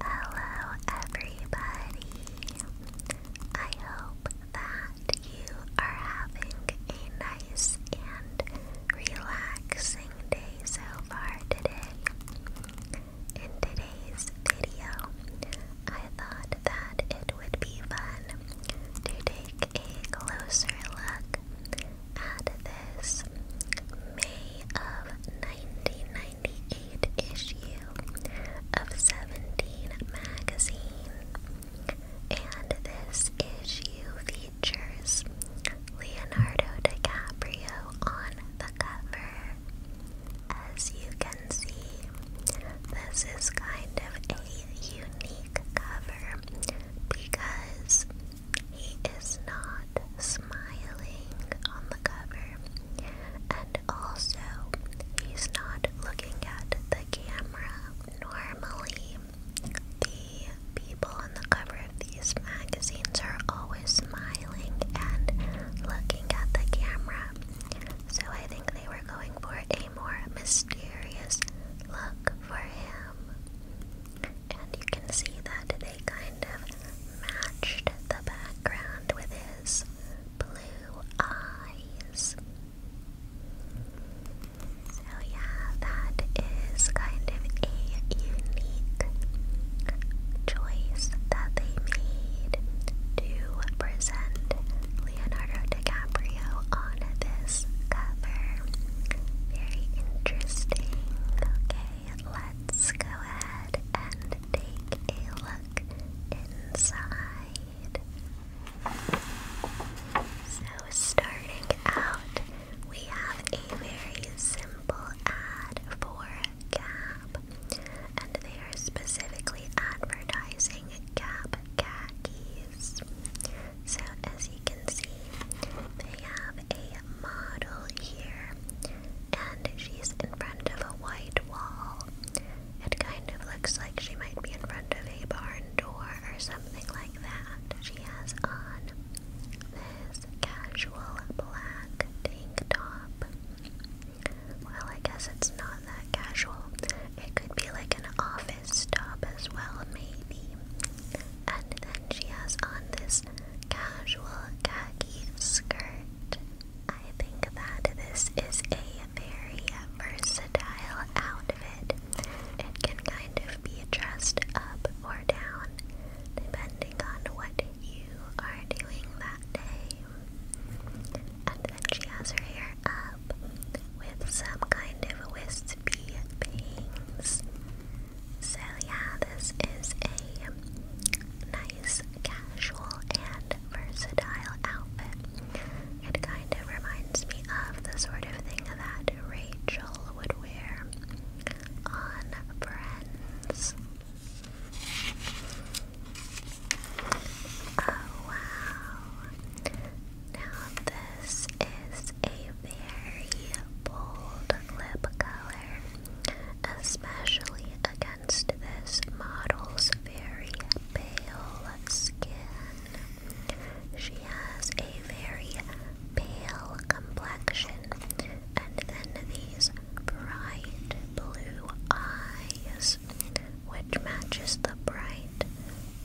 Hello, everybody. I hope that you are having a nice and relaxing day so far today. In today's video, I thought that it would be fun to take a closer look at this May of 1990. 1998 issue of 17 magazine, and this issue features Leonardo DiCaprio on the cover. As you can see, this is kind of a unique cover because he is not smiling on the cover. And also, he's not looking at the camera. Normally, the people on the cover of these magazines are always smiling and looking at the camera. So I think they were going for a more mysterious look for him. And you can see that they kind of matched the background with his blue eyes. So, yeah, that is kind of a unique choice that they made to present Leonardo DiCaprio on this cover. Very interesting. Okay let's go ahead and take a look inside. So, starting out, we have a very simple ad for Gap, and they are specifically advertising Gap khakis. So, as you can see, they have a model here and she's in front of a white wall. It kind of looks like she might be in front of a barn door or something like that. She has on this casual black tank top. Well, I guess it's not that casual. It could be like an office top as well, maybe. And then she has on this casual khaki skirt I think that this is a very versatile outfit. It can kind of be dressed up or down depending on what you are doing that day. And then she has her hair up with some kind of wispy bangs. So yeah, this is a nice nice, casual, and versatile outfit. It kind of reminds me of the sort of thing that Rachel would wear on Friends. Oh wow. Now this is a very bold lip color, especially against against this model's very pale skin. She has a very pale complexion, and then these bright blue eyes, which matches the bright,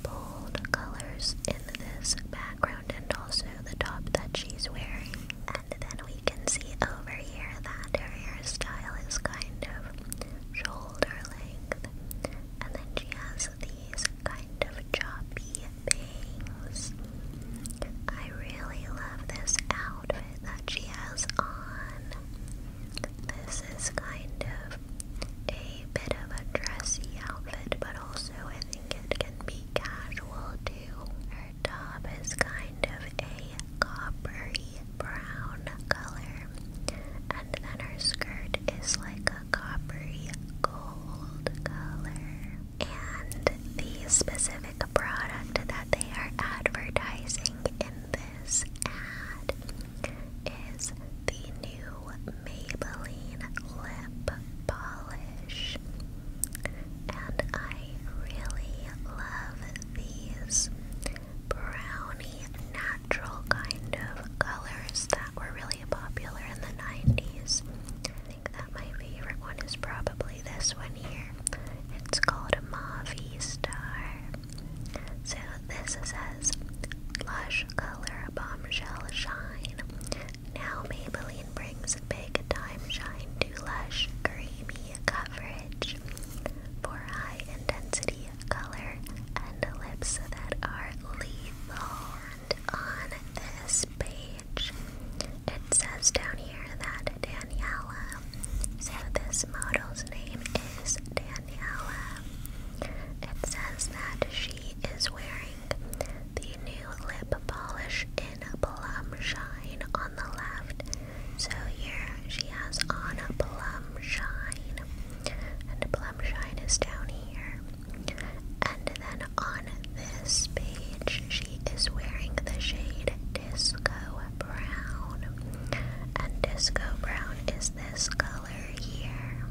bold colors in this background and also the top that she's wearing. And then we you can see over here that her hairstyle is kind of shoulder length, and then she has these kind of choppy bangs. I really love this outfit that she has on. This is kind of a bit of a dressy outfit, but also I think it can be casual too. Her top is kind of a coppery brown color, and then her skirt is like a coppery gold color. And the specific product that they are advertising in this ad is the new Maybelline lip polish and I really love these brownie natural kind of colors that were really popular in the 90s. I think that my favorite one is probably this one here. It's called a Mauvie Star. So this says Lush Color Bombshell Shine. Now Maybelline brings big time shine to lush, creamy, coverage for high intensity color and lips that are lethal. on this page, it says down here that Daniela, so this model's name is Daniela. It says that she is wearing the new lip polish in plum shine on the left. So here she has on a plum shine. And plum shine is down here. And then on this page, she is wearing the shade Disco Brown. And Disco Brown is this color here.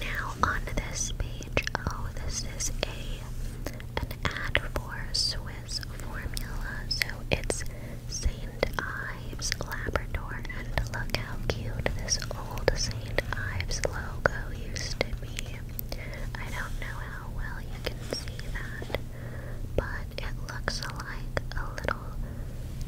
Now, on this page, oh, this is a an ad for Swiss formula. So it's St. Ives Labrador. And look how cute this old St. Ives logo used to be. I don't know how well you can see that, but it looks like a little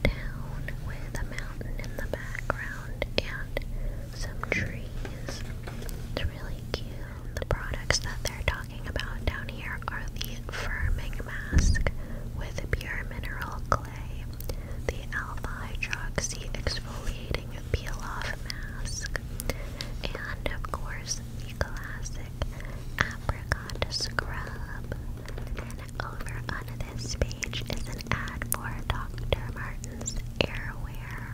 town with a mountain in the background and some trees. It's really cute. The products that they're talking about down here are the firming mask with pure mineral clay, the alpha hydroxy exfoliating peel off mask, and of course the classic apricot scrub. over on this page is an ad for Dr. Martin's airware.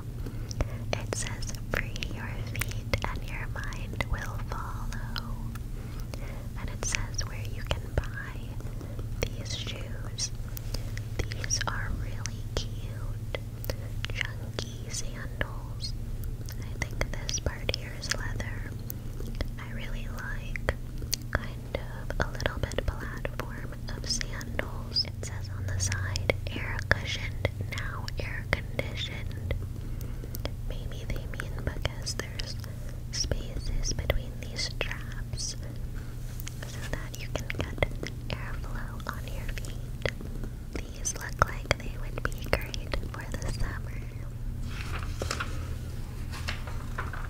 It says, Free your feet and your mind will follow. And it says where you can buy these shoes. These are really cute, chunky sandals. I think this part here is leather. I really like kind of a little bit platform of sandal it says on the side, air cushioned, now air conditioned. Maybe they mean because there's spaces between these straps so that you can get airflow on your feet. These look like they would be great for the summer.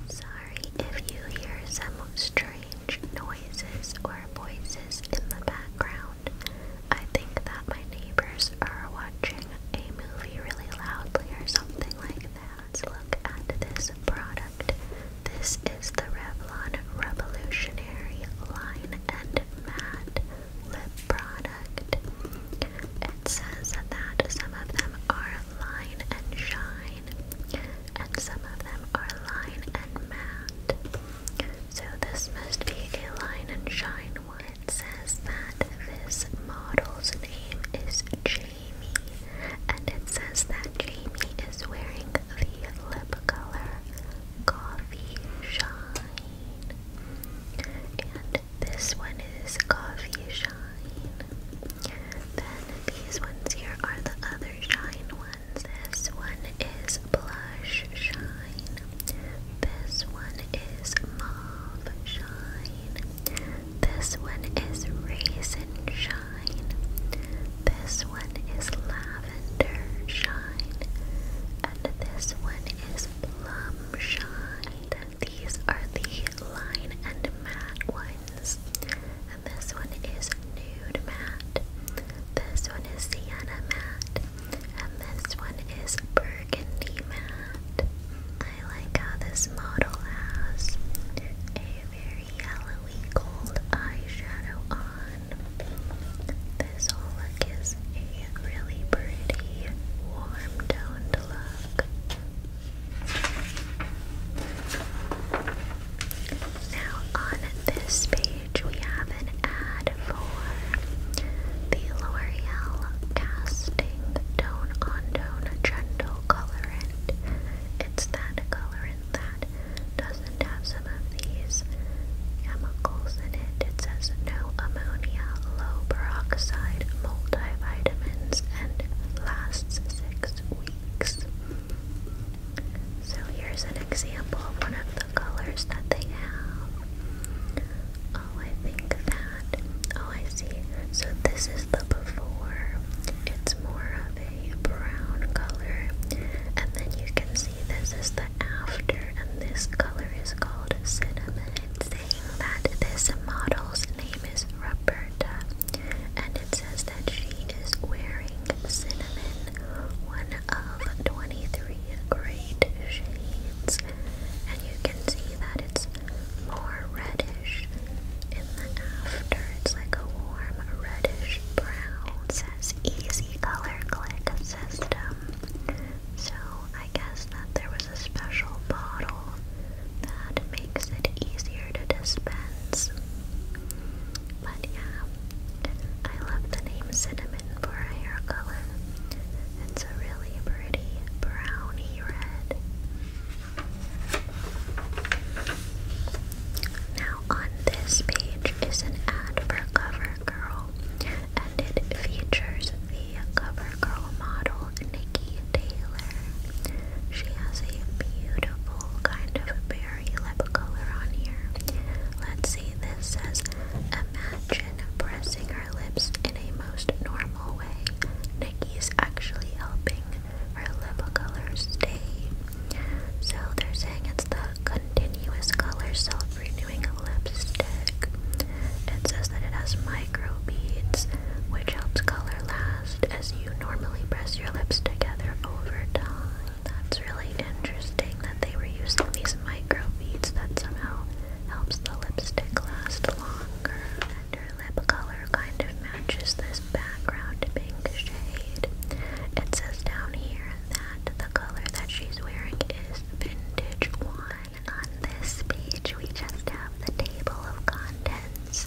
Sorry if you hear some strange noises or voices in the background. I think that my neighbors are watching a movie really loudly or something like that. look at this product. This is the Revlon Revolutionary Line and Matte Lip Product. It says that some of them are line and shine, and some of them are line and matte. So this must be a line and shine one. says that this model's name is Jamie, and it says that Jamie is wearing the lip color Coffee Shine. And this one is Coffee Shine. Then these ones here are the other shine ones. This one is Blush Shine. This one is Mauve Shine. This one is Raisin Shine. This one is Lavender Shine. And this one is Plum Shine. These are the line and matte ones. And this one is Nude Matte. This one is Sienna Matte. And this one is burgundy matte. I like how this model has a very yellowy gold eyeshadow on. This whole look is a really pretty, warm toned look. Now, on this page, page, we have an ad for the L'Oreal Casting Tone on Tone Gentle Colorant. It's that colorant that doesn't have some of these chemicals in it. It says no ammonia, low peroxide, multivitamins, and lasts six weeks. So here's an example of one of the colors that they have. Oh, I think that. Oh, I see. So this is the before. It's more of a brown color. And then you can see this is the after. And this color is called cinnamon. It's saying that this model's name is Roberta. And it says that she is wearing cinnamon one of 23 great shades, and you can see that it's more reddish in the after. It's like a warm reddish brown. says easy color click system. So I guess that there was a special bottle that makes it easier to dispense. But yeah, I love the name cinnamon for a hair color. It's a really pretty browny red. Now, on this page is an ad for CoverGirl, and it features the CoverGirl model Nikki Taylor. She has a beautiful kind of berry lip color on here. Let's see, this says Imagine pressing her lips in a most normal way. Nikki is actually helping her lip colors stay. So they're saying it's the continuous color self-renewing lipstick. It says that it has micro beads, which helps color last as you normally press your lips together over time. That's really interesting that they were using these microbeads that somehow helps the lipstick last longer. And her lip color kind of matches this background pink shade. It says down here that the color that she's wearing is vintage wine. On this page we just have the table of contents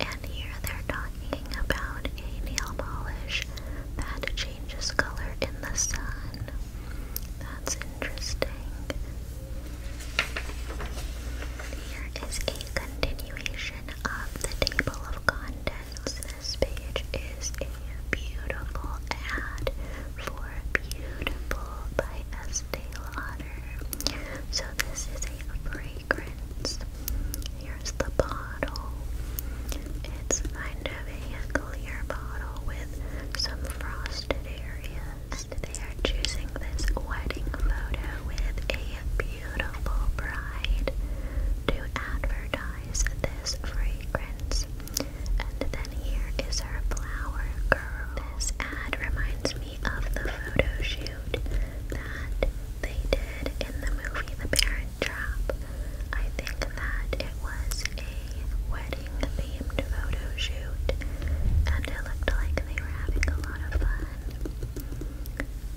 and here they're talking about a nail polish that changes color in the sun. That's interesting. Here is a continuation of the table of contents. This page is a beautiful ad for Beautiful by Estee Lauder. So this is a fragrance. Here's the bottle. It's kind of a clear bottle with some frosted areas. And they are choosing this wedding photo with a beautiful bride to advertise this fragrance. And then here is her flower girl. This ad reminds me of the photo shoot that they did in the movie The Parent Trap. I think that it was a wedding themed photo shoot, and it looked like they were having a lot of fun.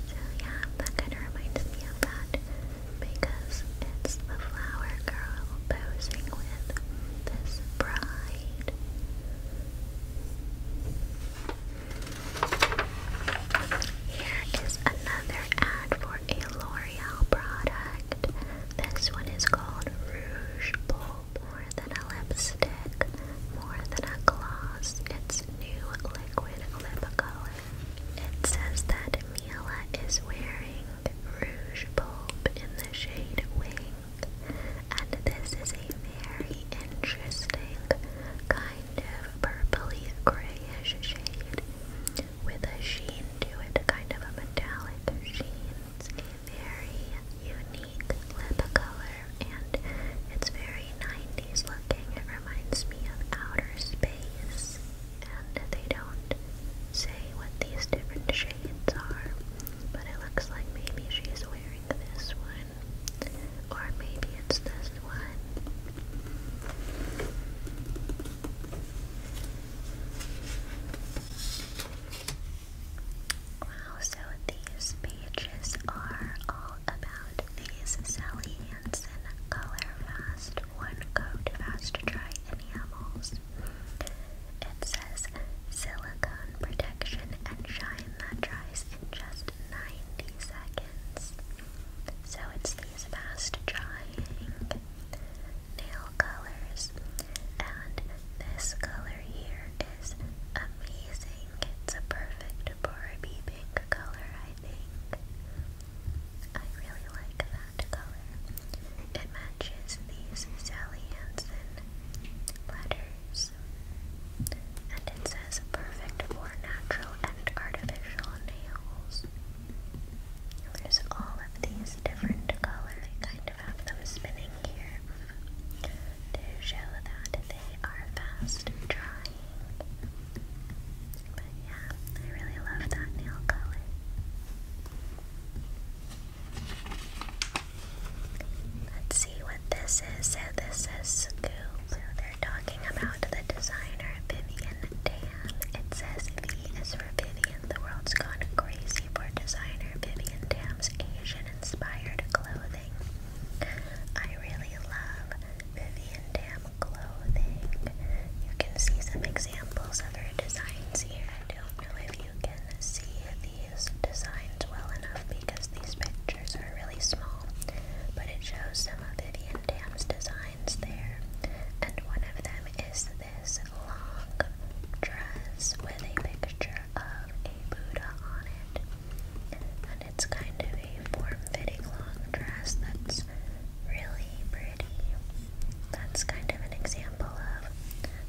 So, yeah, that kind of reminds me of that because it's the flower girl posing with this bride. Here is another ad for a L'Oreal product. This one is called Rouge Bulb. More than a lipstick, more than a gloss. It's new liquid lip color. It says that Miela is wearing Rouge Bulb in the shade Wing. And this is a very interesting kind of purpley grayish shade with a sheen to it, kind of a metallic sheen. It's a very unique lip color and it's very 90s looking. It reminds me of outer space and they don't say what these different shades are, but it looks like maybe she's wearing this one or maybe it's this one. Wow, so these pages are all about these Sally Hansen Color Fast One Coat Fast Dry Enamels. It says silicone protection and shine that dries in just 90 seconds. So it's these fast drying nail colors, and this color here is amazing. It's a perfect Barbie pink color, I think. I really like that color. It matches these Sally Hansen letters. And it says perfect for natural and artificial nails. There's all of these different colors. I kind of have them spinning here to show that they are fast drying. But yeah, I really love that nail color. Let's see what this is. So this is Scoop. they're talking about the designer Vivian Dan. It says V is for Vivian. The world's gone crazy for designer Vivian Tam's Asian-inspired clothing. I really love Vivian Tam clothing. You can see some examples of her designs here. I don't know if you can see these designs well enough because these pictures are really small, but it shows some of Vivian Tam's designs there. And one of them is this long dress with a picture of a Buddha on it. And it's kind of a form-fitting long dress that's really pretty. That's kind of an example of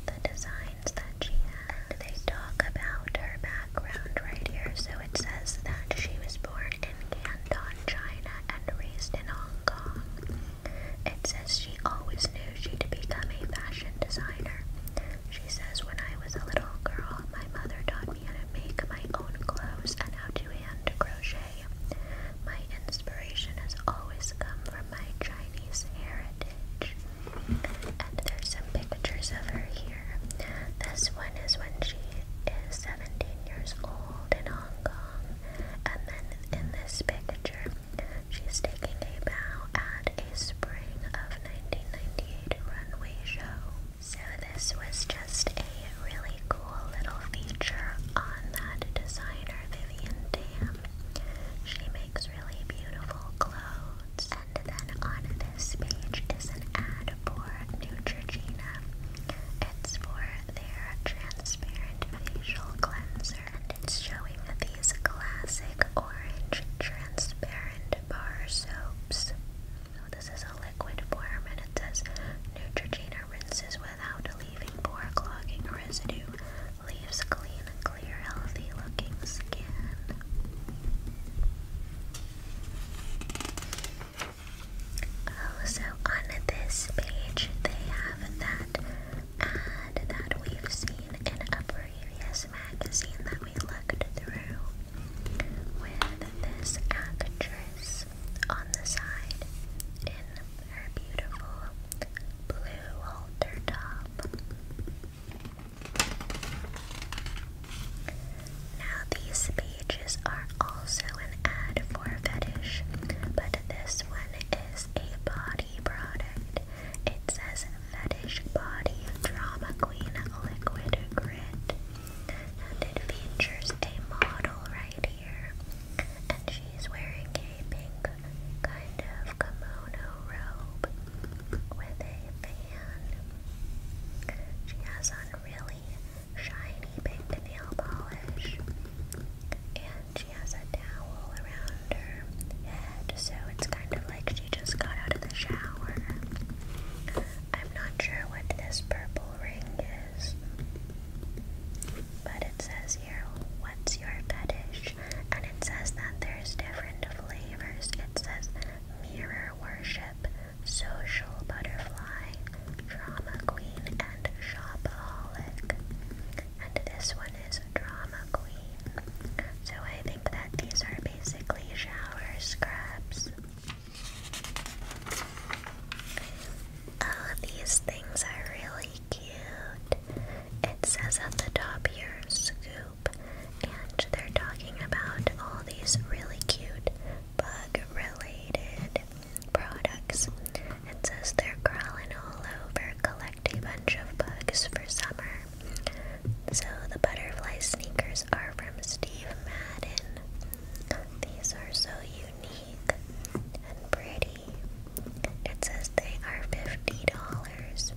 the designs that she had. They talk about her background right here. So it says that she was born in Canton, China and raised in Hong Kong. It says she always knew she'd become a fashion designer. She says, When I was a little girl, my mother taught me how to make my own clothes and how to hand crochet. My inspiration has always come from my Chinese heritage. And there's some pictures of her here. This one is when she is 17 years old in Hong Kong. And then in this picture, she's taking a bow at a spring of 1998 runway show. So this was just a really cool little feature on that designer Vivian Tam. She makes really beautiful clothes. And then on this page is an ad for Neutrogena. It's for their transparent facial cleanser and it's showing these classic orange transparent bar soaps. this is a liquid form and it says Neutrogena rinses without leaving pore clogging residue, leaves clean, clear, healthy looking skin. Also oh, on this page they have that and that we've seen in a previous magazine that we looked through with this actress on the side in her beautiful blue halter top. Now, these pages are also an ad for fetish, but this one it is a body product. It says Fetish Body Drama Queen Liquid Grit. And it features a model right here. And she's wearing a pink kind of kimono robe with a fan. She has on shiny pink nail polish. She has a towel around her head, so it's kind of like she just got out of the shower. I'm not sure what this purple ring is, but it says here, What's your fetish? And it says that there's different flavors. It says mirror worship, social butterfly, drama queen, and shopaholic and this one is Drama Queen. So I think that these are basically shower scrubs. Oh, these things are really cute. It says at the top here, Scoop, and they're talking about all these really cute bug related products. It says they're crawling all over, collecting a bunch of bugs for summer. So the butterfly sneakers are from Steve Madden. These are so unique and pretty. It says they are $50.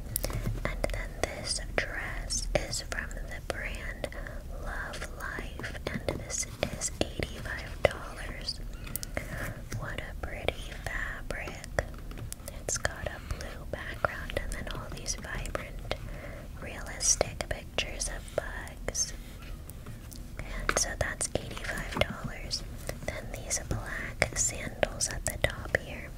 And then this dress is from the brand Love Life, and this is $85. What a pretty fabric. It's got a blue background and then all these vibrant, realistic pictures of bugs. And so that's $85. Then these black sandals at the top here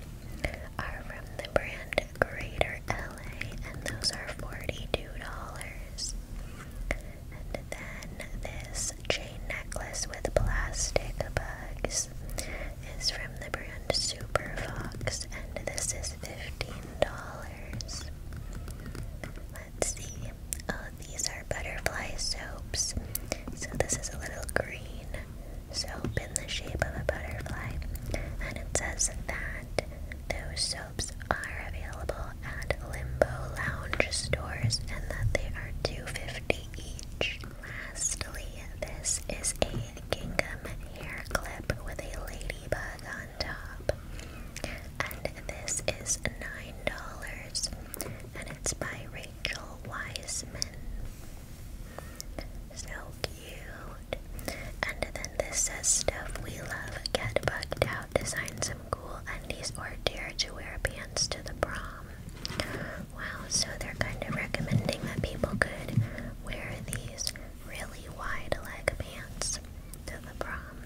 are from the brand Greater LA, and those are $42. And then this chain necklace with plastic bugs is from the brand Super Fox, and this is $15. Let's see. Oh, these are butterfly soaps. So, this is a little green soap in the shape of a butterfly, and it says that those soaps are available at Limbo Lounge stores and that they are two fifty each. Lastly, this is a gingham hair clip with a ladybug on top. And this is $9. And it's by Rachel Wiseman. So cute. And then this says stuff we love. Get bugged out. Design some cool undies or dare to wear pants to the prom. Wow, so they're kind of recommending that people could wear these really wide leg pants to the prom.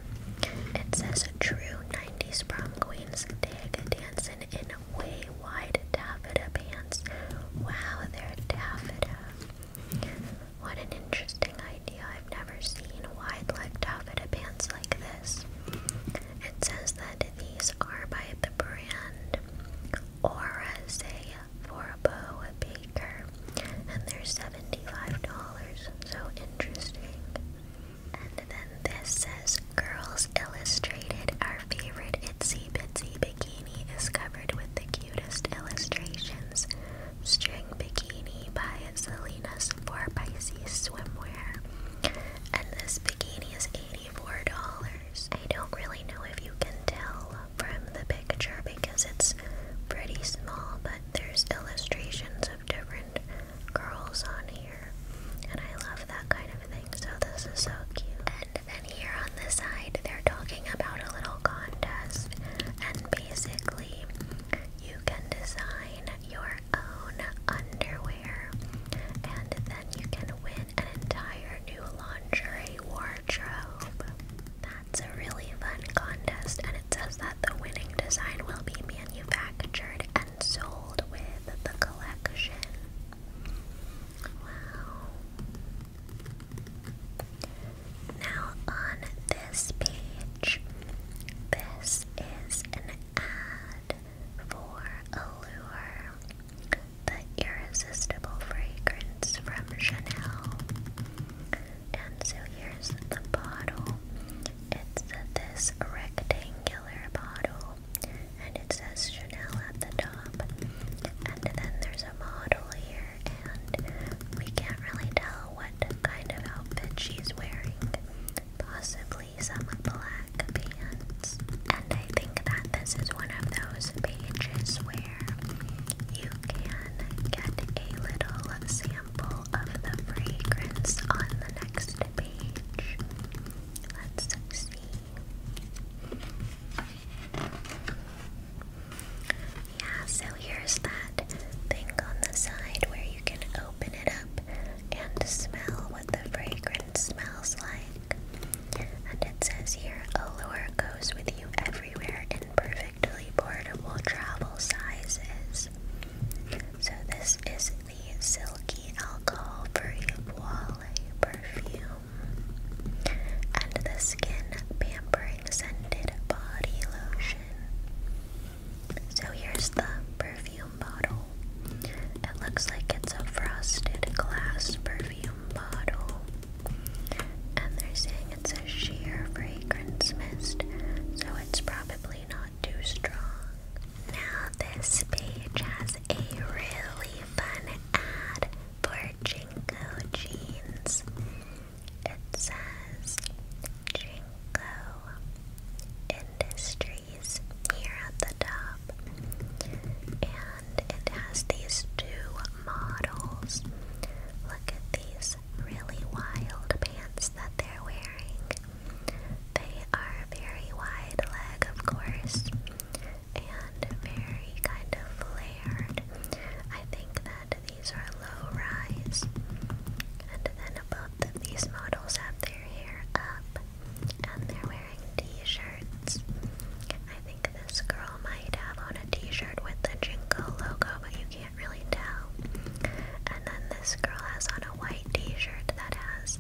It says true 90s prom queens dig dancing in way wide taffeta pants. Wow, they're taffeta. What an interesting idea. I've never seen wide leg taffeta pants like this. It says that these are by the brand for Forbo Baker and they're $75, so interesting. And then this says Girls Illustrated, our favorite Itsy Bitsy bikini is covered with the cutest illustrations. String Bikini by Selena's for Pisces Swimwear. And this bikini is $84. I don't really know if you can tell from the picture because it's pretty small, but there's illustrations of different girls on here. And I love that kind of thing, so this is so cute. And then here on the side, they're talking about a little contest, and basically, you can design your own underwear and then you can win an entire new lingerie wardrobe. That's a really fun contest, and it says that the winning design will be manufactured and sold with the collection. Wow. Now, on this page, this is an ad for Allure, the irresistible fragrance from Chanel. And so here's the bottle. It's this rectangular bottle, and it says Chanel at the top. And then there's a model here, and we can't really tell what kind of outfit she's wearing. Possibly probably some black pants. And I think that this is one of those pages where you can get a little sample of the fragrance on the next page. Let's see. Yeah, so here's that thing on the side where you can open it up and smell what the fragrance smells like. And it says here, Allure goes with you everywhere in perfectly portable travel sizes. So this is the Silky Alcohol Free Voile Perfume. And the Skin Pampering Scented Body Lotion. So here's the perfume perfume bottle. It looks like it's a frosted glass perfume bottle. And they're saying it's a sheer fragrance mist, so it's probably not too strong. Now, this page has a really fun ad for Jinko jeans. It says Jinko Industry here at the top. And it has these two models. Look at these really wild pants that they're wearing. They are very wide leg, of course, and very kind of flared. I think that these are low rise. And then both of these models have their hair up and they're wearing t-shirts. I think this girl might have on a t-shirt with the Jinko logo, but you can't really tell. And then this girl has on a white t-shirt that has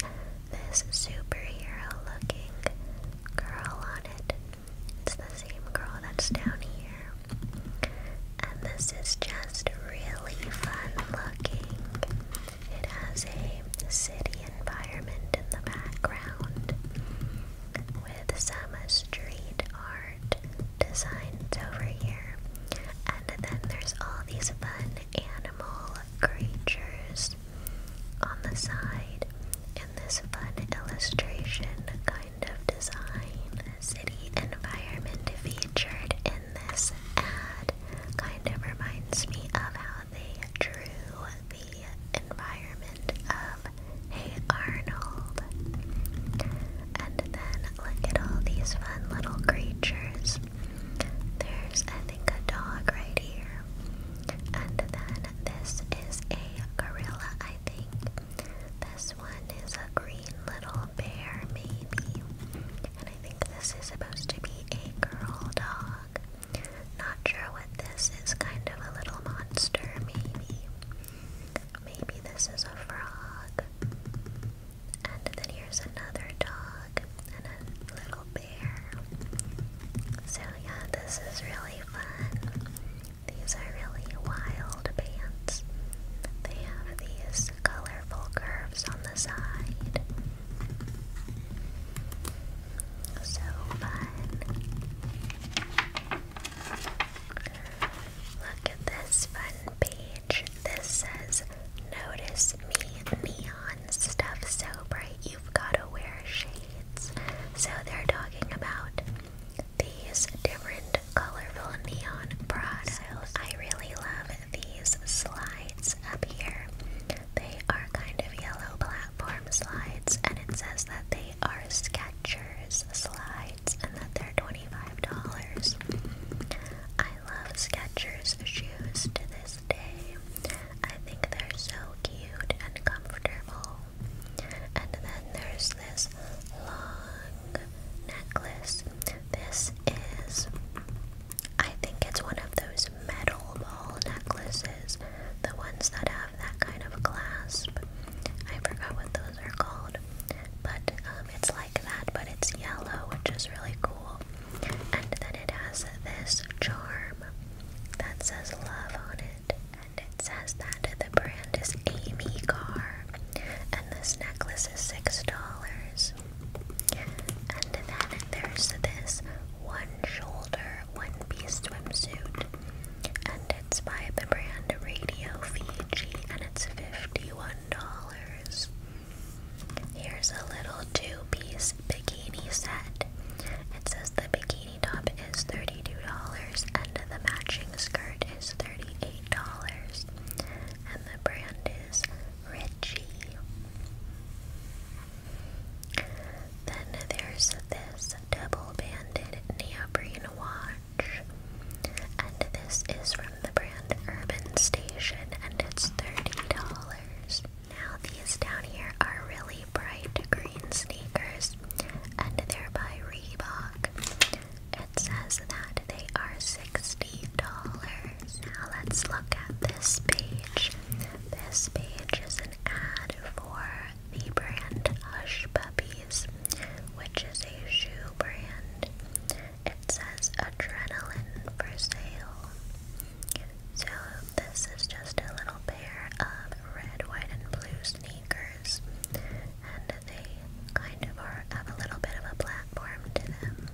this superhero looking girl on it. It's the same girl that's down here. And this is just really fun looking. It has a city environment in the background with some street art designs over here. And then there's all these fun animal creatures on the side And this fun illustration kind of design. A city environment featured in this ad kind of reminds me of how they drew the environment of Hey Arnold. And then look at all these fun little creatures. There's, I think, a dog right here. And then this is a gorilla, I think. This one is a green little bear, maybe. And I think this is supposed to be a girl dog. Not sure what this is, kind of a little monster, maybe. Maybe this is a frog. And then here's another dog and a little bear. So, yeah, this is really fun. These are really wild pants. They have these colorful curves on the side. So fun. Look at this fun page. This says, Notice me neon stuff so bright you've gotta wear shades. So they're talking about these different colorful neon products. I really love these slides up here. They are kind of yellow platform slides, and it says that they are Skechers slides and that they're $25. I love Skechers shoes to this day. I think they're so cute and comfortable. And then there's this long necklace. This is, I think it's one of those metal ball necklaces, the ones that have that kind of clasp. I forgot what those are called, but um, it's like that, but it's yellow, which is really cool. And then it has this charm that says love on it, and it says that the brand is Amy Carr, and this necklace is $6. And then there's this one shoulder, one piece swimsuit, and it's by the brand Radio Fiji, and it's $51. Here's a little two piece bikini set. It says the bikini top is $32 and the matching skirt is $38. And the brand is Richie. Then there's this double-banded neoprene watch, and this is from the brand Urban Station, and it's $30. Now these down here are really bright green sneakers, and they're by Reebok. It says that they are $60. Now let's look at this page. This page is an ad for the brand Hush Puppies, which is a shoe brand. It says adrenaline for sale. So, this is just a little pair of red, white, and blue sneakers, and they kind of are, have a little bit of a platform to them.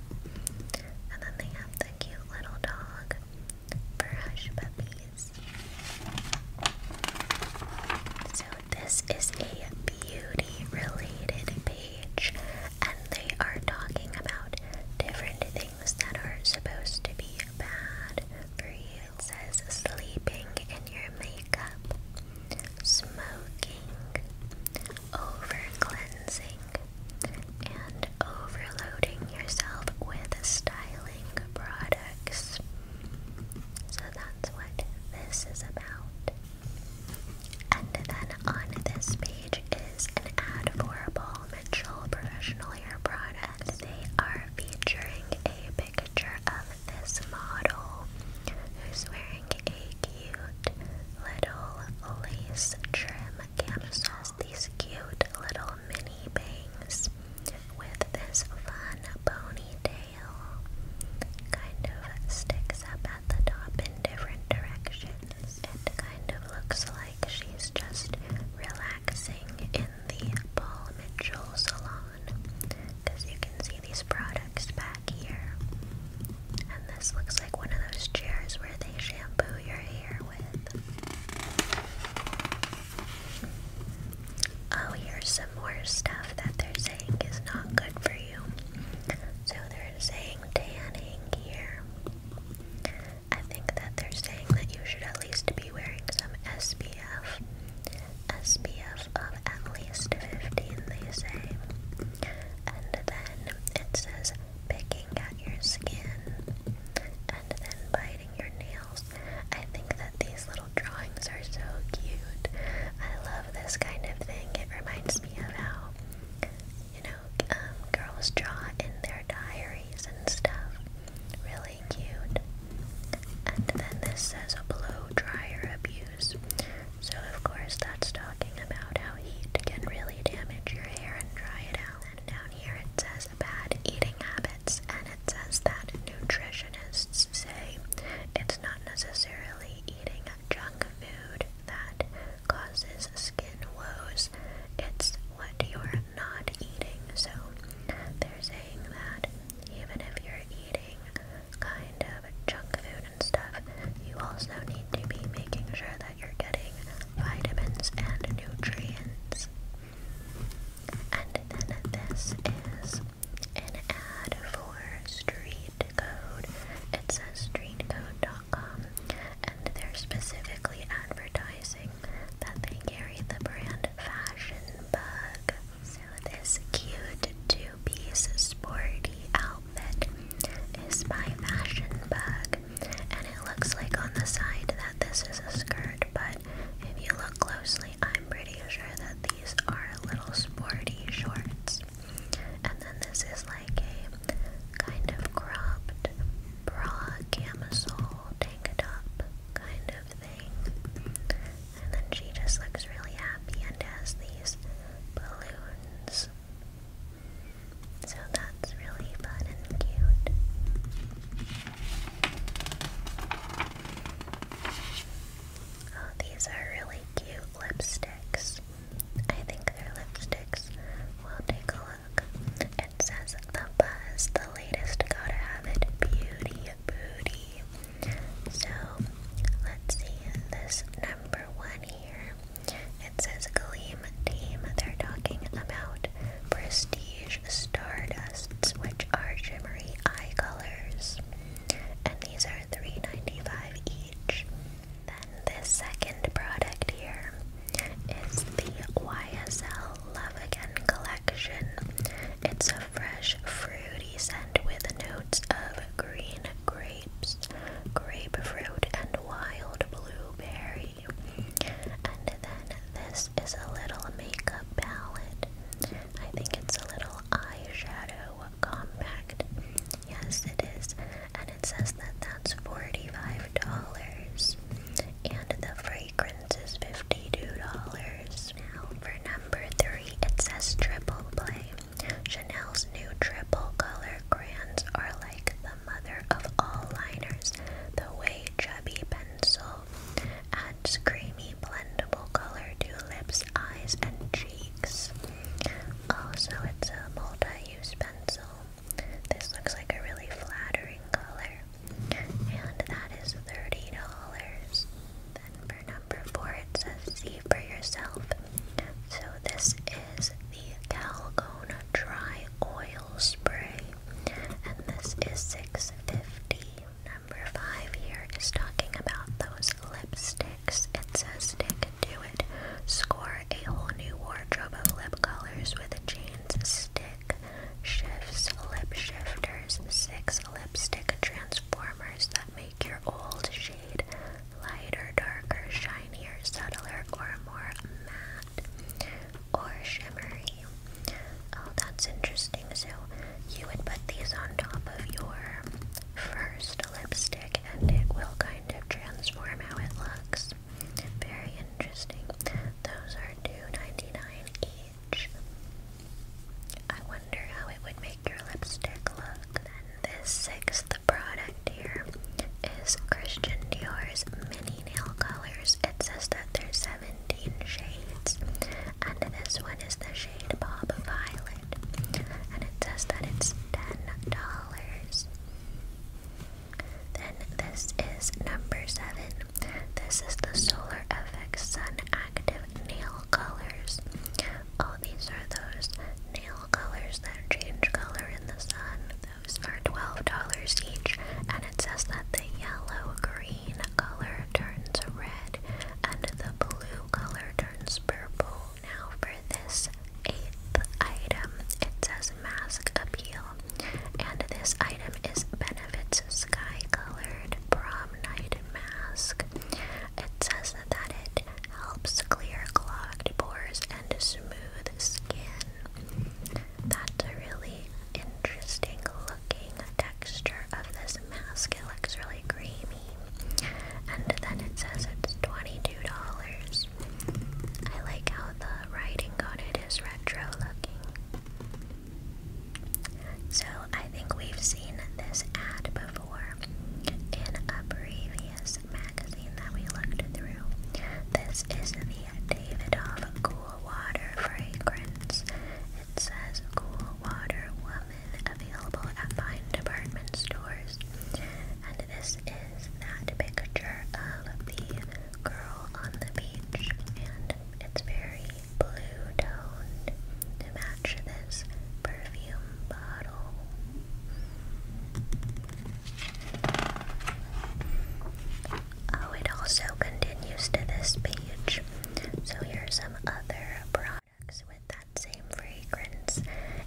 And then they have the cute little dog for Hush Puppies. So this is a beauty related page and they are talking about different things that are supposed to be bad for you. It says sleeping in your makeup, smoking, over cleansing, and overloading yourself with styling products. So that's what this is about. And then on this page is an ad for Paul Mitchell Professional Hair product. They are featuring a picture of this model who's wearing a cute little lace trim camisole. These cute little mini bangs with this fun ponytail. Kind of sticks up at the top in different directions. It kind of looks like she's just relaxing in the Paul Mitchell salon. Because you can see these products back here. And this looks like one of those chairs where they shampoo your hair with. Oh, here's some more stuff that they're saying is not good for you. So they're saying tanning here. I think that they're saying that you should at least be wearing some SPF. SPF of at least 15, they say. And then it says picking at your skin. And then by painting your nails. I think that these little drawings are so cute. I love this kind of thing. It reminds me of how, you know, um, girls draw in their diaries and stuff. Really cute. And then this says a blow dryer abuse. So, of course, that's talking about how heat can really damage your hair and dry it out then down here it says bad eating habits, and it says that nutritionists say it's not necessarily eating junk food that causes skin woes, it's what you're not eating. So they're saying that even if you're eating kind of junk food and stuff, you also need to be making sure that you're getting vitamins and nutrients. And then this is an ad for Street Code. It says streetcode.com, and they're specifically advertising that they carry the brand Fashion Bug. So, this cute two piece sporty outfit is by Fashion Bug, and it looks like on the side that this is a skirt, but if you look closely, I'm pretty sure that these are little sporty shorts. And then this is like a kind of cropped bra camisole tank top kind of thing. And then she just looks really happy and has these balloons. So that's really fun and cute. Oh, these are really cute lipsticks. I think they're lipsticks. We'll take a look. It says The Buzz, the latest Gotta Have It Beauty Booty. So, let's see this number one here. It says Gleam Team. They're talking about prestige the stardusts, which are shimmery eye colors, and these are three ninety five each. Then this second product here is the YSL Love Again collection. It's a fresh fruity scent with notes of green grapes, grapefruit, and wild blueberry then this is a little makeup palette. I think it's a little eyeshadow compact. Yes, it is. And it says that that's $45. And the fragrance is $52. Now, for number three, it says triple play. Chanel's new triple color crayons are like the mother of all liners. The way chubby pencil pencil. Adds creamy, blendable color to lips, eyes, and cheeks. Also, it's a multi-use pencil. This looks like a really flattering color. And that is $30. Then for number four, it says see for yourself. So this is the Calgon Dry Oil Spray. And this is $6.50. Number five here is talking about those lipsticks. It says stick to it. Score a whole new wardrobe of lip colors with a chains stick. Shifts lip shifters. Six lipstick transformers that make your old shade lighter, darker, shinier, subtler, or more matte or shimmery. Oh, that's interesting. So you would put these on top of your first lipstick and it will kind of transform how it looks. Very interesting. Those are $2.99 each. I wonder how it would make your lipstick look. Then this sixth product here is Christian Dior's mini nail colors. It says that there's seven 17 shades, and this one is the shade Bob Violet, and it says that it's $10. Then this is number 7. This is the Solar FX Sun Active Nail Colors. All oh, these are those nail colors that change color in the sun. Those are $12 each, and it says that the yellow, green, green color turns red and the blue color turns purple. Now for this eighth item, it says mask appeal. And this item is Benefits Sky Colored Prom Night Mask. It says that it helps clear clogged pores and smooth skin. That's really interesting looking texture of this mask. It looks really creamy. And then it says it's $22. I like how the writing on it is retro looking. So I think we've seen this ad before in a previous magazine that we looked through. This is the Davidoff cool water fragrance. It says Cool Water Woman, available at fine department stores. And this is that picture of the girl on the beach, and it's very blue toned to match this perfume bottle. Oh, it also continues to this page. So here's some other products with that same fragrance.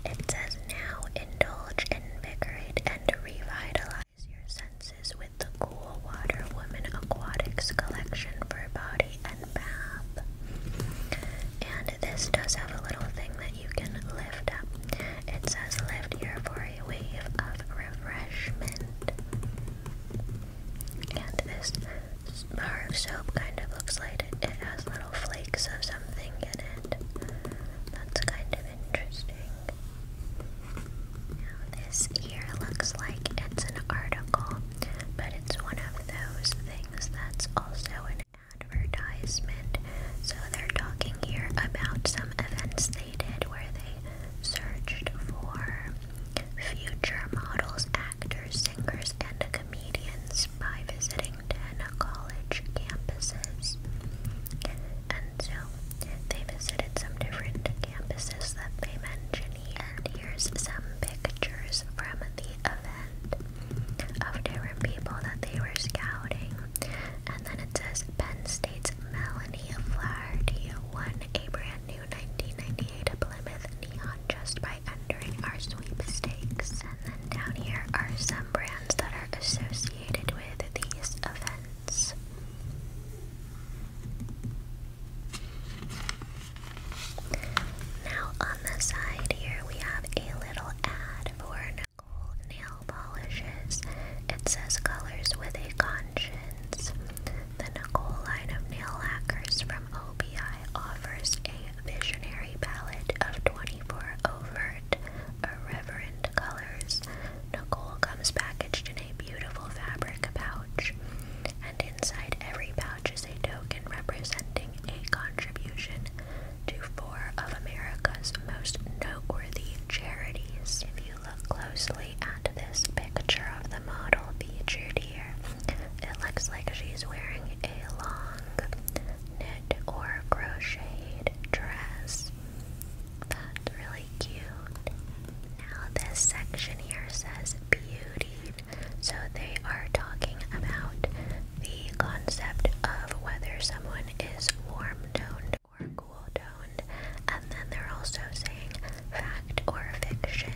It says now indulge, and invigorate, and revitalize your senses with the Cool Water Women Aquatics collection for body and bath. And this does have a little thing that you can lift up. It says lift here for a wave of refreshment. And this bar of soap kind of looks like it, has little flakes of something in it. That's kind of interesting. this here looks like it's an article, but it's one of those things that's also an advertisement. So, they're talking here about some events they did where they searched for future models, actors, singers, and comedians by visiting 10 college campuses. And so they visited some different campuses that they mention here. And here's some pictures from the event of different people that they were scouting. And then it says Penn State's Melanie Flaherty won a brand 1998 Plymouth Neon just by entering our sweepstakes. And then down here are some brands that are associated with these events. Now on the side here we have a little ad for Nicole Nail Polishes. It says colors with a conscience. The Nicole line of nail lacquers from OBI offers a visionary palette of 24 overt, irreverent colors. Nicole comes packaged in a beautiful fabric pouch, and inside every pouch is a token representing a contribution to four of America's most noteworthy charities. If you look closely this picture of the model featured here, it looks like she's wearing a long knit or crocheted dress. That's really cute. Now, this section here says beauty. So, they are talking about the concept of whether someone is warm toned or cool toned. And then they're also saying Fact or fiction?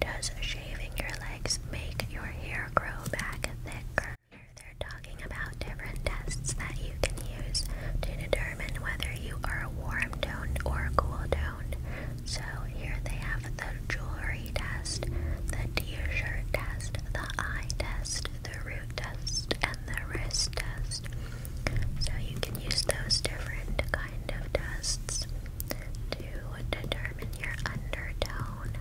Does shaving your legs make your hair grow back thicker? Here they're talking about different tests that you can use to determine whether you are warm toned or cool toned. So here they have the jewelry test, the t-shirt test, the eye test, the root test, and the wrist test. So you can use those different kind of tests to determine your undertone.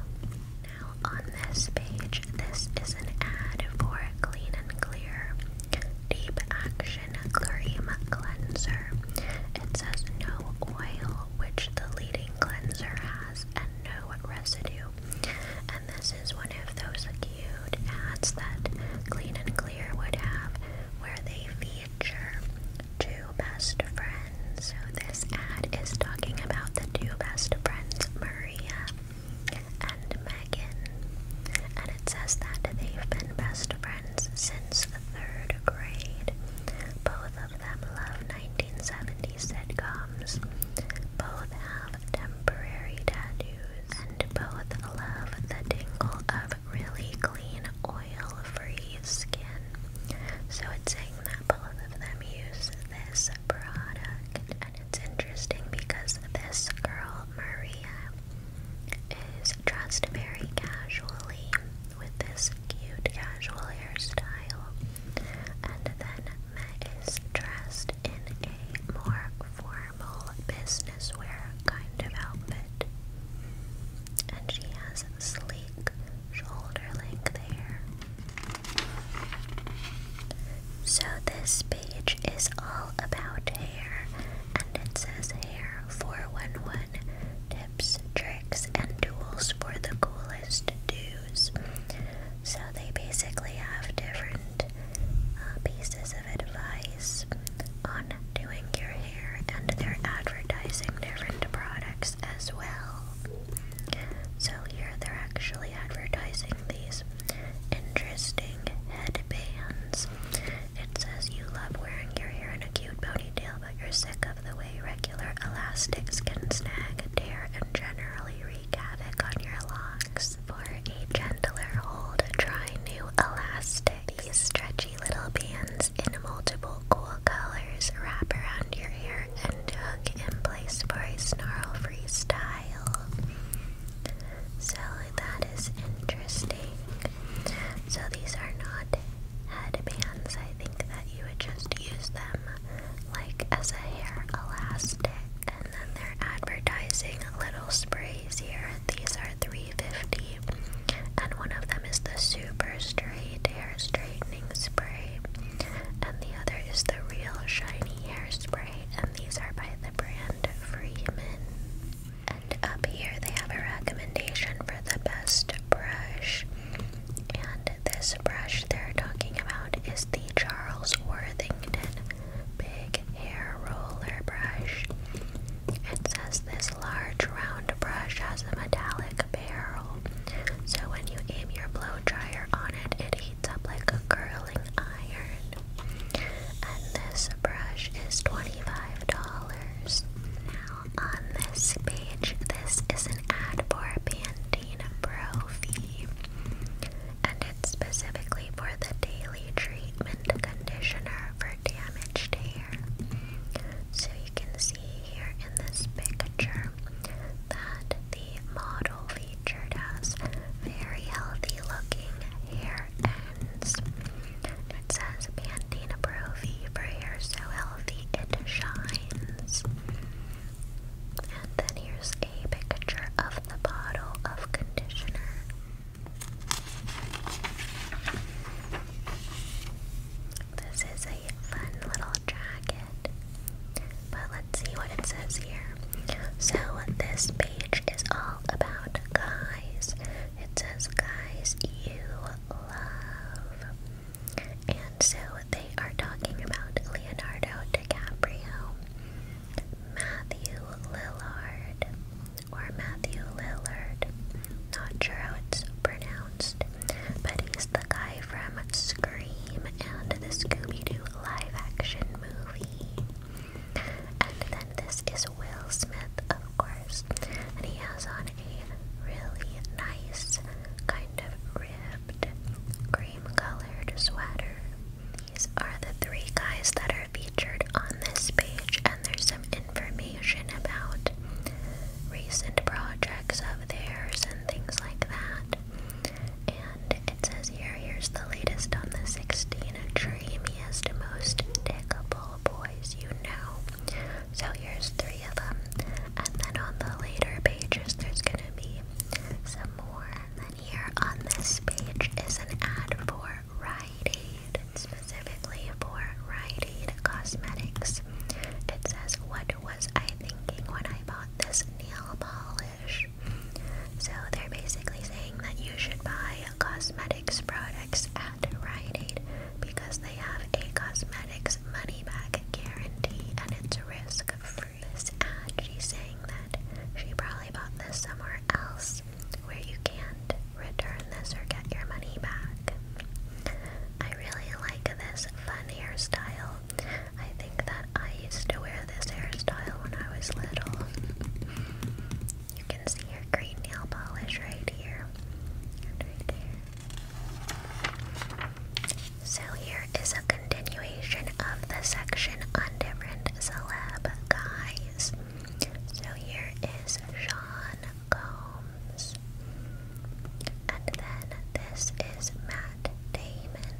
Now, on this page, this is an ad for Clean and Clear Deep Action Cream Cleanser. It says no oil, which the leading cleanser has, and no residue. And this is one of those cute ads that Clean and Clear would have where they feature two best friends. So this ad is talking about the two best friends, Maria and Megan. And it says that they've been best friends since the third grade. Both of them love 1970s sitcoms. Both have temporary tattoos. And both love the tingle of really clean oil free skin. So it's saying that both of them use this product. And it's interesting because this girl, Maria, is dressed very casually with this cute casual hairstyle. And then Met is dressed in a more formal business wear kind of outfit and she has sleek shoulder length hair. So, this page is all about hair, and it says Hair 411 tips, tricks, and tools for the coolest do's. So, they basically have different uh, pieces of advice on doing your and they're advertising different products as well. So here they're actually advertising these interesting headbands. It says you love wearing your hair in a cute ponytail, but you're sick of the way regular elastics can snag, tear, and generally wreak havoc on your locks. For a gentler hold, try new elastic. These stretchy little bands in multiple cool colors wrap around your hair and hook in place for a snarl-free style. So that is interesting. So these are not headbands. I think that you would just use them like as a hair elastic. And then they're advertising little sprays here. These are 3 350 and one of them is the super straight hair straightening spray and the other is the real shiny hairspray and these are by the brand Freeman and up here they have a recommendation for the best brush and this brush they're talking about is the Charles Worthington big hair roller brush it says this large round brush has a metallic barrel, so when you aim your blow dryer on it, it heats up like a curling iron. And this brush is $25. Now, on this page, this is an ad for Pantene Pro Fee, and it's specifically for the daily treatment conditioner for damaged hair. So you can see here in this picture that the model featured has very healthy looking hair ends. It says Pantene Pro V for hair so healthy it shines. And then here's a picture of the bottle of conditioner. This is a fun little jacket. But let's see what it says here. So, this page is all about guys. It says, Guys, you love. And so, they are talking about Leonardo DiCaprio, Matthew Lillard, or Matthew Lillard, not sure how it's pronounced, but he's the guy from Scream and the Scooby Doo live action movie. And then this is Will Smith, of course, and he has on a really nice, kind of ribbed, cream colored sweater. These are the three guys that are featured on this page, and there's some information about recent projects of theirs and things like that. And it says here, here's the latest on the 16 dreamiest, most dickable boys you know. So here's three of them. And then on the later pages, there's gonna be some more. And then here on this page is an ad for Rite Aid. It's specifically for Rite Aid Cosmetics. It says, What was I thinking when I bought this nail polish? So they're basically saying that you should buy cosmetics products at Rite Aid because they have a cosmetics money back guarantee and it's risk free. This ad, she's saying that she probably bought this somewhere else where you can't return this or get your money back. I I really like this fun hairstyle. I think that I used to wear this hairstyle when I was little. You can see your green nail polish right here So here is a continuation of the section on different celeb guys. So here is Sean Combs. And then this is Matt Damon.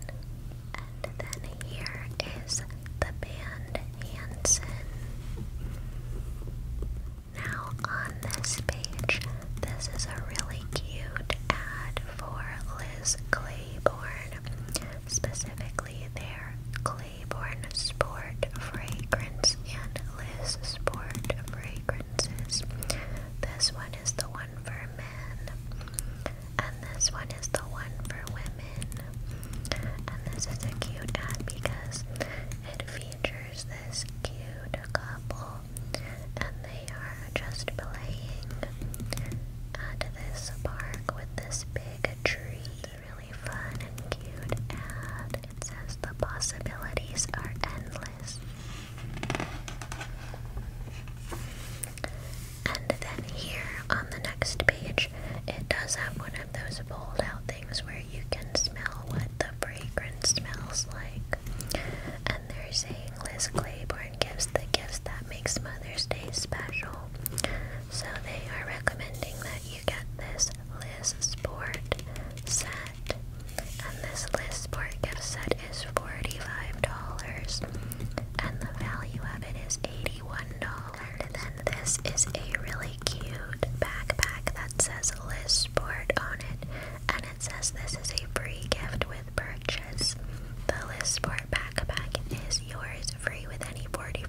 And then here is the band Hanson. Now on this page, this is a really cute ad for Liz Claiborne, specifically their Claiborne Sport Fragrance and Liz Sport Fragrance. This one is the one for men, and this one is the one for women. And this is a cute ad because it features this cute couple, and they are just playing at this park with this big tree. Really fun and cute ad says the possibilities are endless. And then here on the next page, it does have one of those fold out things where you can smell what the fragrance smells like. And they're saying Liz Claiborne gives the gifts that makes Mother's Day special. So they are recommending that you get this Liz Sport set and this Lisport gift set is $45. And the value of it is $81. And then this is a really cute backpack that says Lisport on it. And it says this is a free gift with purchase. The Lisport backpack is yours free with any $45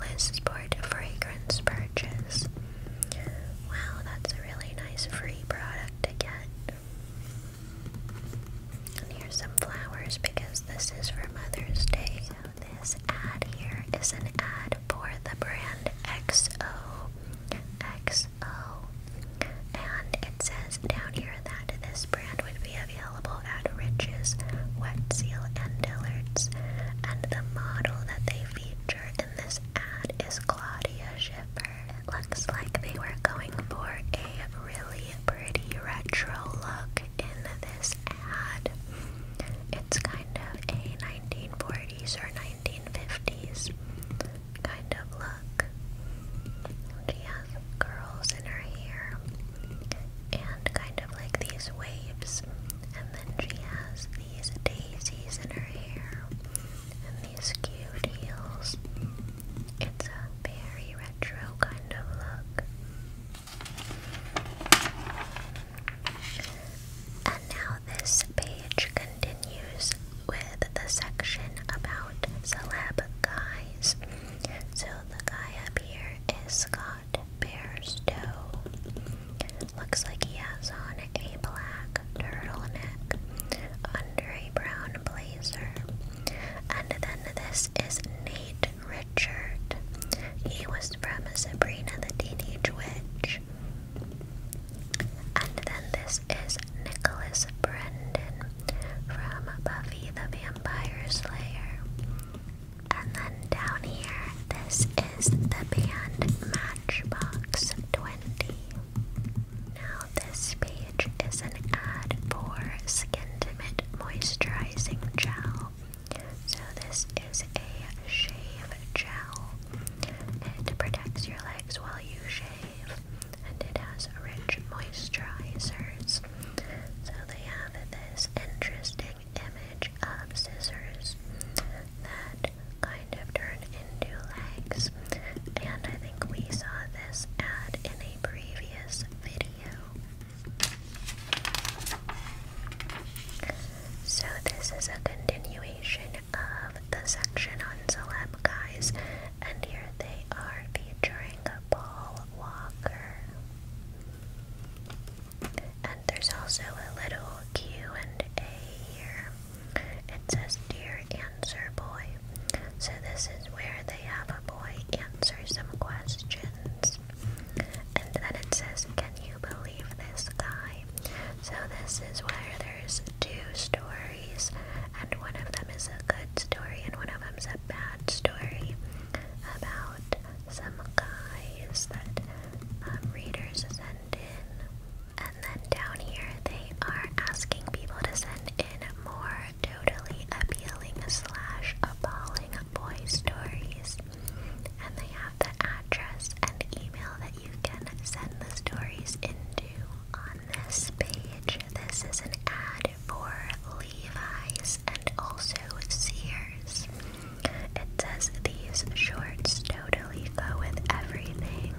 Lisport fragrance purchase. Wow, that's a really nice free product to get. And here's some flowers because this is for Mother's Day. So this ad here is an ad for the brand XO. XO. And it says down here that this brand would be available at Rich's, Wet Seal, and Dillard's. And the model that they feature in this ad is Claude looks like they were going for a really pretty retro look in this ad. It's kind of a 1940s or 1950s kind of look. She has curls in her hair and kind of like these waves, and then she has these daisies in her hair and these skewed heels. It's a very retro kind of look. And now this page continues with the section about celeb guys. So the guy up here is Scott Bairstow looks like he has on a black turtleneck under a brown blazer. And then this is Nate Richard. He was from Sabrina the Teenage Witch. And then this is Nicholas Brendon from Buffy the Vampire Slayer. And then down here, this is the band Matchbox 20. Now, this page is an ad for Skin Timid Moisturizing Gel. So, this is a shave gel. It protects your legs while you shave, and it has rich moisturizers. So, they have this interesting image of scissors that kind of turn into legs. And I think we saw this ad in a previous video. So, this is a continuation of the section on celeb guys, and here they are featuring Paul Walker. And there's also a little Q and A here. It says Dear Answer Boy. So this is where they have a boy answer some questions. And then it says, Can you believe this guy? So this is where there's two stories, and one of them is a good story and one of them is a bad story about some guys that um, readers send in. And then down here, they are asking people to send in more totally appealing slash appalling boy stories. And they have the address and email that you can send the stories into on this page. This is an ad for Levi's and also Sears. It says these shorts totally go with everything.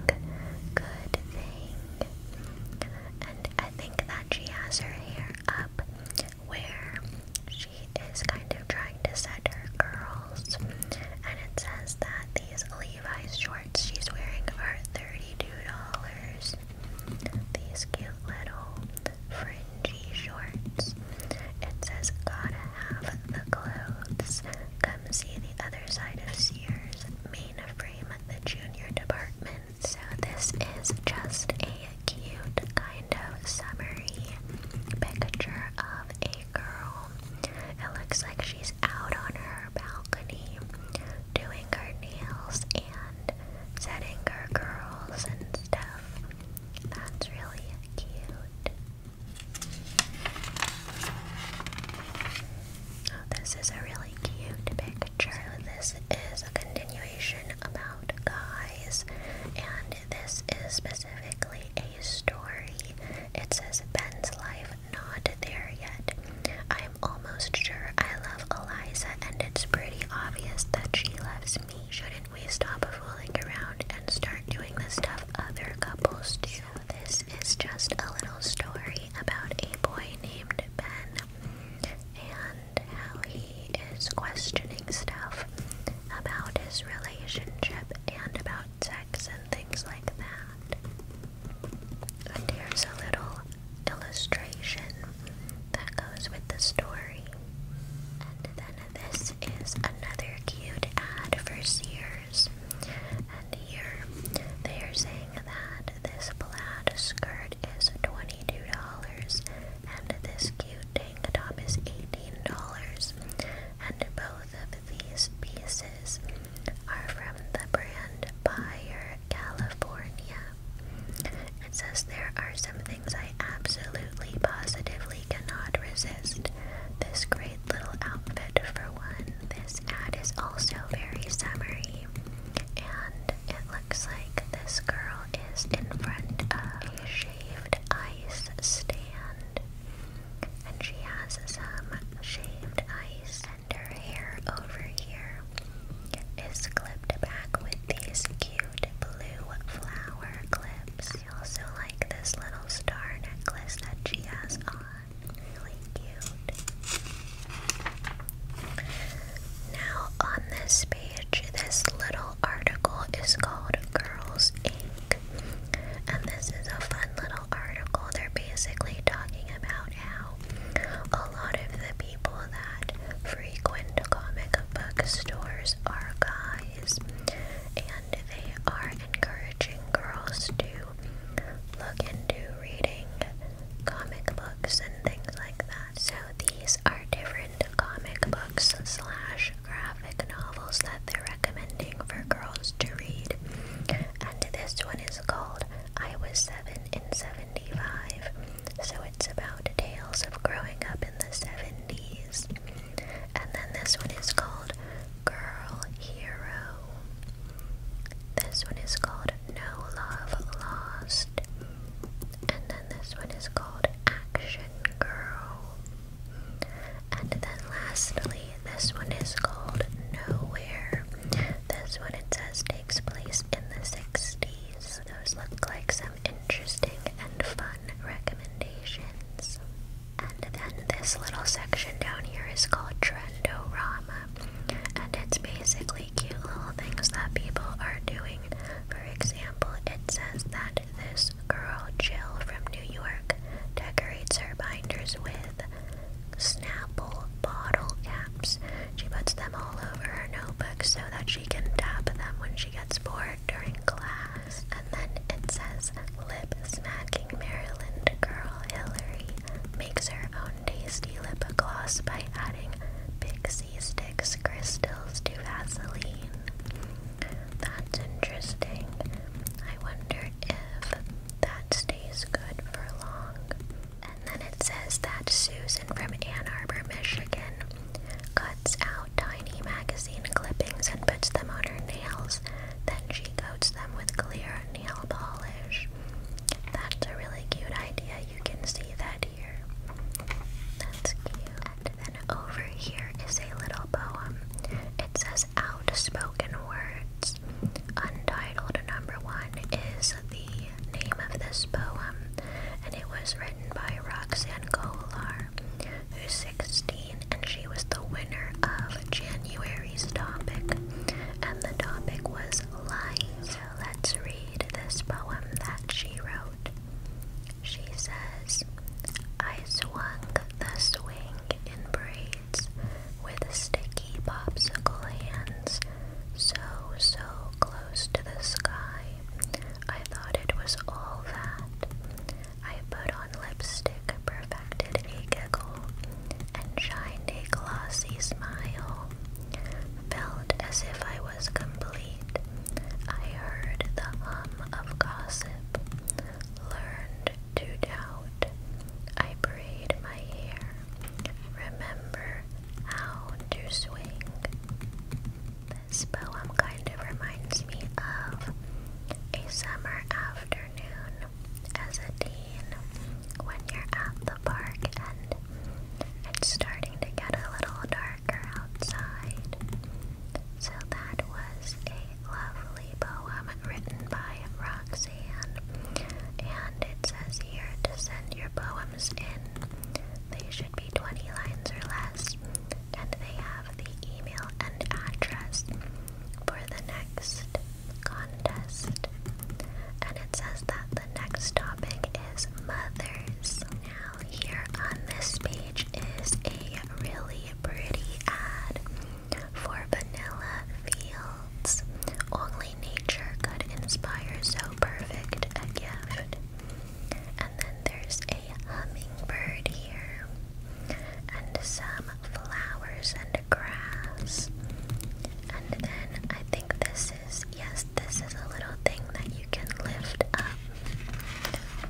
Good thing. And I think that she has her hair up where she is kind of trying to set her curls. And it says that these Levi's shorts she's wearing are $32. These cute little fringy shorts. It says, Gotta have the clothes them see the other side of Sears mainframe, the junior department. So this is just a cute kind of summery picture of a girl. It looks like she's out on her balcony doing her nails and setting her curls and stuff. That's really cute. Oh, this is a really cute picture. this is a continuation about guys, and this is specifically a story. It says Ben's life not there yet. I'm almost sure I love Eliza, and it's pretty obvious that she loves me. Shouldn't we stop fooling around and start doing the stuff other couples do? this is just a little story about a boy named Ben and how he is questioning stuff about his relationship and about sex and things like that. And here's a little illustration that goes with the story. And then this is another cute ad for Sears. And here they are saying that this plaid skirt is $22 and this cute tank top is $18. And both of these pieces are from the brand Buyer California. It says there are some things I absolutely positively cannot resist. This great little outfit for this ad is also very summery, and it looks like this girl is in front of a shaved ice stand, and she has some shaved ice, and her hair over here is clipped back with these cute blue flower clips. I also like this little star necklace that she has on really cute. Now, on this page, this little article is called Girls Inc. And this is a fun little article. They're basically talking about how a lot of the people that frequent comic book stores are guys and they are encouraged encouraging girls to look into reading comic books and things like that. So these are different comic books slash graphic novels that they're recommending for girls to read. And this one is called I Was Seven in 75. So it's about tales of growing up in the 70s. And then this one is called girl hero. This one is called No Love Lost. And then this one is called Action Girl. And then lastly, this one is called Nowhere. This one it says takes place in the 60s. Those look like some interesting and fun recommendations. And then this little section down here is called Trendorama and it's basically cute little things that people are doing. For example, it says that this girl, Jill from New York, decorates her binders with Snapple bottle caps. She puts them all over her notebook so that she can tap them when she gets bored during class. And then it says lip smacking Maryland girl Hillary makes her own tasty lip gloss by adding pixie sticks crystals to Vaseline. That's interesting. I wonder if that stays good for long. And then it says that Susan from Ann Arbor, Michigan cuts out tiny magazine clippings and puts them on her nails. Then she coats them with clear nail polish. That's a really cute idea. You can see that here. That's cute. And then over here is a little poem. It says Outspoken Words. Untitled number one is the name of this poem, and it was written by Roxanne Kolar, who's 16, and she was the winner of January series topic, and the topic was lying. So let's read this poem that she wrote. She says, I swung the swing in braids with sticky popsicle hands, so, so close to the sky. I thought it was all that. I put on lipstick, perfume affected a giggle, and shined a glossy smile. Felt as if I was complete. I heard the hum of gossip, learned to doubt. I braided my hair. Remember how to swing. This poem kind of reminds me of a summer afternoon as a teen when you're at the park and it's starting to get a little darker outside. So that was a lovely poem written by Roxanne. And it says here to send your poems in. They should be 20 lines or less. And they have the email and address for the next contest. And it says that the next topic is mothers. Now, here on this page is a really pretty ad for vanilla fields. Only nature could inspire so perfect a gift. And then there's a hummingbird here, and some flowers and the grass. And then I think this is, yes, this is a little thing that you can lift up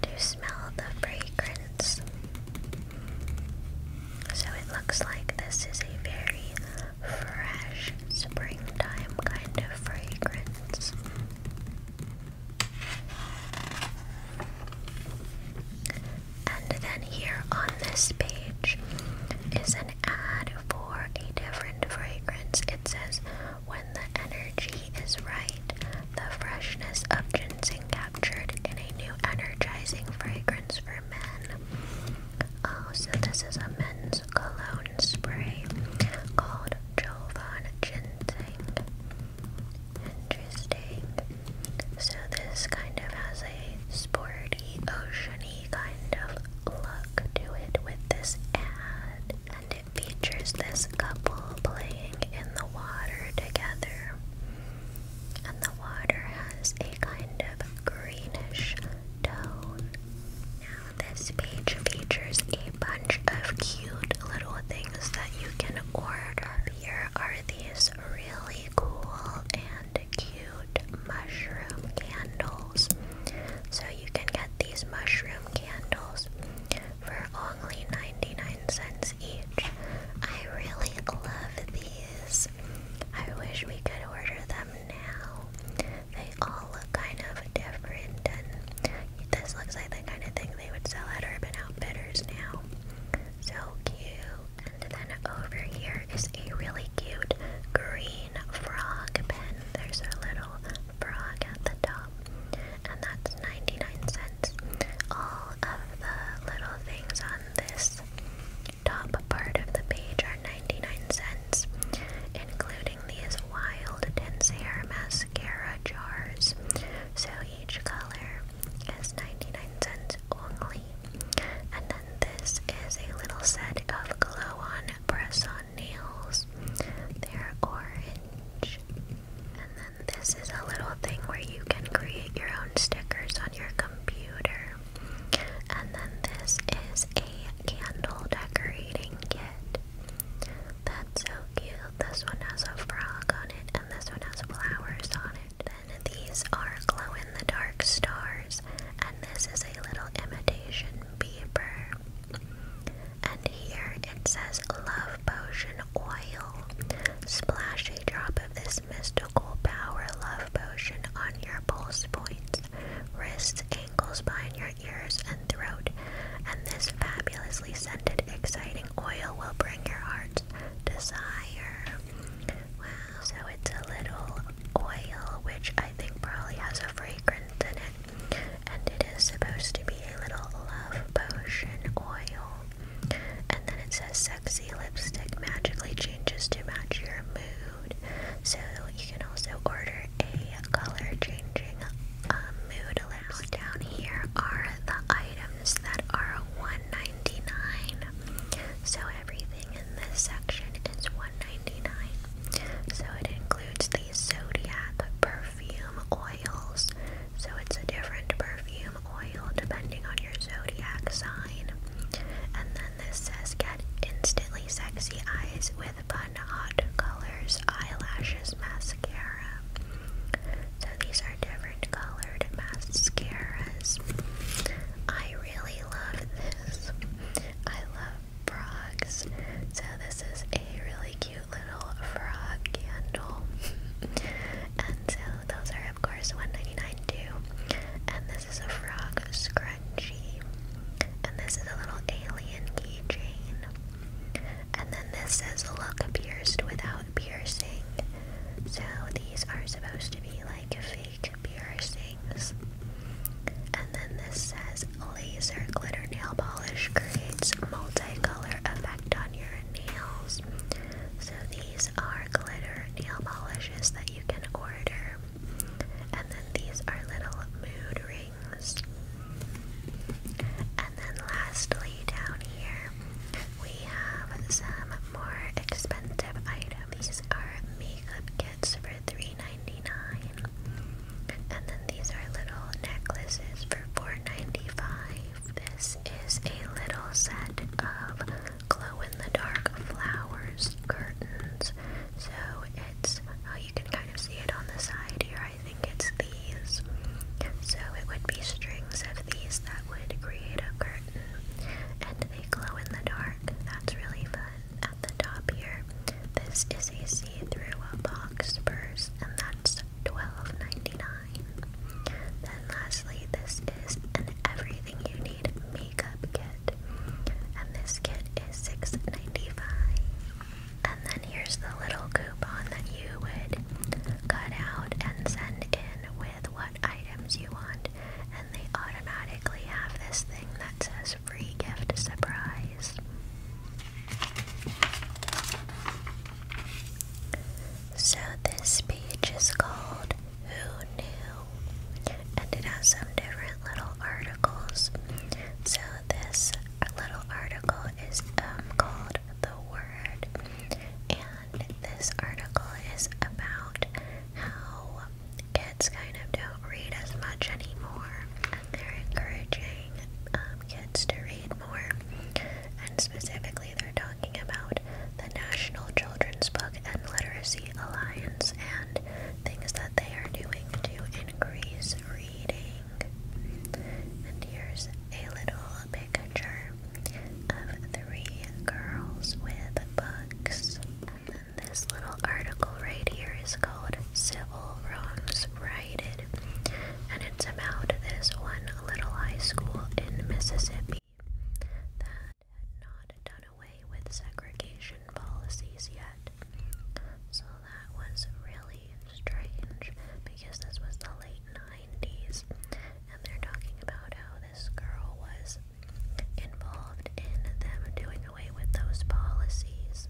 to smell the fragrance. So it looks like this is a very fresh springtime kind of fragrance. And then here on this page is an for a different fragrance. It says, when the energy is right, the freshness of ginseng captured in a new energizing fragrance for men. Oh, so this is a men's cologne spray called Jovan Ginseng. Interesting. So this kind of has a sporty, oceany kind of look to it with this ad, and it features this couple playing in the water together. And the water has a kind of greenish tone. Now, this page features a bunch of cute little things that you can order. Here are these really cool and cute mushroom candles. So you can get these mushroom candles for only 99 cents each. I really love these. I wish we could order them now. They all look kind of different and this looks like the kind of thing they would sell at Urban Outfitters now. So cute and then over here is a really cute green frog pen. There's our little frog at the top, and that's 99 cents. All of the little things on this top part of the page are 99 cents, including these wild dense hair mascara jars. So each color is 99 cents only. And then this is a little set of glow on press on nails. They're orange. And then this is a little thing where you can create your own stickers on your computer. And then this is a candle decorating kit. That's so cute. This one has a frog on it, and this one has flowers on it. And these are glow in the dark stars and this is a little imitation beaver. And here it says Love Potion Oil. Splash a drop of this mystical power love potion on your pulse points, wrists, ankles, behind your ears, and throat. And this fabulously scented, exciting oil will bring your heart's desire. Wow, so it's a little oil, which I think probably has a fragrance in it. And it is supposed to be a little love potion oil. And then it says sexy lipstick magically changes to match your mood. So you can also order a color changing um, mood lipstick. Down here are the items that are $1.99 so everything in this section is $1.99. So it includes the Zodiac perfume oils. So it's a different perfume oil depending on your zodiac sign. And then this says get instantly sexy eyes with fun hot colors, eyelashes, mascara. So these are different colored mascaras. I really love this. I love frogs. So this is a really cute little frog candle. and so those are of course $1.99 too. And this is a frog scrunchie. And this is a little alien keychain. And then this says look pierced without piercing. So these are supposed to be like a piercings. And then this says laser glitter nail polish creates multicolor effect on your nails. So these are glitter nail polishes that you can order. And then these are little mood rings. And then lastly down here we have some more expensive items. These are makeup kits bracelets for $3.99. And then these are little necklaces for $4.95. This is a little set of glow in the dark flowers curtains. So it's, oh, you can kind of see it on the side here. I think it's these. So it would be strings of these that would create a curtain. And they glow in the dark. That's really fun at the top here. This is a see-through box purse, and that's $12.99. Then lastly, this is an everything you need makeup kit, and this kit is $6.95. And then here's the little coupon that you would cut out and send in with what items you want, and they automatically have this thing that says free gift surprise. So, this page is called Who Knew? And it has some different little articles. So, this little article is um, called The Word. And this article is about how kids kind of don't read as much anymore, and they're encouraging um, kids to read more. And specifically, they're talking about the National Children's Book and Literacy Alliance and things that they are doing to increase reading. And here's a little picture of three girls with books. And then this little article right here is called Civil Wrongs Righted. And it's about this one little high school in Mississippi that had not done away with segregation policies yet. So that was really strange because this was the late 90s and they're talking about how this girl was involved in them doing away with those policies.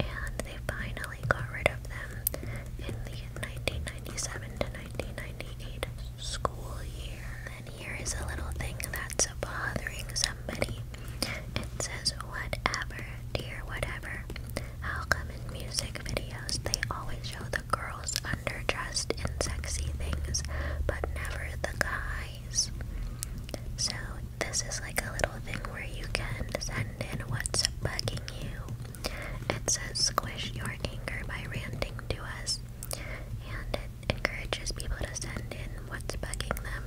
And they finally got rid of them in the 1997 to 1998 school year. And here is a little thing that's bothering somebody. It says, whatever, dear whatever. How come in music videos they always show the girls underdressed in sexy things, but never the guy so, this is like a little thing where you can send in what's bugging you. It says, Squish your anger by ranting to us, and it encourages people to send in what's bugging them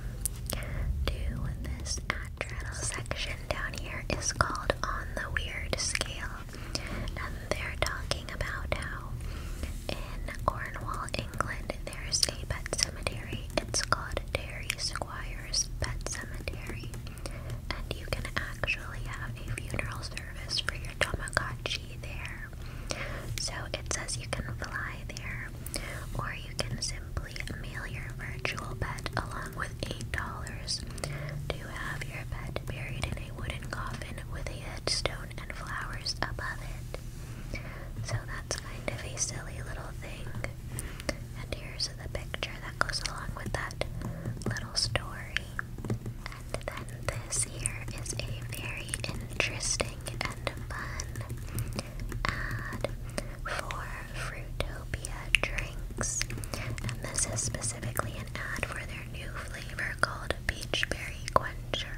to this address. section down here is called On the Weird Scale, and they're talking about how in Cornwall, England, there's a pet cemetery. It's called Terry Squire's Pet Cemetery. And you can actually have a funeral service for your Tamagotchi there. So it says you can fly there, or you can simply mail your virtual pet along with $8 to have your pet buried in a wooden coffin with a headstone and flowers above it. So that's kind of a silly little thing. And here's the picture that goes along with that little story. And then this here is a very interesting and fun ad for Fruitopia drinks. And this is specifically an ad for their new flavor called Peach Berry Quencher.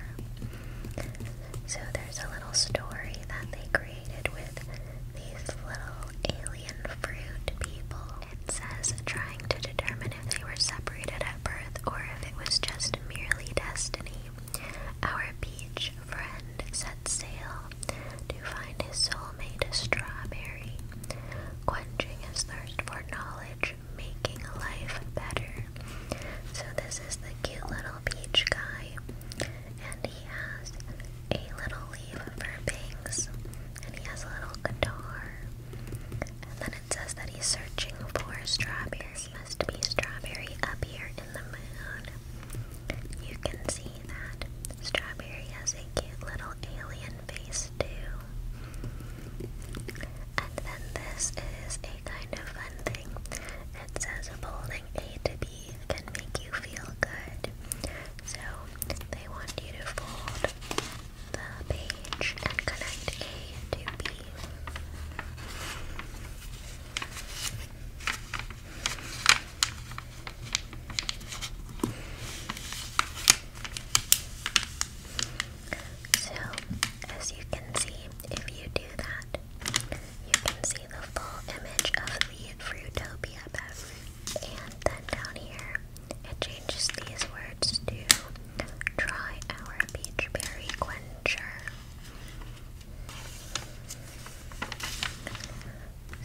So there's a little story that they created with these little alien fruit people. It says trying to determine if they were separated at birth or if it was just merely destiny. Our beach friend set sail to find his soulmate a strawberry, quenching his thirst for knowledge, making life better. So this is the cute little beach guy, and he has a little leaf for bangs, and he has a little guitar. And then it says that he's searching for strawberries. Must be strawberry up here in the moon. You can see that strawberry has a cute little alien face too. And then this is a kind of fun thing. It says a bold a to B can make you feel good. So they want you to fold the page and connect A to B. So, as you can see, if you do that, you can see the full image of the Fruitopia beverage. And then down here, it changes these words to try our peach berry quencher.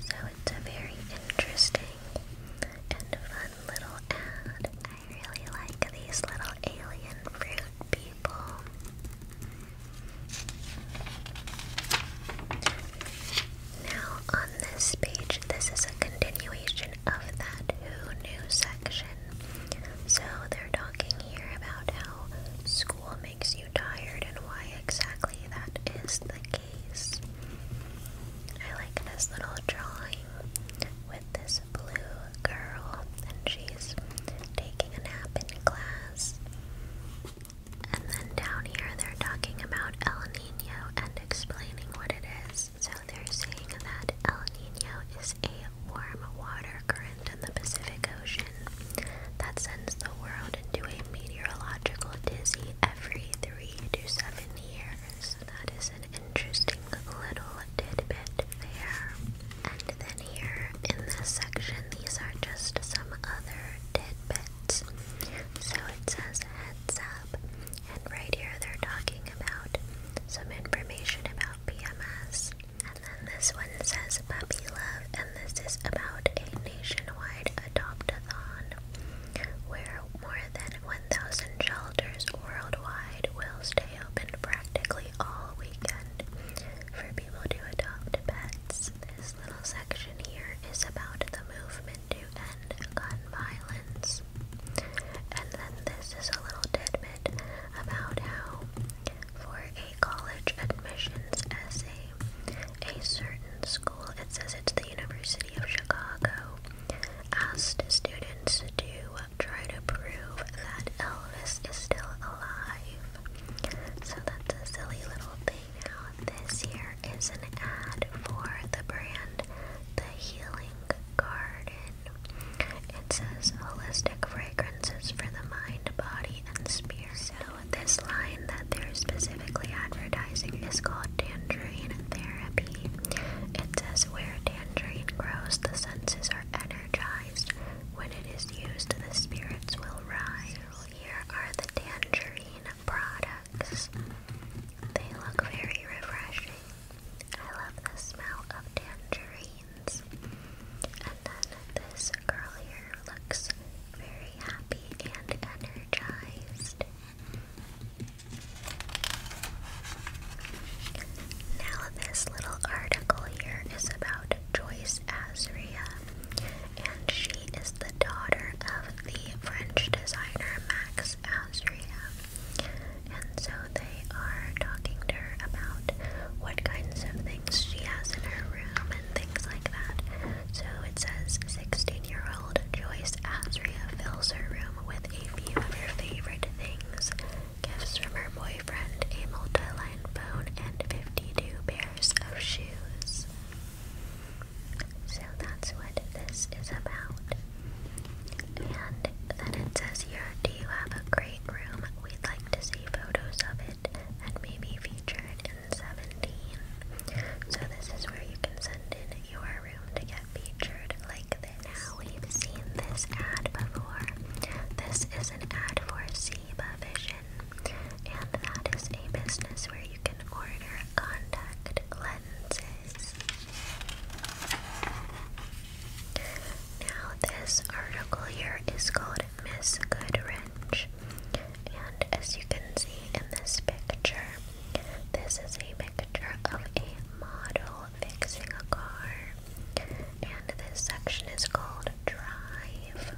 So it's a very interesting and fun little ad. I really like these little alien fruit people. Now, on this page, this is a continuation of that Who section. So, they're talking here about how school makes you tired and why exactly that is the case. I like this little drawing with this blue girl, and she's taking a nap in class. And then down here, they're talking about El Nino and explaining what it is. So they're saying that El Nino is a warm water current in the Pacific Ocean that sends the world into a meteorological dizzy every three to seven years. that is an interesting little tidbit there. And then here in this section, these are just some other tidbits. So it says heads up, and right here they're talking about some information about PMS. And then this one says puppy love, and this is about a nationwide adopt-a-thon where more than 1,000 shelters worldwide will stay open practically all weekend for people to adopt pets. This little section here is about the movement to end gun violence. And then this is a little tidbit about how, for a college admissions essay, a certain school, it says it's the University of Chicago, asked students to try to prove that Elvis is still alive. So that's a silly little thing. Now, this here is an ad for the brand The Healing Garden. It says holistic fragrances for the mind, body, and spirit. So, this line that they're specifically advertising is called Tangerine Therapy. It says where tangerine grows, the senses are energized. When it is used, the spirits will rise here are the tangerine products. They look very refreshing. I love the smell of tangerines. And then this girl here looks very happy and energized. Now, this little article here is about Joyce Azria and she is the daughter of the French designer Max Azria. And so they are talking to her about what kinds of things she has in her room and things like that. So it says 16 year old Joyce Azria fills her room with a few of her favorite things gifts from her boyfriend boyfriend a multi-line phone and 52 pairs of shoes. So that's what this is about. And then it says here, do you have a great room? We'd like to see photos of it and maybe feature it in 17. So this is where you can send in your room to get featured like this. Now we've seen this ad before. This is an ad for C Vision, and that is a business where you can order contact lenses. Now, this article here is called Miss Goodrich, and as you can see in this picture, this is a picture of a model fixing a car, and this section is called drive.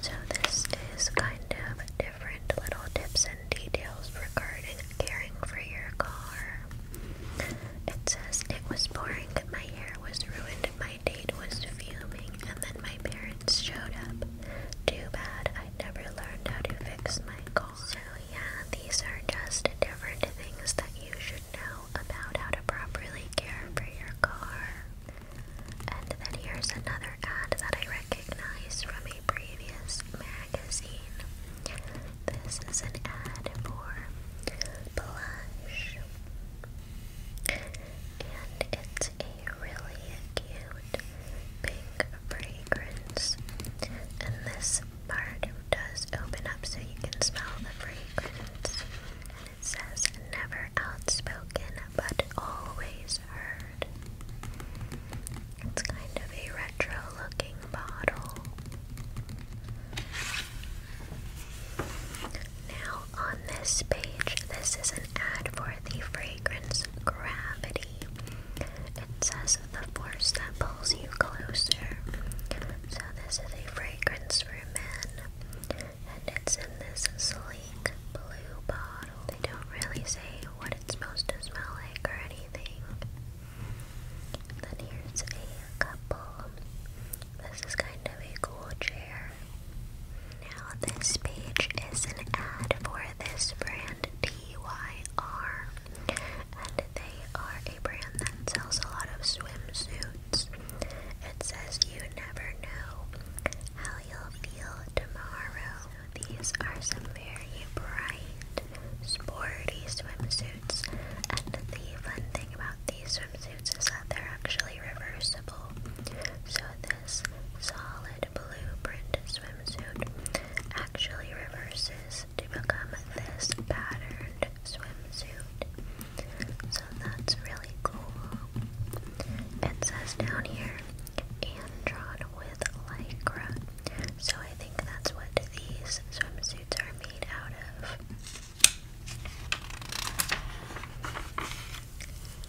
So this is kind of different little tips and details regarding caring for your car. It says it was pouring, my hair was ruined, my date was fuming, and then my parents showed up. Too bad I never learned how to fix my car. So yeah, these are just different things that you should know about how to properly care for your car. And then here's another ad that I recognize from a previous magazine. This is an ad for blush. And it's a really cute pink fragrance. And this part does open up so you can smell the fragrance. And it says never outspoken but always heard. It's kind of a retro looking bottle. Now, on this page, this is an ad for the fragrance Gravity. It says the force that pulls you closer. So, this is a fragrance for men and it's in this sleek blue bottle. They don't really say what it's supposed to smell like or anything. Then here's a couple. This is kind of a cool chair. Now this page is an ad for this brand DYR, and they are a brand that sells a lot of swimsuits. It says you never know how you'll feel tomorrow. These are some very bright, sporty swimsuits. And the fun thing about these swimsuits is that they're actually reversible. So this solid blue print swimsuit actually reverses to become this patterned swimsuit so that's really cool. It says down here, and drawn with lycra. So I think that's what these swimsuits are made out of.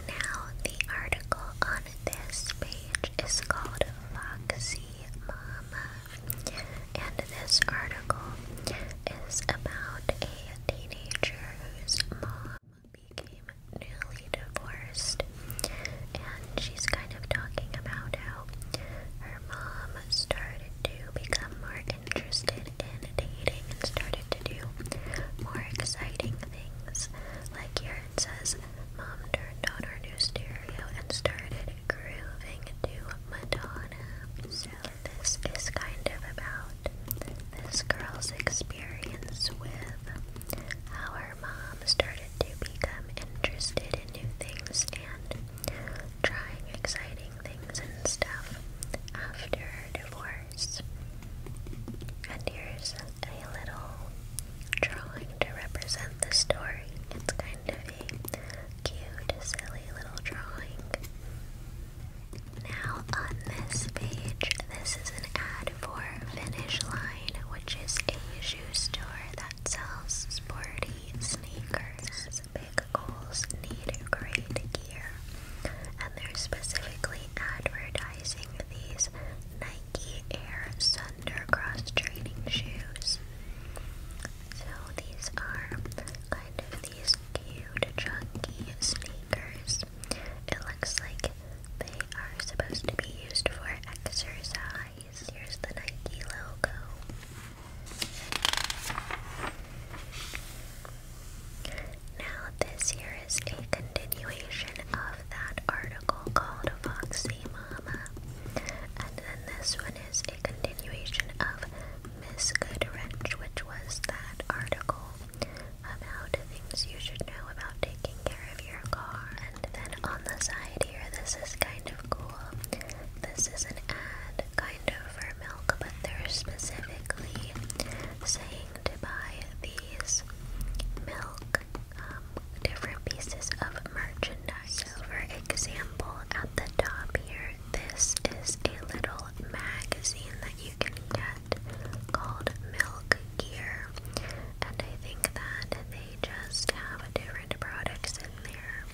Now, the article on this page is called Foxy Mama, and this article is about a teenager whose mom became newly divorced, and she's kind of talking about how her mom started to become more interested in dating and started to do more exciting things. Like here it says, Mom turned on her new stereo and started grooving to Madonna. So, this is kind of about this girl's experience with how her mom started to become interested in new things and trying exciting things and stuff after her divorce. And here's a little drawing to represent the story. It's kind of a cute, silly little drawing. Now on this page, this is an ad for Finish Line, which is a shoe store that sells sporty sneakers. big goals need great gear, and they're specifically advertising these Nike Air Sunder cross training shoes. So these are kind of these cute chunky sneakers this. It looks like they are supposed to be used for exercise. Here's the Nike logo. Now, this here is a continuation of that article called Foxy Mama. And then this one is a continuation of Miss Goodrich, which was that article about things you should know about taking care of your car. And then on the side here, this is kind of cool. This is an ad kind of for milk, but they're specifically saying to buy these milk um, different pieces of merchandise. So for example, at the top here, this is a little magazine that you can get brand called Milk Gear, and I think that they just have different products in there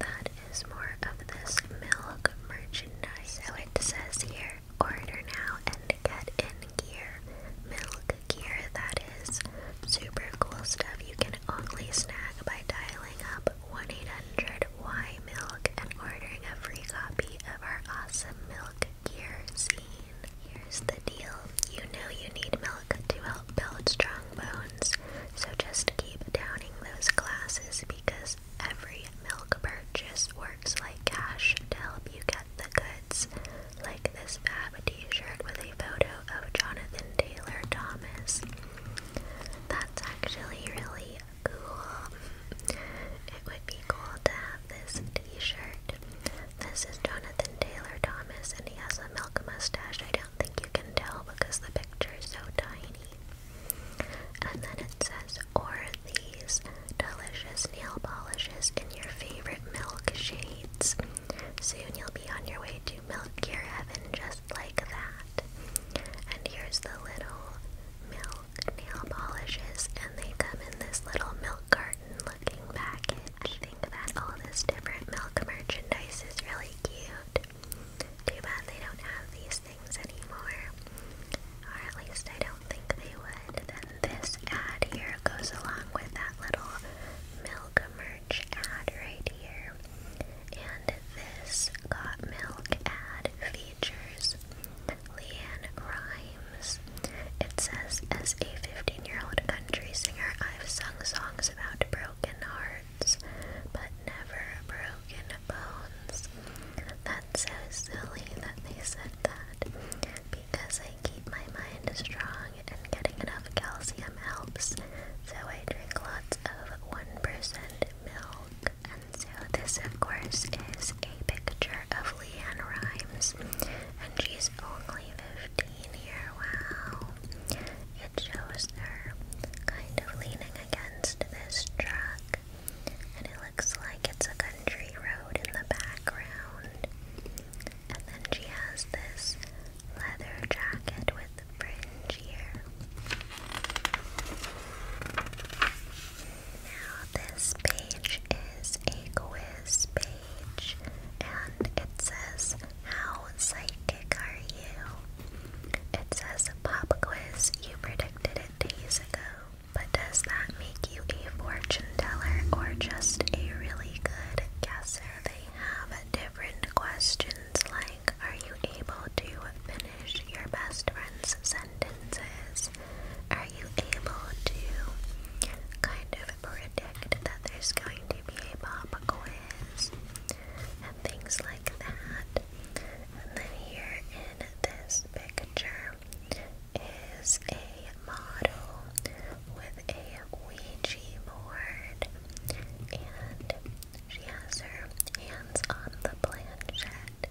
that is more of this milk merchandise. So it says here, order now and get in gear. Milk gear, that is super cool stuff you can only snag by dialing up 1 800 Y Milk and ordering a free copy of our awesome milk Gearsine. Here's the deal. You know you need milk to help build strong bones, so just keep downing those glasses because every milk purchase works like cash to help you get the goods. Like this fab t-shirt with a photo of Jonathan Taylor Thomas. That's actually really cool. It would be cool to have this t-shirt. This is Jonathan Taylor Thomas and he has a milk mustache. I don't think you can tell because the picture is so tiny. And then it says, or these delicious nail polishes in your favorite milk shades. Soon you'll be on your way to milk your heaven just like that. And here's the little milk Milk nail polishes, and they come in this little milk carton looking package. I think that all this different milk merchandise is really cute. Too bad they don't have these things anymore. Or at least I don't think they would. Then this ad here goes along with that little milk merch ad right here. And this got milk ad features Leanne Grimes. It says, as a 15 year old country singer, I've sung songs about broken hearts, but never broken bones. That's so silly that they said that. Because I keep my mind strong and getting enough calcium helps, so I drink lots of 1% milk. And so, this, of course, is a picture daughter of Leanne Rhymes, and she's only 15 here. Wow. It shows her kind of leaning against this truck, and it looks like it's a country road in the background. And then she has this leather jacket with the fringe here this page is a quiz page, and it says, How psychic are you? It says, Pop quiz, you predicted it days ago. But does that make you a fortune teller or just a really good guesser? They have different questions like, Are you able to finish your best friend's sentences? are you able to kind of predict that there's going to be a pop quiz and things like that? And then here in this picture is a model with a Ouija board and she has her hands on the planchette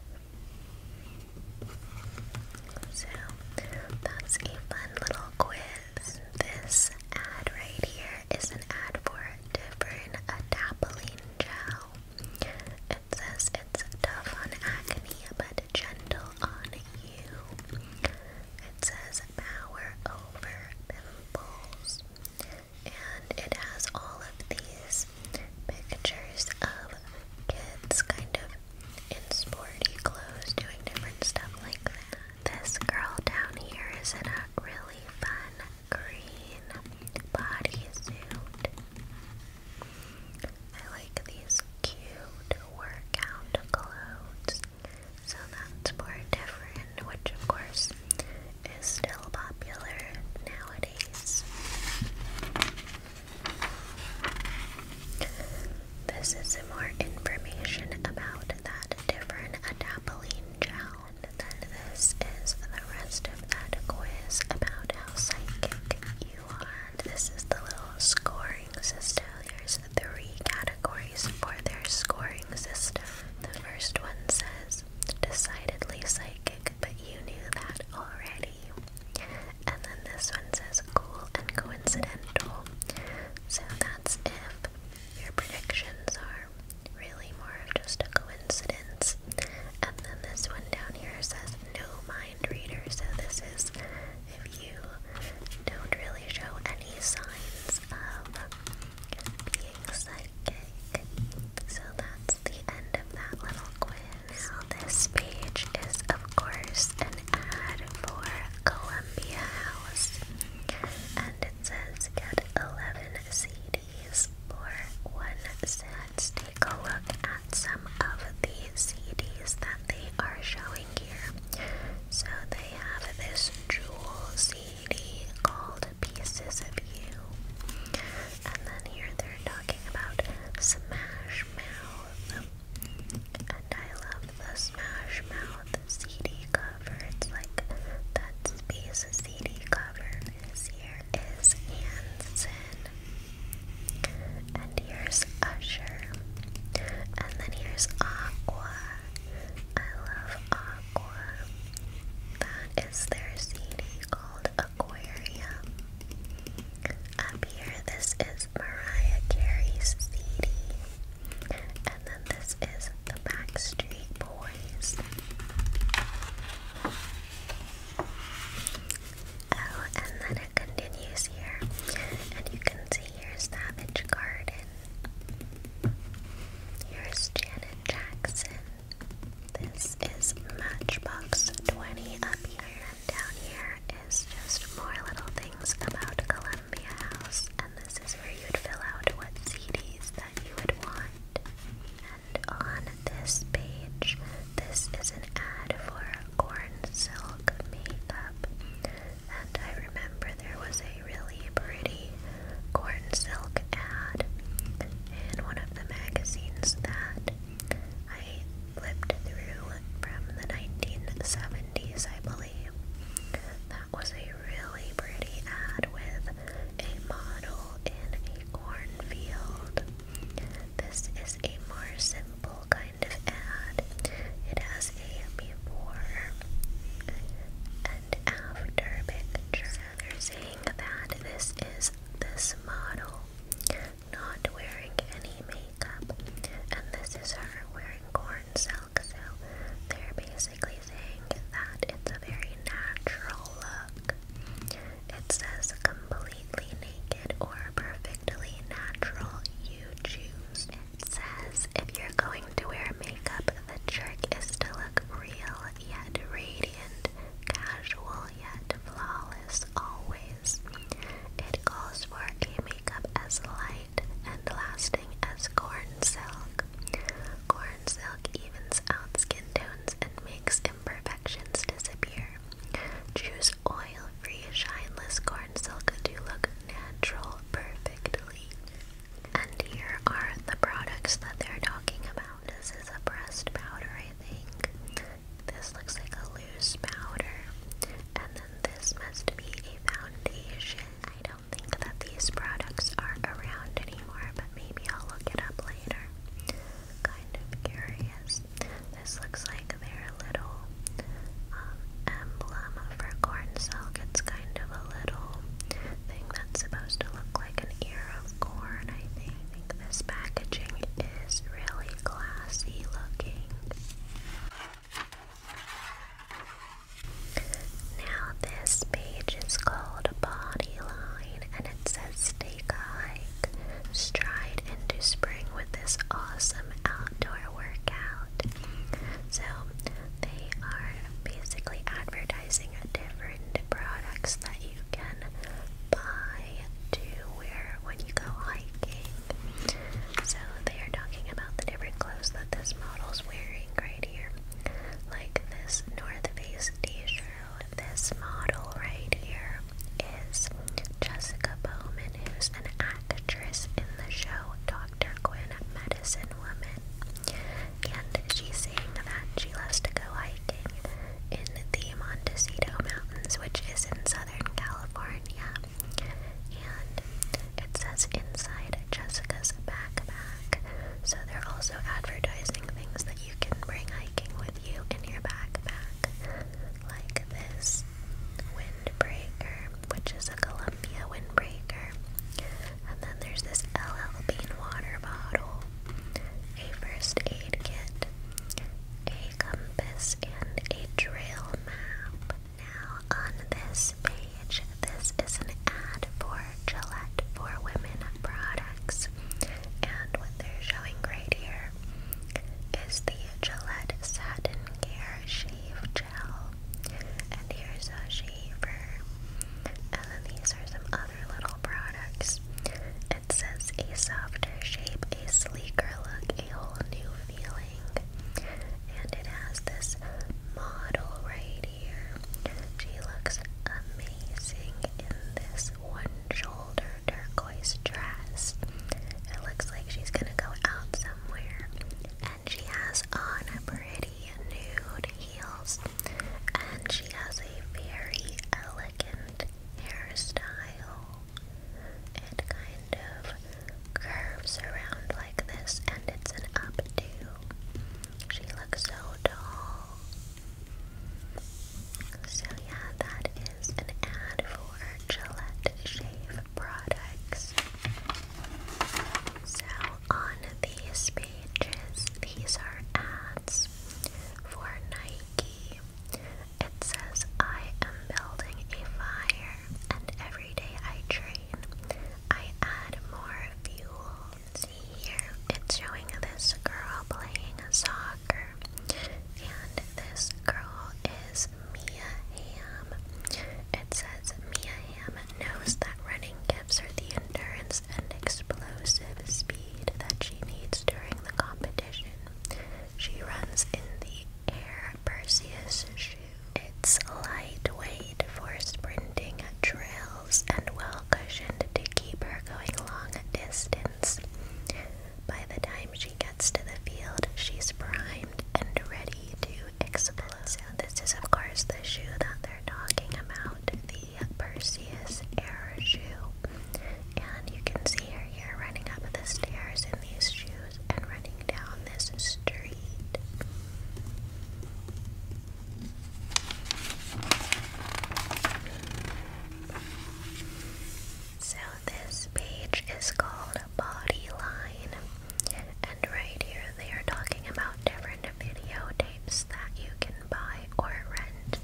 so that's a fun little quiz. This ad right here is an ad for different adapalene gel. It says it's tough on acne but gentle on you. It says power over pimples. And it has all of these pictures of kids kind of in sporty clothes doing different stuff like that. This girl down here is in a really fun green bodysuit. I like these cute workout clothes. So that's more different, which of course is still popular nowadays. This is some more information about that different adapalene gel. and this is the rest of that quiz about how psychic you are. This is the little scoring system. There's three categories for their scoring system. The first one says decidedly psychic, but you knew that already. And then this one says cool and coincidental. So that's if your predictions are really more of just a coincidence. And then this one down here says no mind reader. So this is if you don't really show any signs of being psychic. So that's the end of that little quiz. Now this page is of course an ad for Columbia House. And it says get 11 CDs for one cent. take a look at some of the CDs that they are showing here. So they have this jewel CD called Pieces of You. And then here they're talking about Smash Mouth. And I love the Smash Mouth CD cover. It's like that Space CD cover. This here is Hanson. And here's Usher. And then here's Aqua. I love Aqua. That is their CD called Aquarium. Up here, this is Mariah Carey's CD. And then this is the Backstreet Boys. Oh, and then it continues here. And you can see here's Savage Garden. Here's Janet Jackson. This is Matchbox 20 up here. And down here is just more little things about Columbia House, and this is where you'd fill out what CDs that you would want. And on this page, this is an ad for corn silk makeup. And I remember there was a really pretty corn silk ad in one of the magazines that I lived through from the 1970s, I believe. That was a really pretty ad with a model in a cornfield. This is a more simple kind of ad. It has a before and after picture. they're saying that this is this model not wearing any makeup. And this is her wearing corn silk, so they're basically saying that it's a very natural look. It says completely naked or perfectly natural, you choose. It says if you're going to wear makeup, the trick is to look real yet radiant, casual yet flawless always. It calls for a makeup as light and lasting as corn silk. Corn silk evens out skin tones and makes imperfections disappear. Choose oil-free, shineless corn silk to look natural perfectly. And here are the products that they're talking about. This is a pressed powder, I think. This looks like a loose powder. And then this must be a foundation. I don't think that these products are around anymore, but maybe I'll look it up later. Kind of curious. This looks like their little um, emblem for corn silk. It's kind of a little thing that's supposed to look like an ear of corn, I think this packaging is really classy looking. Now, this page is called Body Line and it says "Stay a stride into spring with this awesome outdoor workout. So, they are basically advertising different products that you can buy to wear when you go hiking. So they are talking about the different clothes that this model's wearing right here. Like this North Face t-shirt. This model right here is Jessica Bowman, who's an actress in the show Dr. Quinn Medicine Woman. And she's saying that she loves to go hiking in the Montecito Mountains, which is in Southern California. And it says inside Jessica's backpack. So they're also advertising things that you can bring hiking with you in your backpack. Like this windbreaker, which is a Columbia windbreaker. And then there's this LL Bean water bottle, a first aid kit, a compass, and a trail map. Now, on this page, this is an ad for Gillette for Women products. And what they're showing right here is the Gillette Satin Care Shave Gel. And here's a shaver. And then these are some other little products. It says a softer shape, a sleeker look, a whole new feeling. And it has this model right here. She looks amazing in this one shoulder turquoise dress. It looks like she's gonna go out somewhere. And she has on a pretty nude heels. And she has a very elegant hairstyle. It kind of curves around like this, and it's an updo. She looks so tall. So, yeah, that is an ad for Gillette Shave products. So, on these pages, these are ads for Nike. It says, I am building a fire, and every every day I train, I add more fuel. See here, it's showing this girl playing soccer, and this girl is Mia Hamm. It says Mia Hamm knows that running gives her the endurance and explosive speed that she needs during the competition. She runs in the Air Perseus shoe it's lightweight for sprinting trails and well cushioned to keep her going long distances. By the time she gets to the field, she's primed and ready to explode. So this is of course the shoe that they're talking about, the Perseus Air shoe. And you can see her here running up the stairs in these shoes and running down this street. So, this page is called Body Line, and right here they are talking about different videotapes that you can buy or rent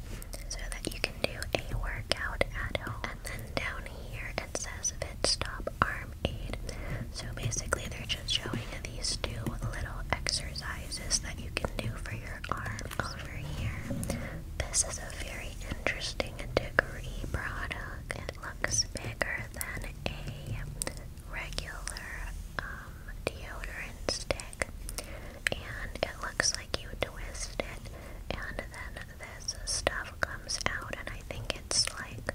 so that you can do a workout at home. And then down here it says Fit Stop Arm so basically, they're just showing these two little exercises that you can do for your arm over here. This is a very interesting degree product. It looks bigger than a regular um, deodorant stick, and it looks like you twist it and then this stuff comes out, and I think it's like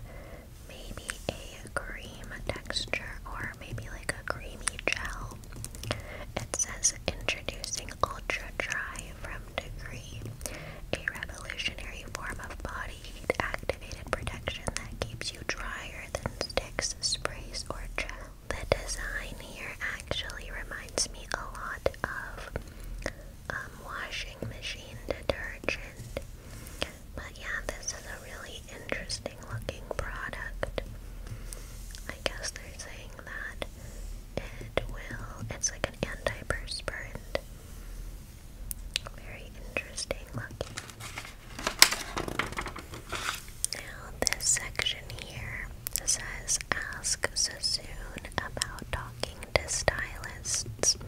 maybe a cream texture or maybe like a creamy gel. It says introducing Ultra Dry from Degree, a revolutionary form of body heat activated protection that keeps you drier than sticks, sprays, or gel. The design here actually reminds me a lot of um, washing machine detergent. But yeah, this is a really interesting looking product. I guess they're saying that it will, it's like an antiperspirant. Very interesting looking. Now, this section here says Ask Sassoon about talking to stylists.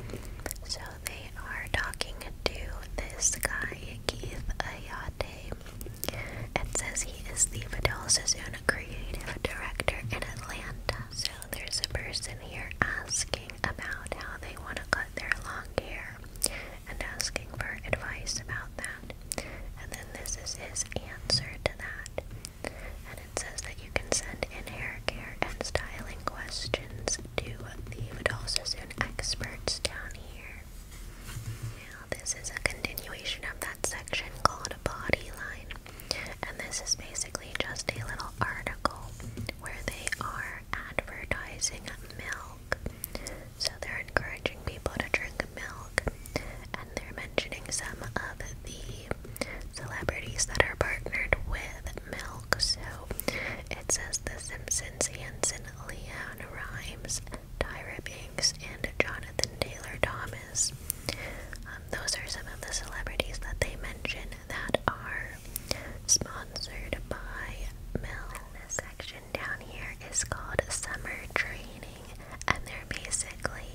So they are talking to this guy, Keith Ayate. It says he is the Fidel Sassoon creative director in Atlanta. So there's a person here asking about how they want to cut their long hair and asking for advice about that. And then this is his answer to that and it says that you can send hair care and styling questions to the Vidal Sassoon experts down here. Now, this is a continuation of that section called Bodyline, and this is basically just a little article where they are advertising milk. So they're encouraging people to drink milk, and they're mentioning some of the celebrities that are partnered with milk milk, so it says The Simpsons, Hanson, Leon Rhimes, Tyra Banks, and Jonathan Taylor Thomas. Um, those are some of the celebrities that they mention that are sponsored by Milk. This section down here is called Summer Training, and they're basically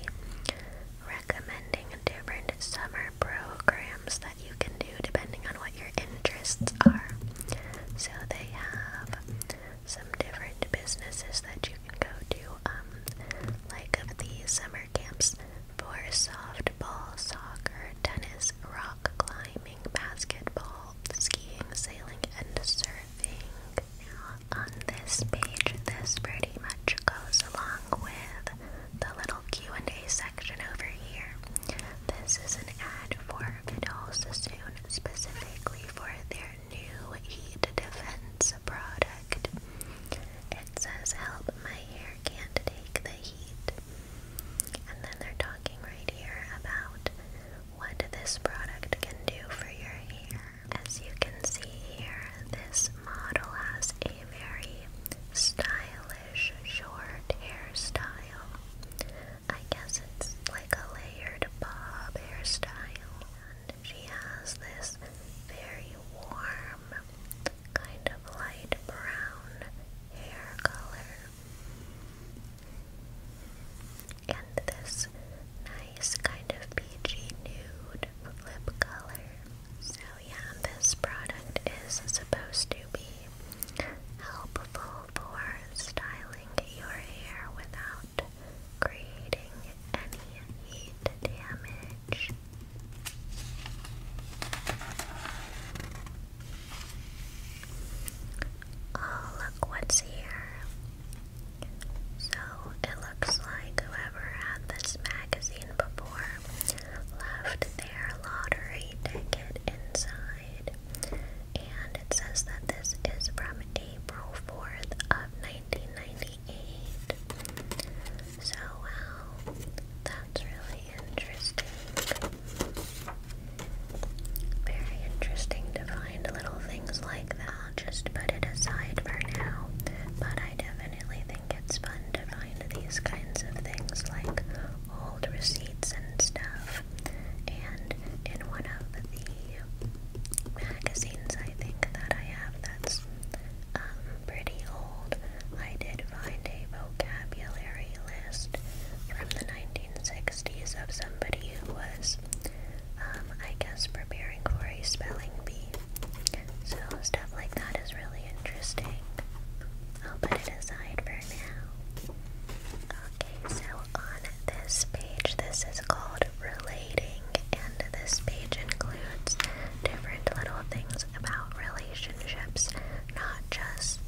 recommending different summer programs that that you can do depending on what your interests are. So they have some different businesses that you can go to, um, like of the summer camps for softball, soccer, tennis, rock climbing, basketball, skiing, sailing, and surfing. Now, on this page, this pretty much goes along with the little Q&A section over here. This is an ad for Vidal Sassoon specifically for their new heat defense product. It says, Help, my hair can't take the heat. And then they're talking right here about what this product can do for your hair. As you can see here, this model has a very stylish short hairstyle. I guess it's like a layered bob hairstyle. And she has this very warm, kind of light brown hair color. And this nice kind of peachy nude lip color. So yeah, this product is supposed to be helpful for styling your hair without creating any heat damage. Oh, look what's here. So it looks like whoever had this magazine before left their lottery ticket inside. And it says that this is from April 4th of 1998. So, that's really interesting. Very interesting to find little things like that. Just put it aside for now. But I definitely think it's fun to find these kinds of things like old receipts and stuff. And in one of the magazines I think that I have that's um, pretty old, I did find a vocabulary list from the 1960s of somebody who was, um, I guess, preparing for a spelling bee. So stuff like that is really interesting. I'll oh, put it aside for now. Okay, so on this page, this is called relating, and this page includes different little things about relationships, not just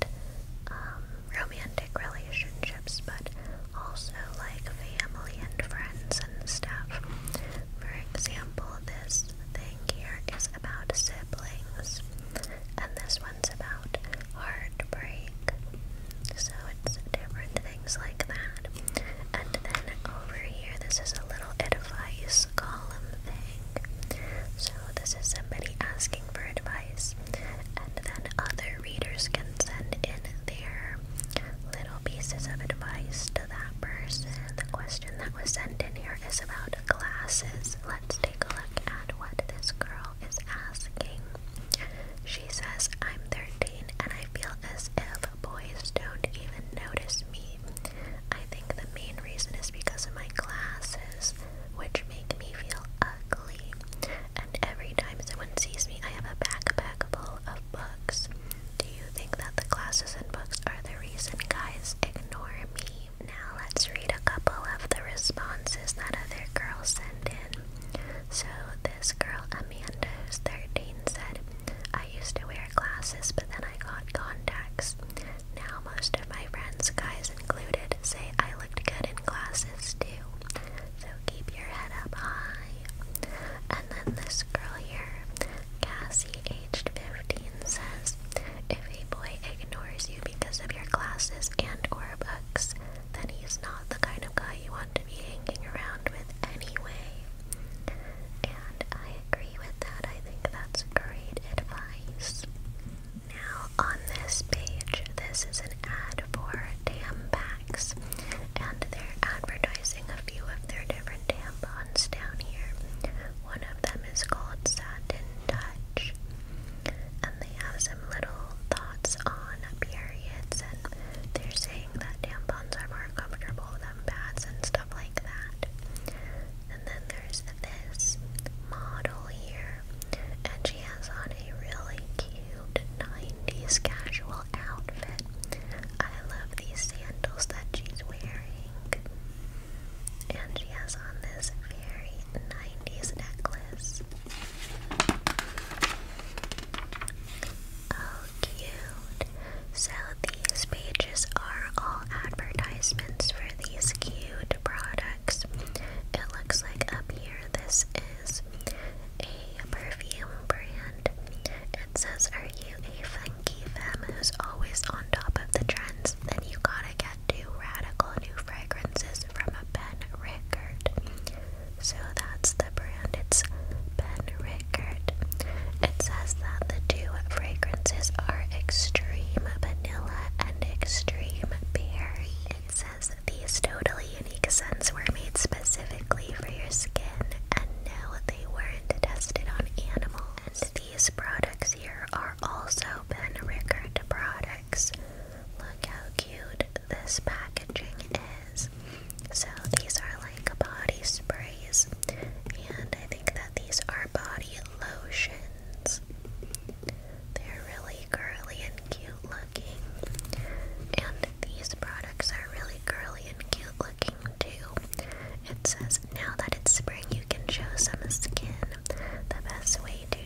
um, romantic relationships, but also like family and friends and stuff. For example, this thing here is about siblings, and this one's about heartbreak. So it's different things like that. And then over here, this is a little advice column thing. So this is somebody asking for advice, and then other readers can send in their little pieces of advice to that person. The question that was sent in here is about glasses. Let's take a look at what this girl is asking. She says, I'm 13 and I feel as if boys don't even notice me. I think the main reason is because of my glasses, which make me feel ugly. And every time someone sees me, I have a backpack full of books. Do you think that the glasses and books are the reason guys ignore me? Now let's read a couple of the responses that other girls sent in. So this girl, Amanda, who's 13, said, I used to wear glasses, but then I got contacts. Now most of my friends, guys included, say I looked good in glasses too. So keep your head up high. And then this girl here, Cassie, aged 15, says, if a boy ignores you because of your classes and or books, then he's not the kind of guy you want to be hanging around with anyway. And I agree with that. I think that's great advice. Now on this page, this is an ad for Tampax, and they're advertising a few of their different tampons down here. One of them is called Satin Touch. And they have some little thoughts on periods, and they're saying that tampons are more comfortable than pads and stuff like that. And then there's this model here, and she has on a really cute 90s casual outfit. I love these sandals that she's wearing. And she has on this very 90s necklace. Oh, cute. So these pages are all advertisements for these cute products. It looks like up here this is a perfume brand. It says, Are you a funky femme who's always on top of the trends? Then you gotta get two radical new fragrances from a Ben Rickard. So that's the brand, it's Ben Rickard. It says that the two fragrances are extreme vanilla and extreme berry. It says that these totally unique scents were made specifically for your skin, and no, they weren't tested on animals. And these products here are also Ben Rickard products. Look how cute this packaging is. So these are like body sprays, and I think that these are body lotions. They're really curly and cute looking. And these products are really curly and cute looking too. It says, now that it's spring, you can show some skin. The best way to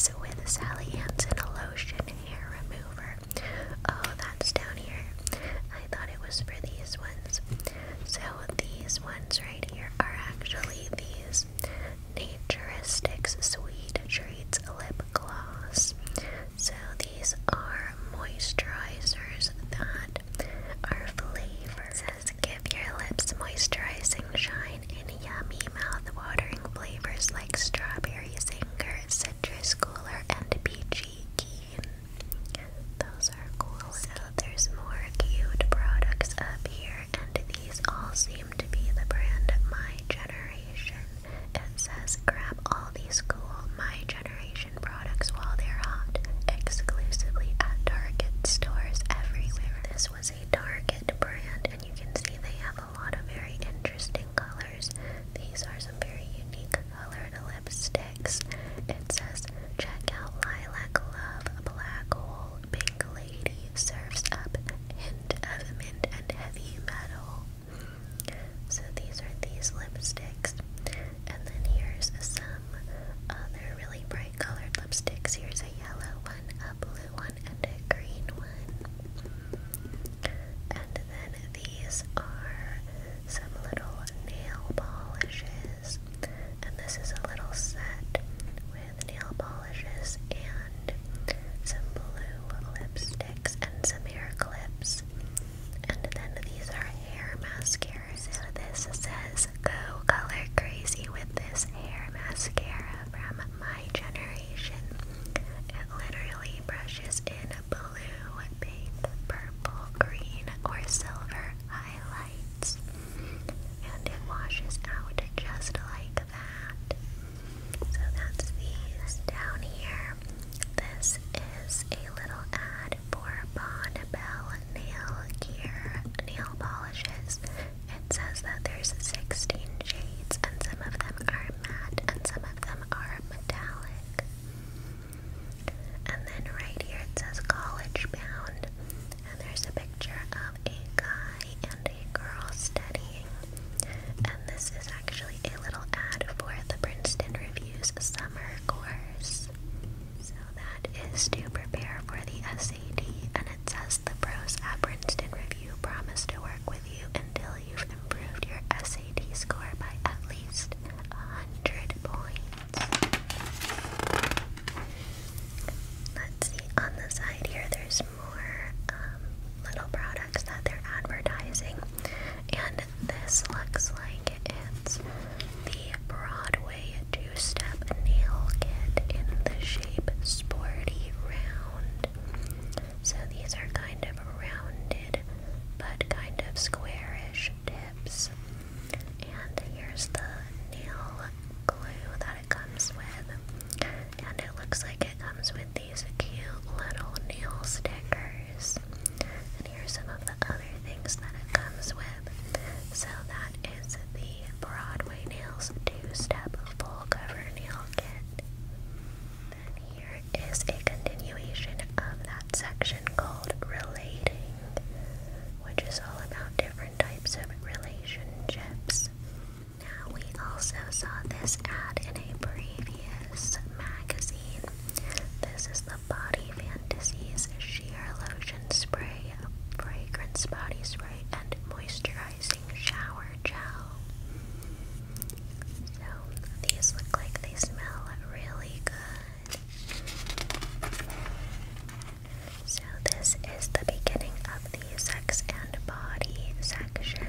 is with Sally Hansen, a lotion hair remover. Oh, that's down here. I thought it was for these ones. So these ones right here are actually these Naturistics Sweet Treats Lip Gloss. So these are moisturizers that are flavored. These give your lips moisturizing shine in yummy mouth-watering flavors like strawberry zinger, citrus cooler, and peachy keen. Those are cool. So there's more cute products up here, and these all seem to be the brand My Generation. It says grab all these cool My Generation products while they're hot, exclusively at Target stores everywhere. This this was a Target brand, and you can see they have a lot of very interesting colors. These are some very unique colored lipsticks. It says, check out Lilac Love, Black Hole, Pink Lady, serves Up, Hint of Mint and Heavy Metal. So these are these lipsticks. And then here's some other really bright colored lipsticks. Here's a yellow one, a blue one and a green one. And then these are some little nail polishes. And this is a little set with nail polishes and some blue lipsticks and some hair clips. And then these are hair mascaras. So this says go color crazy with this hair mascara from My Generation. It literally brushes in a blue, pink, purple, green, or silver highlights. And it washes out just like that. So that's these down here. This is a little ad for Bond Bell nail gear nail polishes. It says that there's 16 shades, and some of them are matte, and some of them are metallic. And then right here it says college bound, and there's a picture of a guy and a girl studying. And this is actually a little ad for the Princeton Review's summer course. So that is to prepare for the Sadie, and it says the pros at Princeton Review promise to work with you until you've improved your SAT score by at least 100 points. Let's see, on the side here, there's more um, little products that they're advertising, and this looks like it's the Broadway two-step nail kit in the shape Sporty Round. So these are kind of rounded but kind of squarish tips. And here's the nail glue that it comes with. And it looks like it comes with these cute little nail stickers. And here's some of the other things that it comes with. So that is the Broadway Nails two-step full cover nail kit. Then here is a continuation of that section called Relating, which is all about different types of relationships. Now, we also saw this ad in a previous magazine. This is the Body Fantasies Sheer Lotion Spray, Fragrance Body Spray, and Moisturizing shower gel. So these look like they smell really good. So this is the beginning of the sex and body section,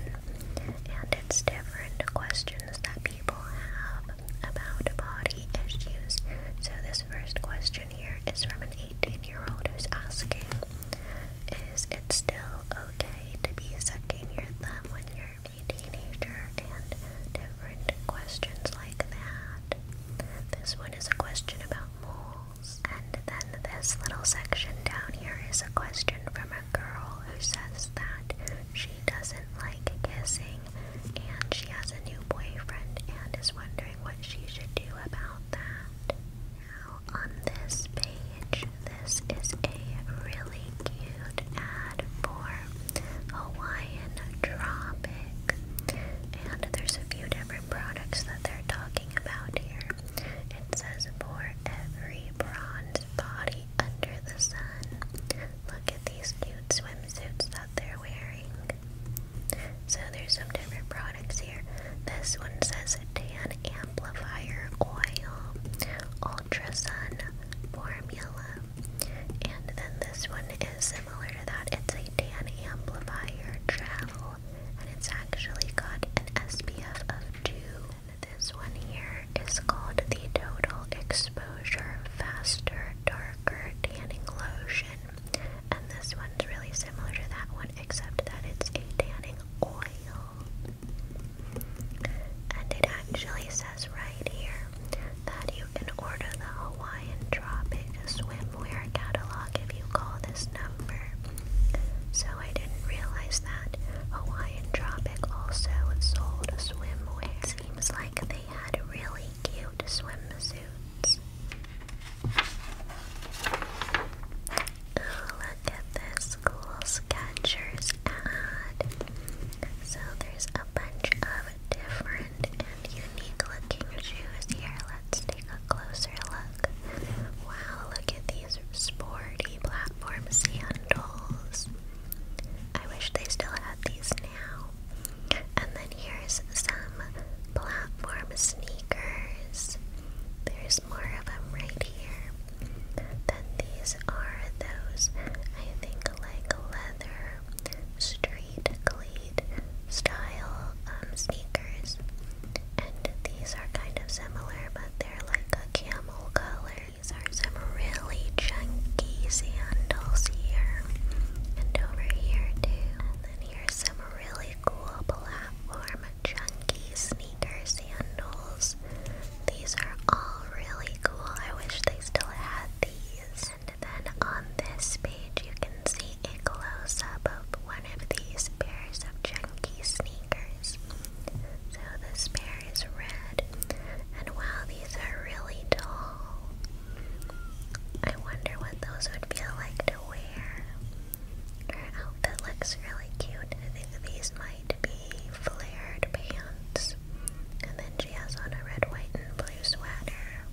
and it's different questions that people have about body issues. So this first question question here is from an 18 year old who's asking Is it still okay to be sucking your thumb when you're a teenager? And different questions like that. This one is a question about moles. And then this little section down here is a question from a girl who says that she doesn't like kissing and she has a new boyfriend and is wondering what she should do about that. Now on this page, this is a really cute ad for Hawaiian Tropic. And there's a few different products that they're talking about here. It says for every bronze body under the sun. Look at these cute swimsuits that they're wearing. So there's some different products this one says Tan Amplifier Oil Ultra Formula. And then this one is similar to that. It's a tan amplifier travel. And it's actually got an SPF of 2. This one here is called the Total Exposure Faster Darker Tanning Lotion and this one's really similar to that one, except that it's a tanning oil. And it actually says right here that you can order the Hawaiian Tropic swimwear catalog if you call this number. So I didn't realize that Hawaiian Tropic also sold swimwear. Seems like they had really cute swimsuits. Look at this cool Skechers ad. So there's a bunch of different and unique looking shoes here. Let's take a closer look. Wow, look at these sporty platform sandals. I wish they still had these now. And then here's some platform sneakers. There's more of them right here. Then these are those, I think, like leather, street cleat style um, sneakers. And these are kind of similar, but they're like a camel color. These are some really chunky sandals here. And over here, too. And then here's some really cool platform chunky sneaker sandals. These are all really cool. I wish they still had these. And then on this page, you can see a close up of one of these pairs of chunky sneakers. So this pair is red, and wow, these are really tall. I wonder what those would feel like to wear. Her oh, outfit looks really cute. I think these might be flared pants. And then she has on a red, white, and blue sweater.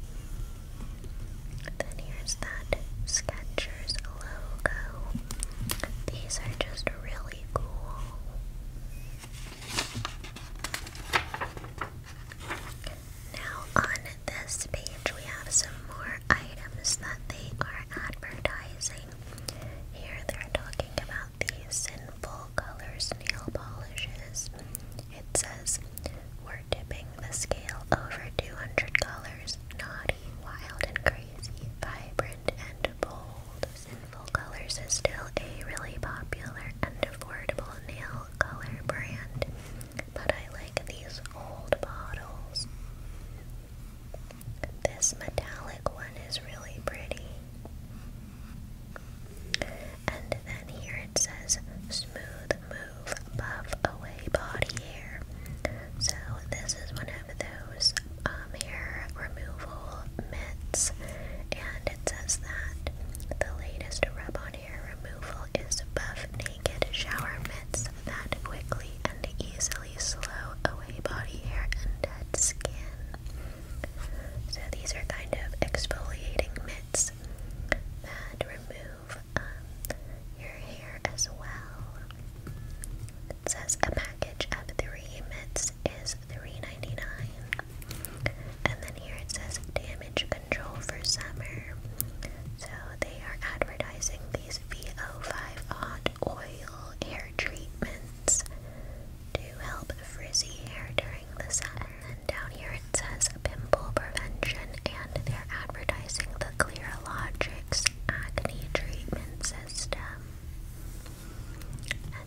Then here's that Skechers logo. These are just really cool. Now, on this page, we have some more items that they are advertising. Here they're talking about the Sinful Colors nail polishes. It says, We're tipping the scale over $200. Naughty, wild, and crazy, vibrant, and bold. Sinful Colors is still a really popular and affordable nail color brand, but I like these old bottles. This metallic one is really pretty. And then here it says smooth move buff away body hair. So this is one of those um, hair removal mitts, and it says that the latest rub on hair removal is buff naked shower mitts that quickly and easily slow away body hair and dead skin. So these are kind of exfoliating mitts that remove um, your hair as well. It says a package of three mitts is $3.99. And then here it says damage control for summer. So they are advertising these VO5 hot oil hair treatments to help frizzy hair during the summer. And then down here it says pimple prevention, and they're advertising the Clearologix acne treatment system.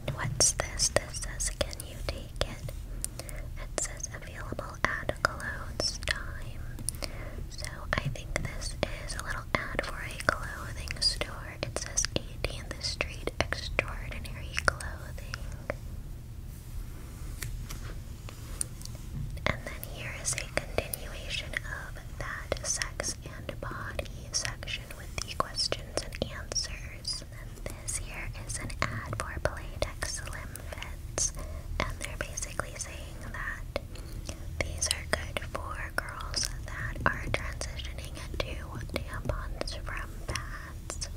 And what's this? This says, Can you take it? It says available at Cologne's time. So I think this is a little little ad for a clothing store. It says in the Street Extraordinary Clothing. And then here is a continuation of that sex and body section with the questions and answers. And this here is an ad for Playtex Slim Fits. And they're basically saying that these are good for girls that are transitioning into tampons from pads.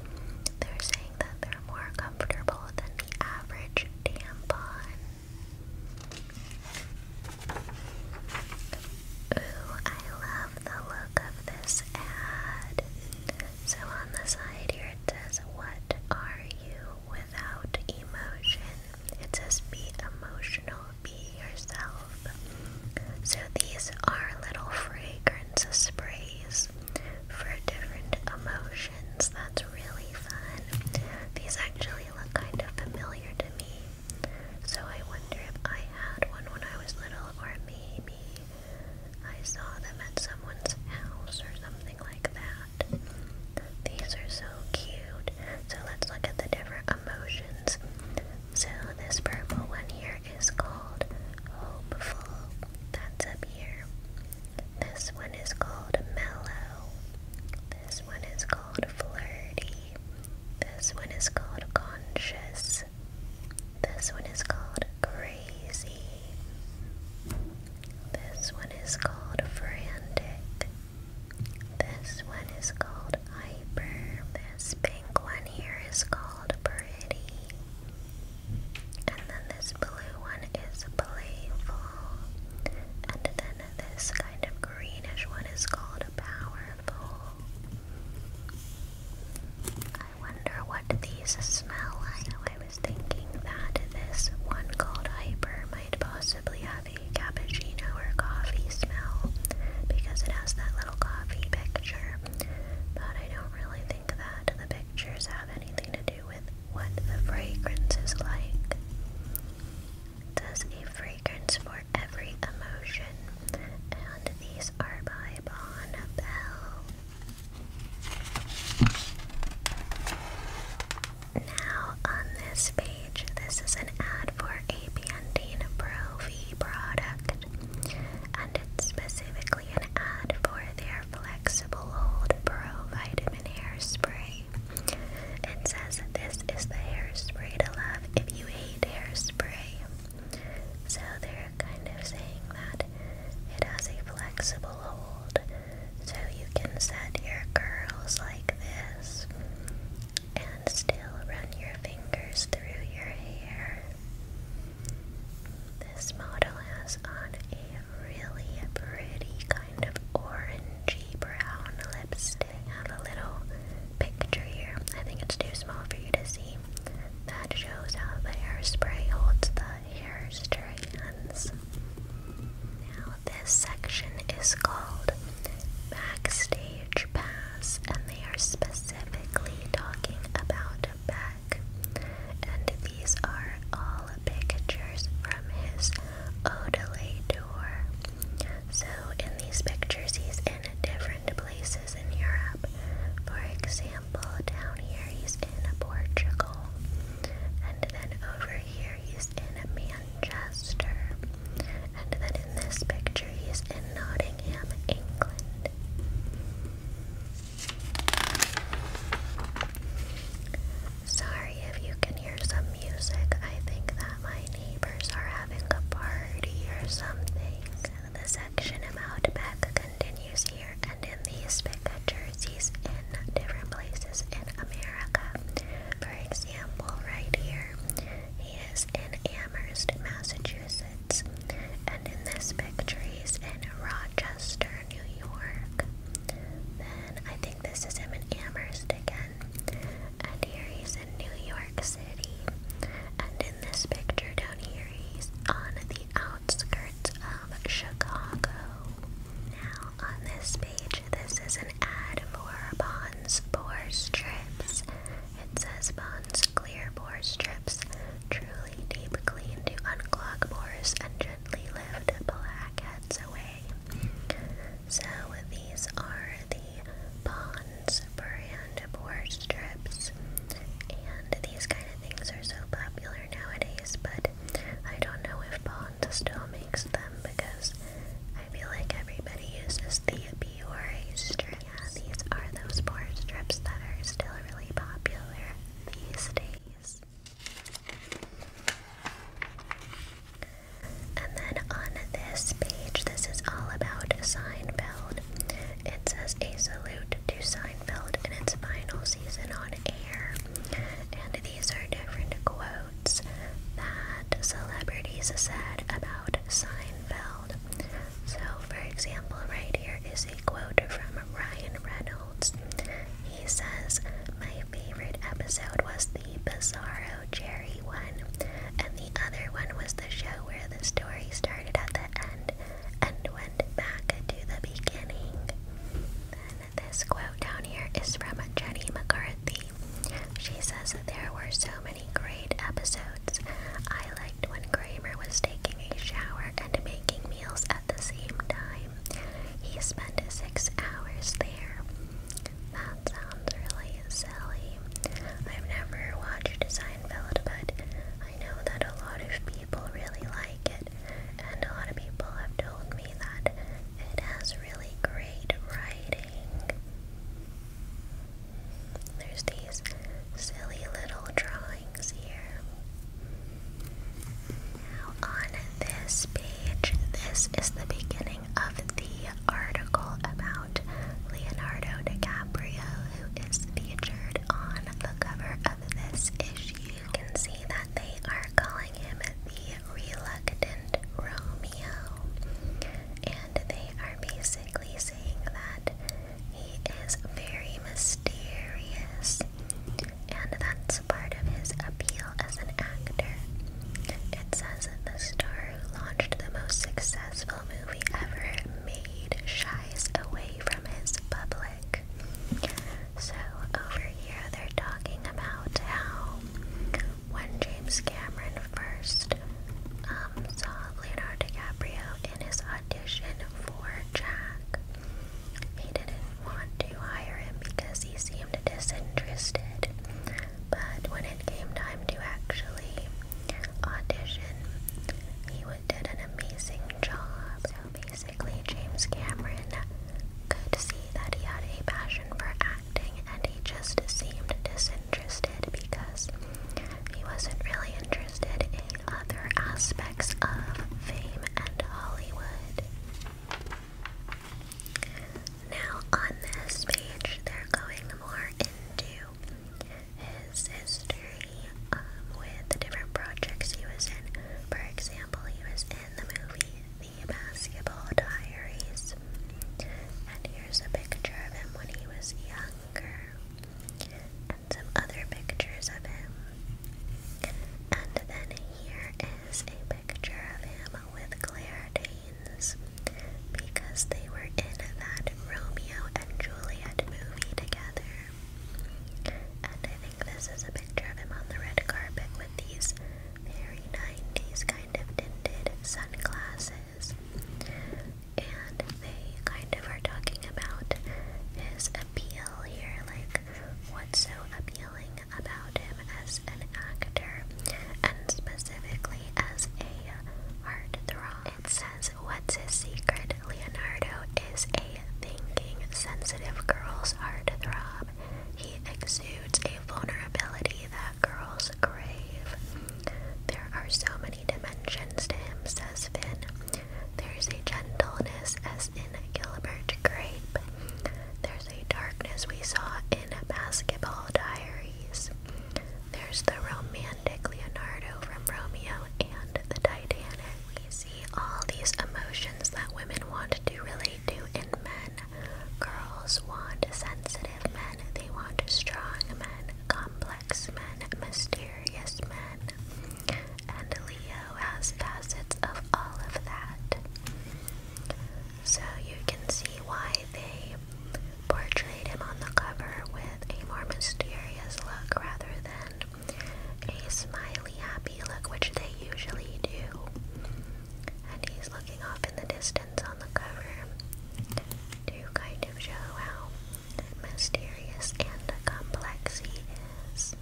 They're saying that they're more comfortable than the average tampon. Ooh, I love the look of this ad. So on the side here it says, What are you without emotion. It says be emotional, be yourself. So these are little fragrance sprays for different emotions. That's really fun. These actually look kind of familiar to me. So I wonder if I had one when I was little or maybe I saw them at someone's house or something like that. These are so cute. So let's look at the different emotions. So this purple one here is called hopeful. That's up here. This one is called mellow. This one is called flirty. This one is called conscious. This one is called crazy. This one is called frantic. This one is called Hyper. This pink one here is called Pretty. And then this blue one is Playful. And then this kind of greenish one is called Powerful. I wonder what these smell like. I was thinking that this one called Hyper might possibly have cappuccino, or coffee smell because it has that little coffee picture. But I don't really think that the pictures have anything to do with what the fragrance is like. Does a fragrance for every emotion, and these are by Bon Bell. Now on this page, this is an ad for a Pantene Pro V product, and it's specifically an ad for their Flexible Hold Pro Vitamin Hairspray. It says this is the hairspray to love if you hate hairspray. So they're kind of saying that it has a flexible hold, so you can set your curls like this and still run your fingers through your hair. This model has on a really pretty kind of orangey brown lipstick. I have a little picture here. I think it's too small for you to see. That shows how the hairspray holds the hair strands. Now this section is called Backstage Pass, and they are specifically talking about Beck. And these are all pictures from his Odelay tour. So, in these pictures, he's in different places in Europe. For example, down here he's in Portugal, and then over here he's in America. Manchester. And then in this picture, he's in Nottingham, England. Sorry if you can hear some music. I think that my neighbors are having a party or something. The section about Beck continues here, and in these pictures, he's in different places in America. For example, right here, he is in Amherst, Massachusetts, and in this picture, he's in Rochester, New York. Then I think this is him in Amherst again, and here he's in New York City. And in this picture down here, he's on the outskirts of Chicago. Now, on this page, this is an ad for Bonds Pore Strips. It says Bonds Clear Pore Strips truly deep clean to unclog pores and gently lift blackheads away. So these are the Bonds brand pore strips, and these kind of things are so popular nowadays, but I don't know if Bonds still makes them because. I feel like everybody uses the Biore strips. Yeah, these are those pore strips that are still really popular these days. And then on this page, this is all about Seinfeld. It says a salute to Seinfeld in its final season on air. And these are different quotes quotes that celebrities said about Seinfeld. So, for example, right here is a quote from Ryan Reynolds. He says, My favorite episode was the Bizarro Jerry one, and the other one was the show where the story started at the end and went back to the beginning. this quote down here is from Jenny McCarthy. She says that there were so many great episodes. I liked when Kramer was taking a shower and making meals at the same time. He spent six hours there. That sounds really silly. I've never watched Seinfeld, but I know that a lot of people really like it, and a lot of people have told me that it has really great writing. There's these silly little drawings here. Now, on this page, this is the beginning of the article about Leonardo DiCaprio, who is featured on the cover of this issue. You can see that they are calling him the reluctant Romeo and they are basically saying that he is very mysterious, and that's part of his appeal as an actor. It says that the star who launched the most successful movie ever made shies away from his public. So over here, they're talking about how when James Cameron first um, saw Leonardo DiCaprio in his audition for Jack, he didn't want to hire him because he seemed disinterested. But when it came time to actually audition, he did an amazing job. So basically, James Cameron could see that he had a passion for and he just seemed disinterested because he wasn't really interested in other aspects of fame and Hollywood. Now, on this page, they're going more into his history um, with different projects he was in. For example, he was in the movie The Basketball Diaries, and he there's a picture of him when he was younger, and some other pictures of him. And then here is a picture of him with Claire Danes because they were in that Romeo and Juliet movie together. And I think this is a picture of him on the red carpet with these very 90s kind of tinted sunglasses. And they kind of are talking about his appeal here, like what's so appealing about him as an actor, and specifically as a heartthrob. It says, What's his secret? Leonardo is a thinking, sensitive girl's heartthrob. He exudes a vulnerability that girl's grave. There are so many dimensions to him, says Finn. There's a gentleness as in Gilbert Grape. There's a darkness we saw in Basketball Diaries. There's the romantic Leonardo from Romeo and the Titanic. We see all these emotions that women want to relate to in men. Girls want sense sensitive men, they want strong men, complex men, mysterious men. And Leo has facets of all of that. So you can see why they portrayed him on the cover with a more mysterious look rather than a smiley, happy look, which they usually do. And he's looking off in the distance on the cover to kind of show how mysterious and complex he is.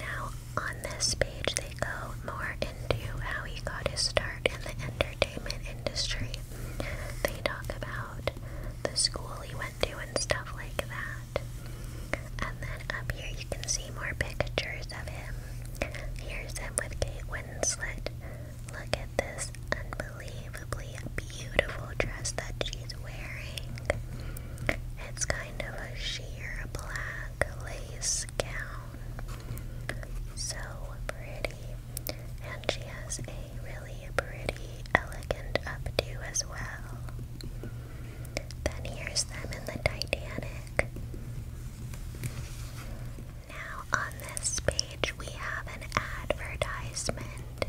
Now, on this page, they go more into how he got his start in the entertainment industry. They talk about the school he went to and stuff like that. And then up here, you can see more pictures of him. Here's him with Kate Look at this unbelievably beautiful dress that she's wearing. It's kind of a sheer black lace gown. So pretty. And she has a really pretty, elegant updo as well. Then here's them in the Titanic. Now, on this page, we have an advertisement,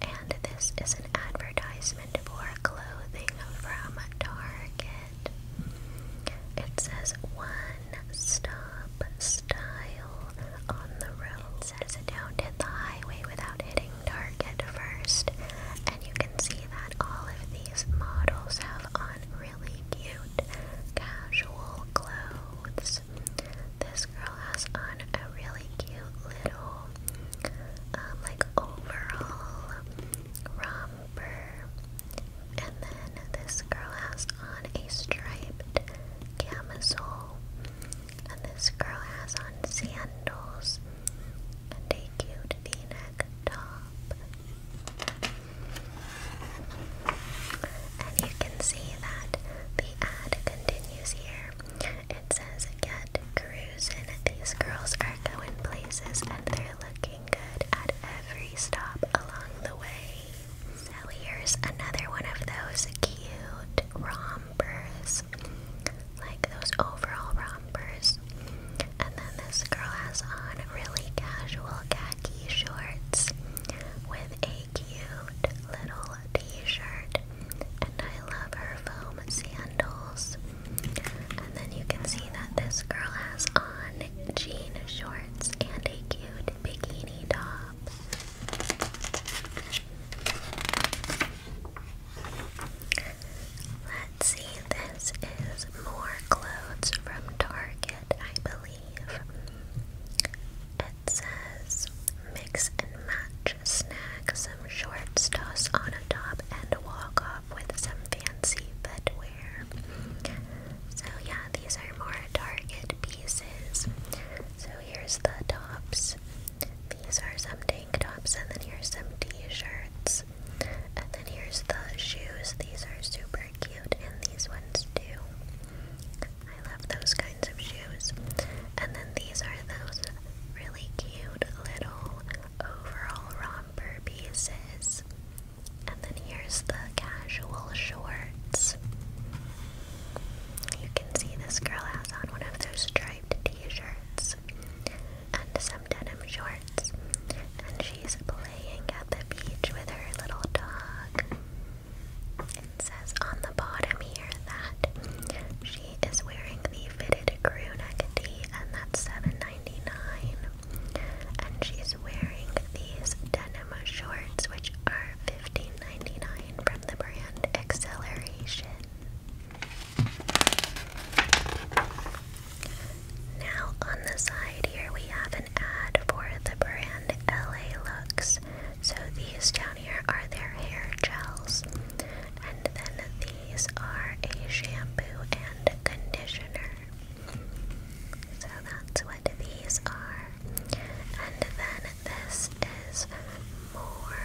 and this is an advertisement for clothing from Target. It says one stop style on the road. says don't hit the highway without hitting Target first, and you can see that all of these models have on really cute casual clothes. This girl has on a really cute little um, like overall romper. And then this girl has on a striped camisole. And this girl has on sandals and a cute v-neck top. And you can see that the ad continues here. It says, Get cruising. These girls are going places and they're looking good at every stop along the way. So here's another one of those cute rompers, like those overall rompers. And then this girl has on really casual khaki shorts with a cute little t-shirt and I love her foam sandals. And then you can see that this girl has on jean shorts and a cute bikini top. Let's see, this is more clothes from Target. I believe it says mix and match snack some shorts, toss on a top, and walk off with some fancy footwear. So, yeah, these are more Target pieces. So, here's the tops. These are some tank tops, and then here's some t shirts. And then here's the shoes. These are super cute, and these ones too. I love those kinds of shoes. And then these are those really cute little overall romper pieces. And then here's the casual shorts. You can see this girl has on one of those striped t shirts and some denim shorts. She's playing at the beach with her little dog. It says on the bottom here that she is wearing the fitted crew neck tee, and that's $7.99. And she's wearing these denim shorts, which are $15.99 from the brand Acceleration. Now on the side here we have an ad for the brand LA Looks. So these down here are their hair gels. And then these are a shampoo and conditioner. So that's what these are. And then this is more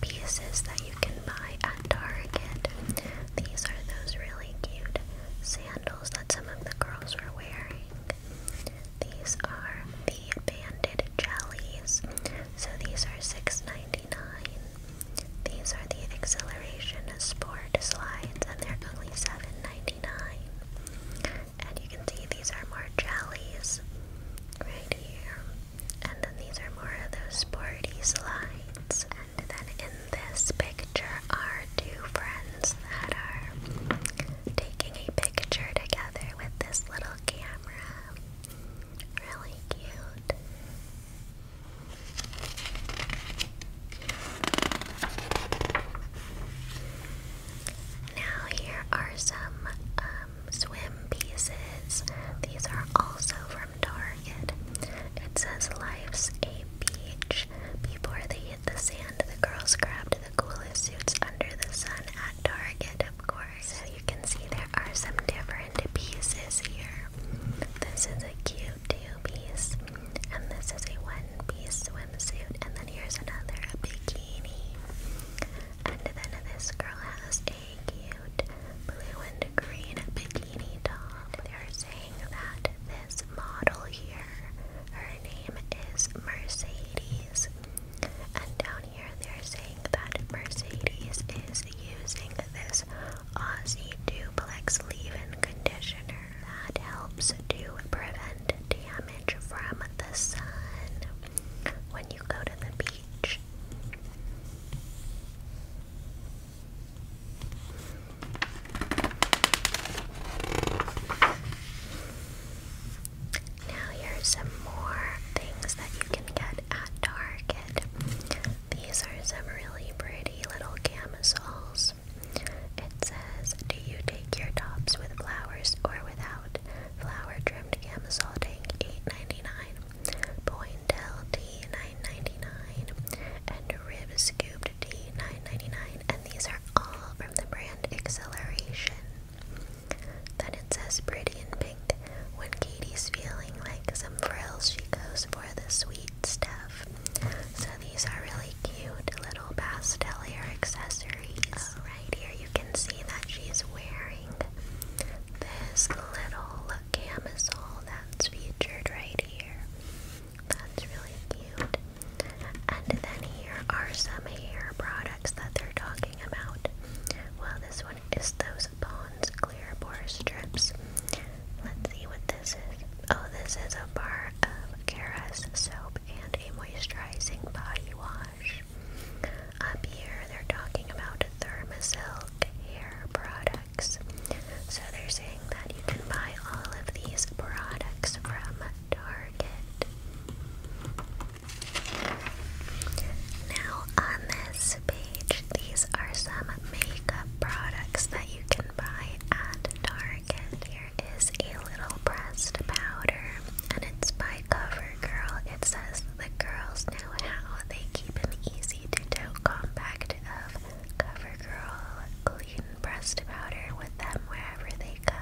pieces that you can buy at Target. These are those really cute sandals that some of the girls were wearing. These are the banded jellies. So these are 6 These are the acceleration sport slides and they're only 7 And you can see these are more jellies right here. And then these are more of those sporty slides. And then in this picture are two friends that are taking a picture together with this little camera. Really cute. Now, here are some um, swim pieces. These are also from Target. It says Life's a Beach before the the sand, the girls grabbed the coolest suits under the sun at Target, of course. So you can see there are some different pieces here. This is a cute two-piece, and this is a one-piece swimsuit, and then here's another, bikini. And then this girl has a cute blue and green bikini top. They're saying that this model here her name is Mercedes. And down here they're saying that Mercedes is using this Aussie Duplex leave-in conditioner that helps to prevent damage from the sun when you go to the beach. Now here's some more things that you can get at Target. These are some really pretty little camisoles. It says, do you take your tops with flowers or without? Flower trimmed camisole tank $8.99. Pointel T 9 And rib scooped T nine ninety nine and these are all from the brand Acceleration. Then it says pretty in pink. When Katie's feeling like some frills, she goes for the sweet stuff. So these are really cute little pastel accessories. Oh. right here you can see that she's wearing this little camisole that's featured right here. That's really cute. And then here are some hair products that they're talking about. Well, this one is those Pond's Clear Pore Strips. Let's see what this is. Oh, this is a bar of Kera's soap and a moisturizing body wash. Up here, they're talking about Thermasilk hair products. So they're saying that you can buy all of these products from Target. Target. Now, on this page, these are some makeup products that you can buy at Target. Here is a little pressed powder, and it's by CoverGirl. It says the girls know how they keep an easy to do compact of CoverGirl clean breast powder with them wherever they go.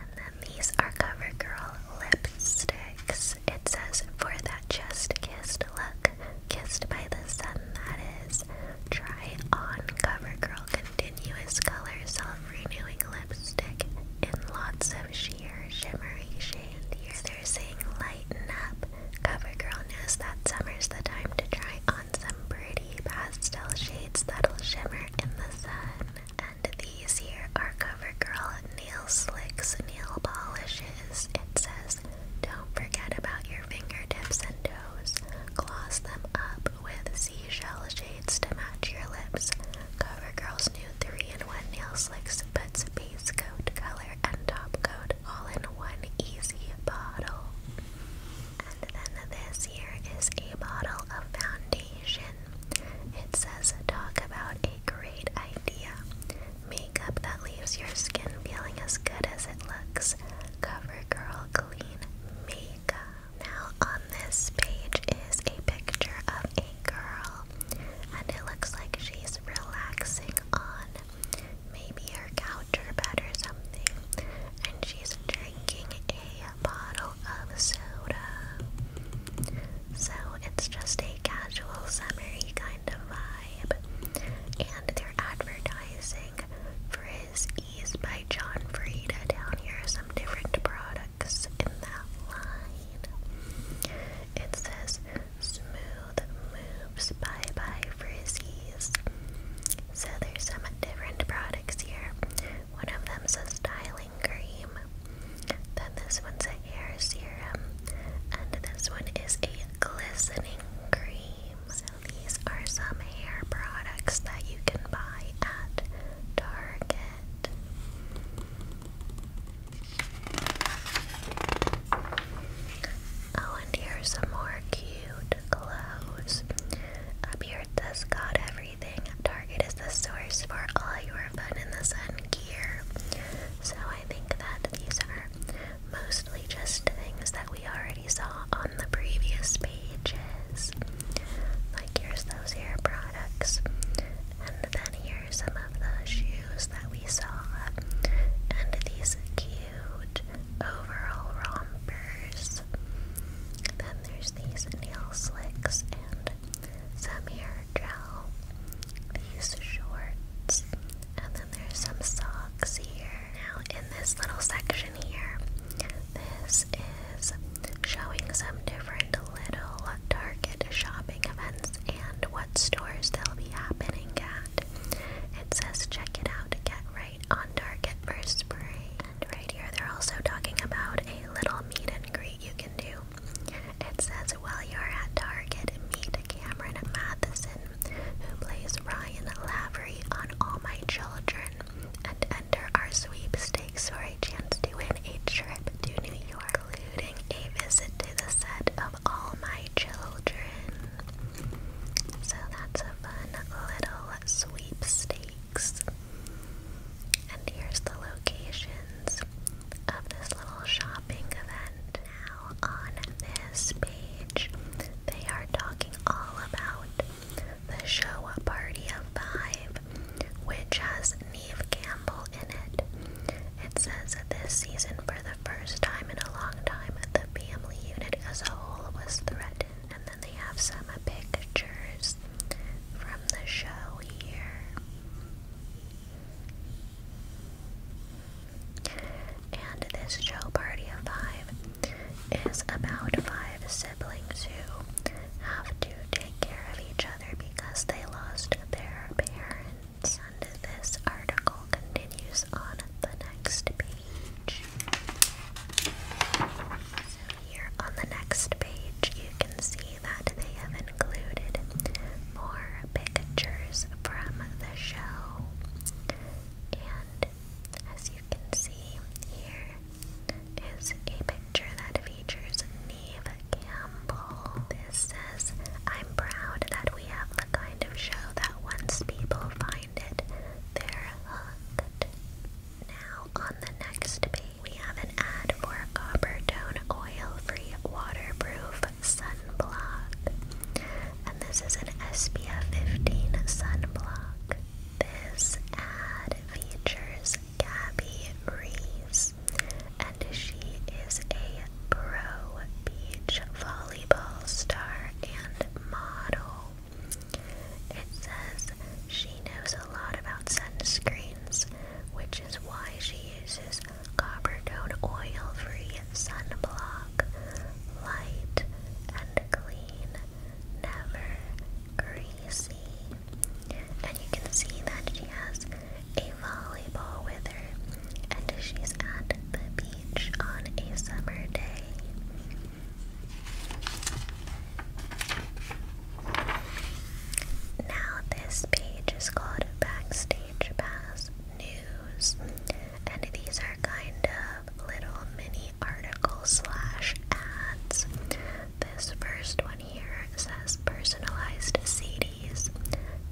And then these are CoverGirl lipsticks. It says, for that just kissed look, kissed by the sun that is. Try on CoverGirl Continuous Color Self-Renewing Lipstick in lots of sheer, shimmery shades. Here they're saying lighten up. CoverGirl knows that summer's the time to try on some pretty pastel shades that'll shimmer in the sun. And these here are CoverGirl Nail Slicks Nail Polishes. It says, don't forget about your fingertips and toes. Gloss them up with seashell shades to match your lips. CoverGirl's new 3-in-1 Nail Slicks puts base coat, color, and top coat all in one easy bottle. And then this here is a bottle of foundation. It says, Talk about a great idea. Makeup that leaves your skin feeling as good as it looks. CoverGirl Clean Makeup. Now, on this page is a picture of a girl, and it looks like she's relaxing on maybe her couch or bed or something, and she's drinking a a bottle of soda. So it's just a casual, summery kind of vibe. And they're advertising Frizz Ease by John Frieda. Down here are some different products in that line. It says Smooth Moves Bye Bye Frizzies. So there's some different products here. One of them's a styling cream. Then this one's a hair serum. And this one is a glistening cream. So these are some hair products that you can buy at Target. Oh, and here's some more cute clothes. Up here it says every Target is the source for all your fun in the sun gear. So I think that these are mostly just things that we already saw on the previous pages. Like here's those hair products. And then here's some of the shoes that we saw. And these cute overall rompers. Then there's these nail slicks and some hair gel, these shorts, and then there's some socks here. Now, in this little section here, this is showing some different little Target shopping events and what stores they'll be happening at. It says, check it out, get right on Target first, spring. And right here, they're also talking about a little meet and greet you can do. It says, while you're at Target, meet Cameron Matheson, who plays Ryan Lavery on All My Children, and enter our sweepstakes for a chance to win a trip to New York, including a visit to the set of All My Children. So that's a fun little sweepstakes. And here's the locations of this little shopping event. Now, on this page, they are talking all about the show Party of Five, which has Neve Campbell in it. It says that this season, for the first time in a long time, the family unit as a whole was threatened, they have some pictures from the show here. And this show party of five is about five siblings who have to take care of each other because they lost their parents. And this article continues on the next page here on the next page, you can see that they have included more pictures from the show. And as you can see, here is a picture that features Neve Campbell. This says, I'm proud that we have the kind of show that once people find it, they're hooked. Now, on the next page, we have an ad for a oil-free waterproof sunblock. And this is an SPF 15 sunblock. This ad features Gabby Reese, and she is a pro beach volleyball star and model. It says she knows a lot about sunscreens, which is why she uses copper tone oil free sunblock. Light and clean, never greasy. And you can see that she has a volleyball with her, and she's at the beach on a summer day. Now, this page is called Backstage Pass News, and these are kind of little mini articles slash ads. This first one here says personalized CDs.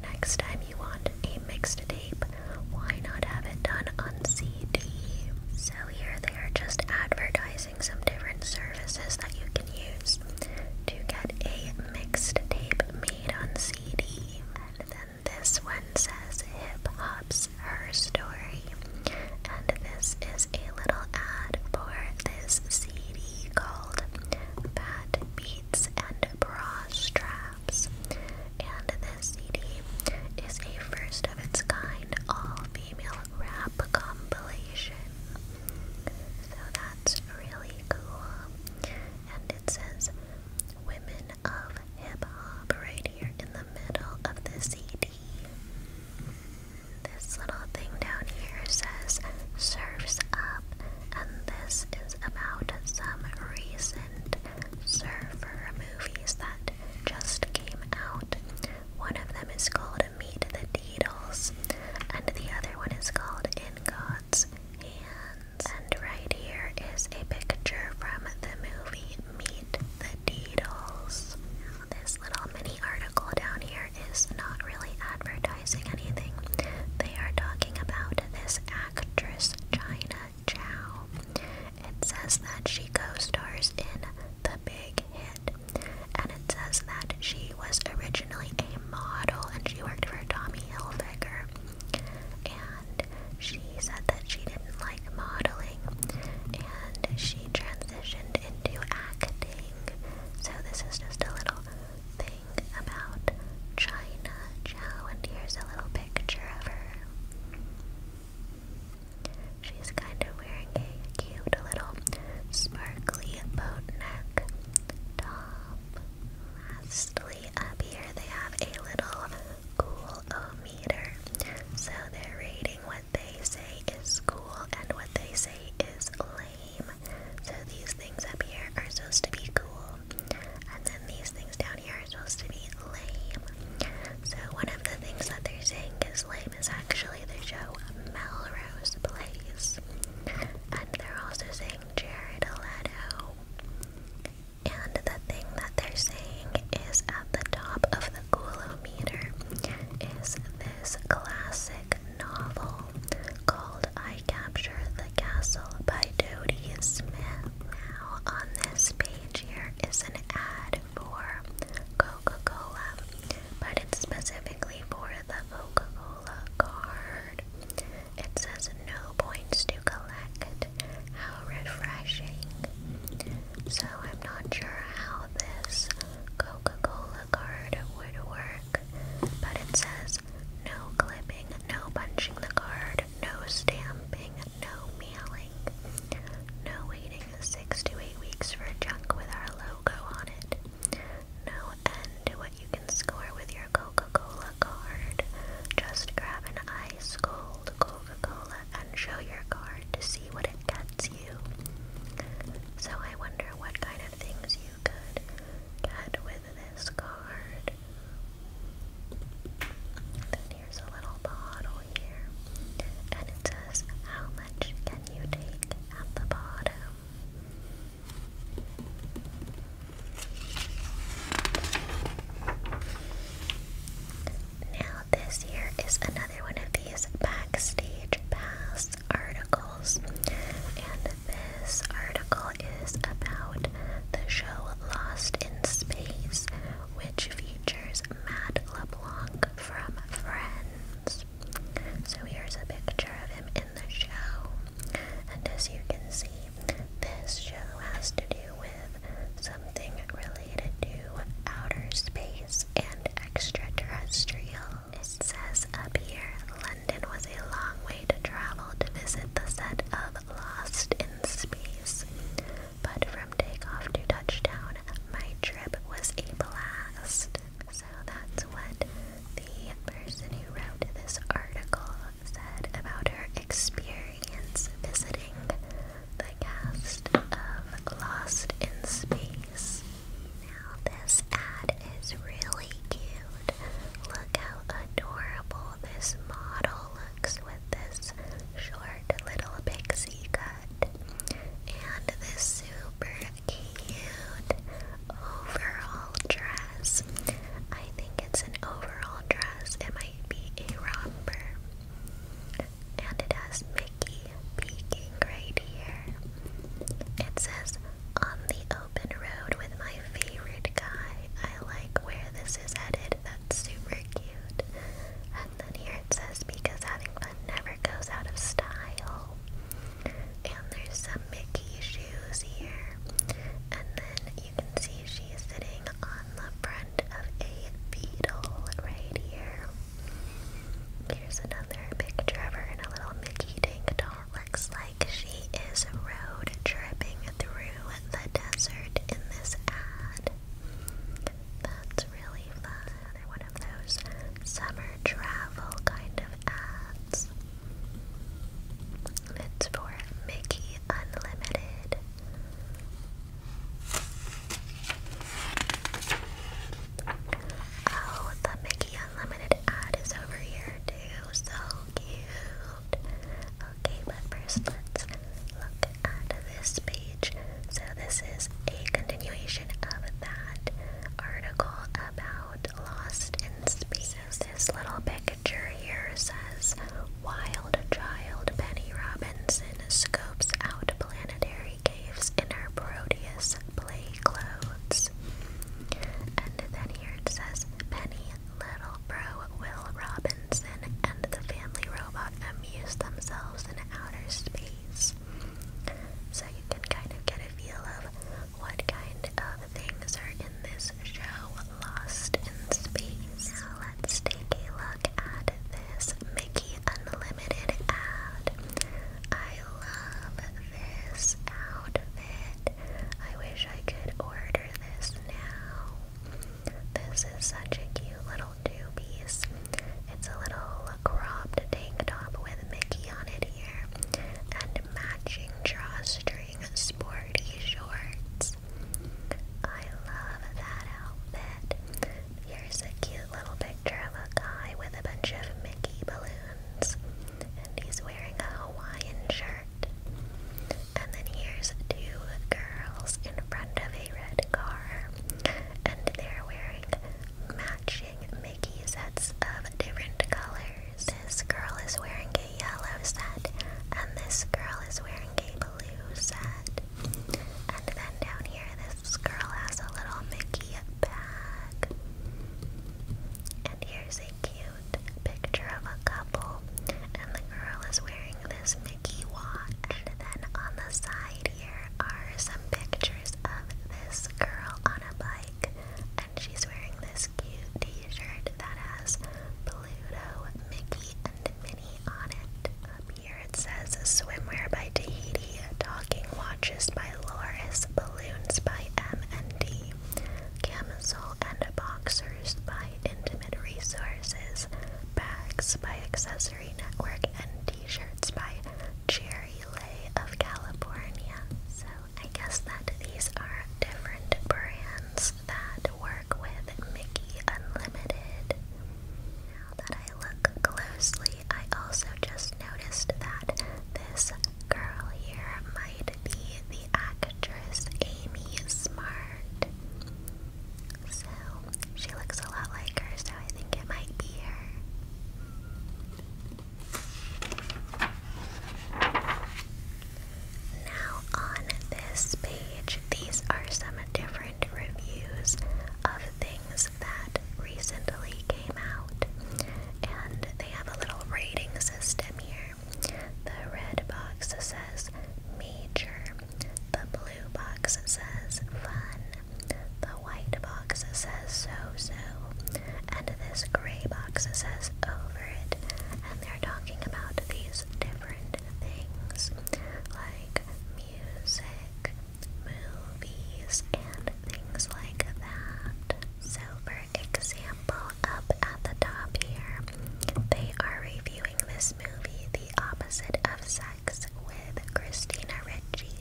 Next time you want a mixed tape, why not have it done on CD? So here they are just advertising some different services that you can use to get a mixed tape made on CD. And then this one says Hip Hop's Her Story. And this is a little ad for this CD called Bad Beats and Bra Straps. And this CD is a first of its kind all female rap compilation. So that's really cool. And it says Women of Hip Hop right here in the middle of the CD. This little thing down here says Surfs Up, and this is about some recent surfer movies that just came out. One of them is called Meet the Needles, and the other one is called In God's Hands. And right here is a picture from the movie Meet the Needles. This little mini article down here is not really advertising anything. They are talking about this actress, China Chow. It says that she co stars in The Big Hit and it says that she was originally a model and she worked for Tommy Hilfiger. And she said that she didn't like modeling and she transitioned into acting. So, this is just a little thing about China Chow, and here's a little picture of her. She's kind of wearing a cute little sparkly boat neck top. Lastly, up here they have a little cool o meter. So they're rating what they say is cool and what they say is lame. So these things up here are supposed to be cool, and then these things down here are supposed to be lame. So one of the things that they're saying is lame is actually they show Melrose Place. And they're also saying Jared Leto. And the thing that they're saying is at the top of the Gulometer is this classic novel called I Capture the Castle by Dodie Smith. Now on this page here is an ad for Coca-Cola but it's specifically for the Coca-Cola card. It says no points to collect. How refreshing. So I'm not sure how this Coca-Cola card would work, but it says no clipping, no punching the card, no stamping, no mailing, no waiting six to eight weeks for junk with our logo on it. No end to what you can score with your Coca-Cola card. Just grab an ice cold Coca-Cola and show your card to see what it gets you. So I wonder what kind of things you could get with this card. Then here's a little bottle here. And it says, How much can you take at the bottom? Now, this here is another one of these backstage pass articles, and this article is about the show Lost in Space, which features Matt LeBlanc from Friends. So here's a picture of him in the show. And as you can see, this show has to do with something related to outer space and extraterrestrial. It says up here, London was a long way to travel to visit the set of Lost in Space. But from takeoff to touchdown, my trip was a blast. So that's what the person who wrote this article said about her experience visiting the cast of Lost in Space. Now, this ad is really cute. Look how adorable this model looks with this short little pixie cut. And this super cute overall dress. I think it's an overall dress. It might be a romper. And it has Mickey peeking right here. It says, On the open road with my favorite guy. I like where this is headed. That's super cute. And then here it says, Because having never goes out of style. And there's some Mickey shoes here. And then you can see she's sitting on the front of a beetle right here. Here's another picture of her in a little Mickey tank top. Looks like she is road tripping through the desert in this ad. That's really fun another one of those summer travel kind of ads. It's for Mickey Unlimited. Oh, the Mickey Unlimited ad is over here too. So cute. Okay, but first let's look at this page. So, this is a continuation of that article about Lost in Space. this little picture here says, Wild child Penny Robinson scopes out planetary caves in her Proteus play clothes. And then here it says, Penny, little bro Will Robinson, and the family robot amuse themselves in outer space. So you can kind of get a feel of what kind of things are in this show, Lost in Space. Now let's take a look at this Mickey Unlimited ad. I love this outfit. I wish I could order this now. This is such a cute little two piece. It's a little cropped tank top with Mickey on it here, and matching drawstring sporty shorts. I love that outfit. Here's a cute little picture of a guy with a bunch of Mickey balloons, and he's wearing a Hawaiian shirt. And then here's two girls in front of a red car, and they're wearing matching Mickey sets of different colors. This girl is wearing a yellow set, and this girl is wearing a blue set. And then down here, this girl has a little Mickey bag. And here's a cute picture of a couple, and the girl is wearing this Mickey watch. And then on the side here are some pictures of this girl on a bike and she's wearing this cute t-shirt that has Pluto, Mickey, and Minnie on it. Up here it says Swimwear by Tahiti, Talking Watches by Loris, Balloons by M&D, Camisole and Boxers by Intimate Resources, Bags by Accessory Network, and T-shirts by Cherry Lay of California. So I guess that these are different brands that work with Mickey Unlimited. Now that I look closely, I also just noticed that this girl here might be the actress Amy Smart. So she looks a lot like her, so I think it might be her. Now, on this page, these are some different reviews of things that recently came out, and they have a little rating system here. The red box says major, the blue box says fun, the white box says so so, and this gray box says over it, and they're talking about these different things like music, movies, and things like that. So, for example, up at the top here, they are reviewing this movie, The Opposite of Sex, with Christina Ricci.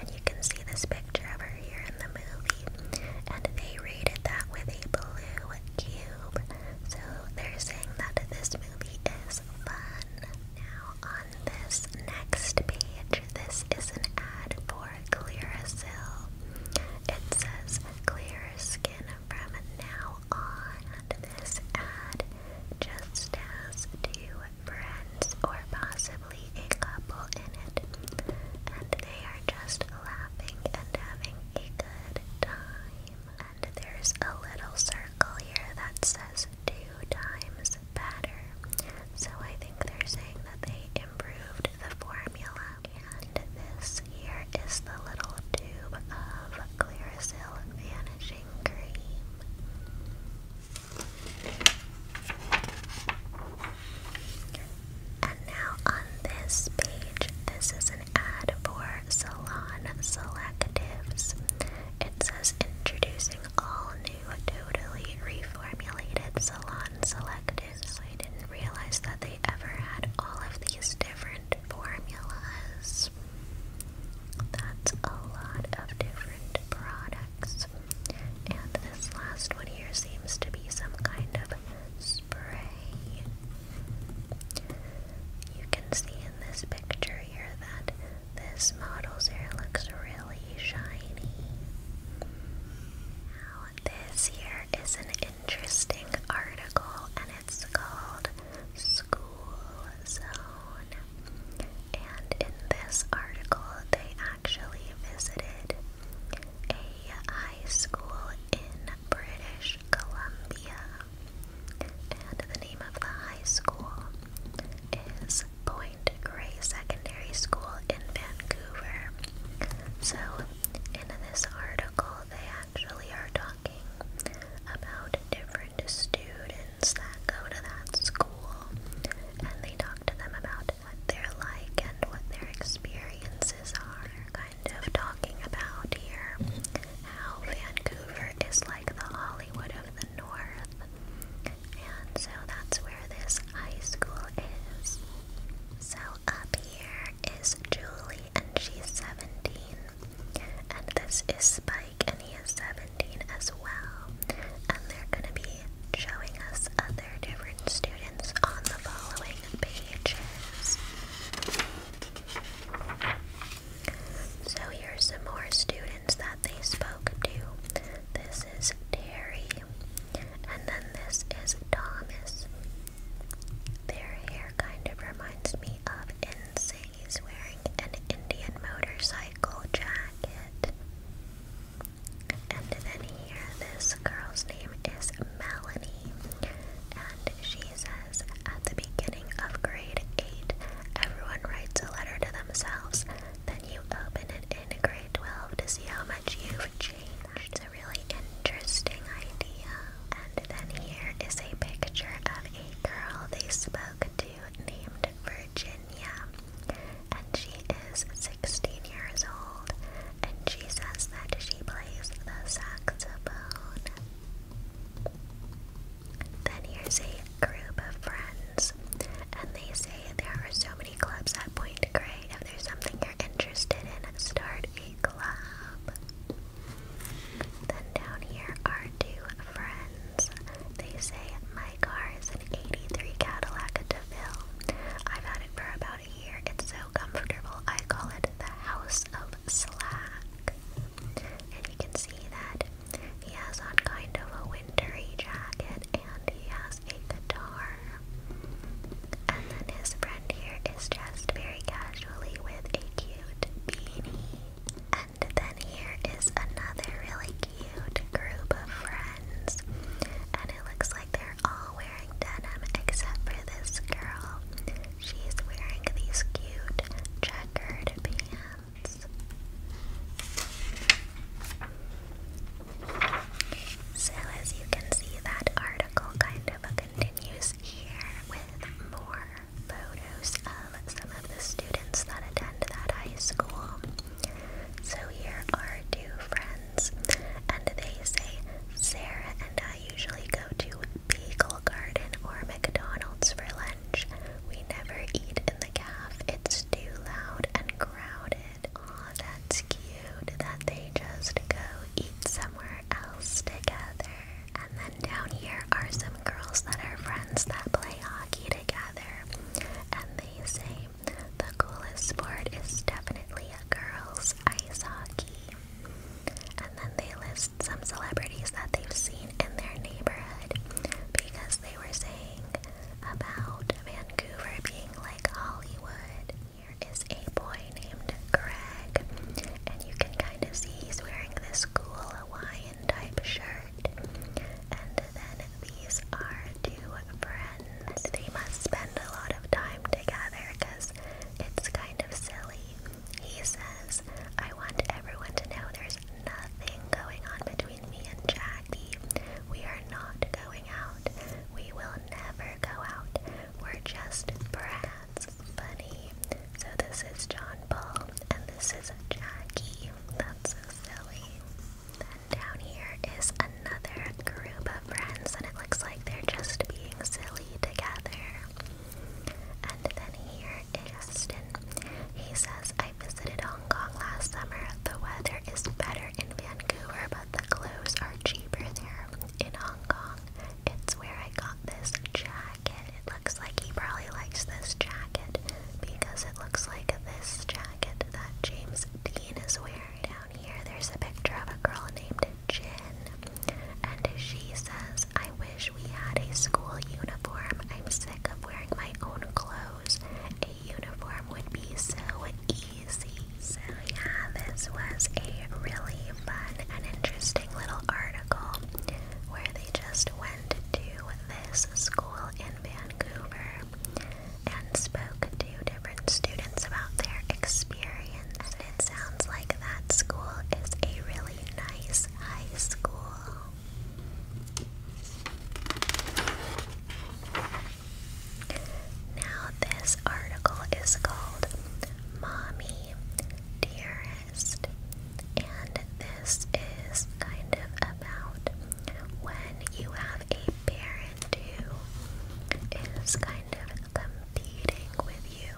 And you can see this picture of her here in the movie. And they rated that with a blue cube. So they're saying that this movie is fun. Now, on this next page, this is an ad for Clearasil. It says clear skin from now on. this ad just has two friends or possibly a couple in it, and they are just laughing and having a good time. And there's a little circle here that says two times better, so I think they're saying that they improved the formula. And this here is the little tube of Clearasil Vanishing Cream. And now on this page, this is an ad for Salon Selectives. It says introducing all new, totally reformulated Salon Selectives. So I didn't realize that they ever had all of these different formulas. That's a lot of different products. And this last one here seems to be some kind of spray. You can see in this picture here that this model's hair looks really shiny. Now, this here is an interesting article, and it's called School Zone. And in this article, they actually visited a high school in British Columbia, and the name of the high school is Point Grey Secondary School in Vancouver. So, in this article, they actually are talking about different students that go to that school, and they talk to them about what they're like and what their experiences are. Kind of talking about here how Vancouver is like the Hollywood of the North, and so that's where this high school is. So up here is Julie, and she's 17, and this is Spike, and he is 17 as well. And they're gonna be showing us other different students students on So here's some more students that they spoke to. This is Terry, and then this is Thomas. Their hair kind of reminds me of Insane. wearing an Indian motorcycle jacket. And then here, this girl's name is Melanie, and she says at the beginning of grade 8, everyone writes a letter to themselves. Then you open it in grade 12 to see how much you've changed. It's a really interesting idea. And then here is a picture of a girl they spoke to named Virginia. And she is 16 years old and she says that she plays the saxophone. Then here's a group of friends, and they say there are so many clubs at Point Grey. If there's something you're interested in, start a club. Then down here are two friends. They say, My car is an 83 Cadillac DeVille. I've had it for about here. It's so comfortable. I call it the House of Slack. And you can see that he has on kind of a wintry jacket and he has a guitar. And then his friend here is dressed very casually with a cute beanie. And then here is another really cute group of friends. And it looks like they're all except for this girl. She's wearing these cute checkered pants. So, as you can see, that article kind of continues here with more photos of some of the students that attend that high school. So, here are two friends friends, and they say Sarah and I usually go to Beagle Garden or McDonald's for lunch. We never eat in the calf. It's too loud and crowded. Aw, that's cute that they just go eat somewhere else together. And then down here are some girls that are friends that play hockey together. And they say the coolest sport is definitely a girls' ice hockey. And then they list some celebrities that they've seen in their neighborhood because they were saying about Vancouver being like Hollywood. Here is a boy named Greg, and you can kind of see he's wearing this cool Hawaiian type shirt. And then these are two friends friends. They must spend a lot of time together because it's kind of silly. He says, I want everyone to know there's nothing going on between me and Jackie. We are not going out. We will never go out. We're just brats. Funny. So this is John Paul and this is Jackie. That's so silly. Then down here is a another group of friends, and it looks like they're just being silly together. And then here is Stin. He says, I visited Hong Kong last summer. The weather is better in Vancouver, but the clothes are cheaper there. In Hong Kong, it's where I got this jacket. It looks like he probably likes this jacket because it looks like this jacket that James Dean is wearing. Down here, there's a picture of a girl named Jin. And she says, I wish we had a school uniform. I'm sick of wearing my own clothes. A uniform would be so easy. So, yeah, this was a really fun and interesting little article where they just went to this school in Vancouver and spoke to different students about their experience and it sounds like that school is a really nice high school. Now, this article is called Mommy Dearest, and this is kind of about when you have a parent who is kind of competing with you.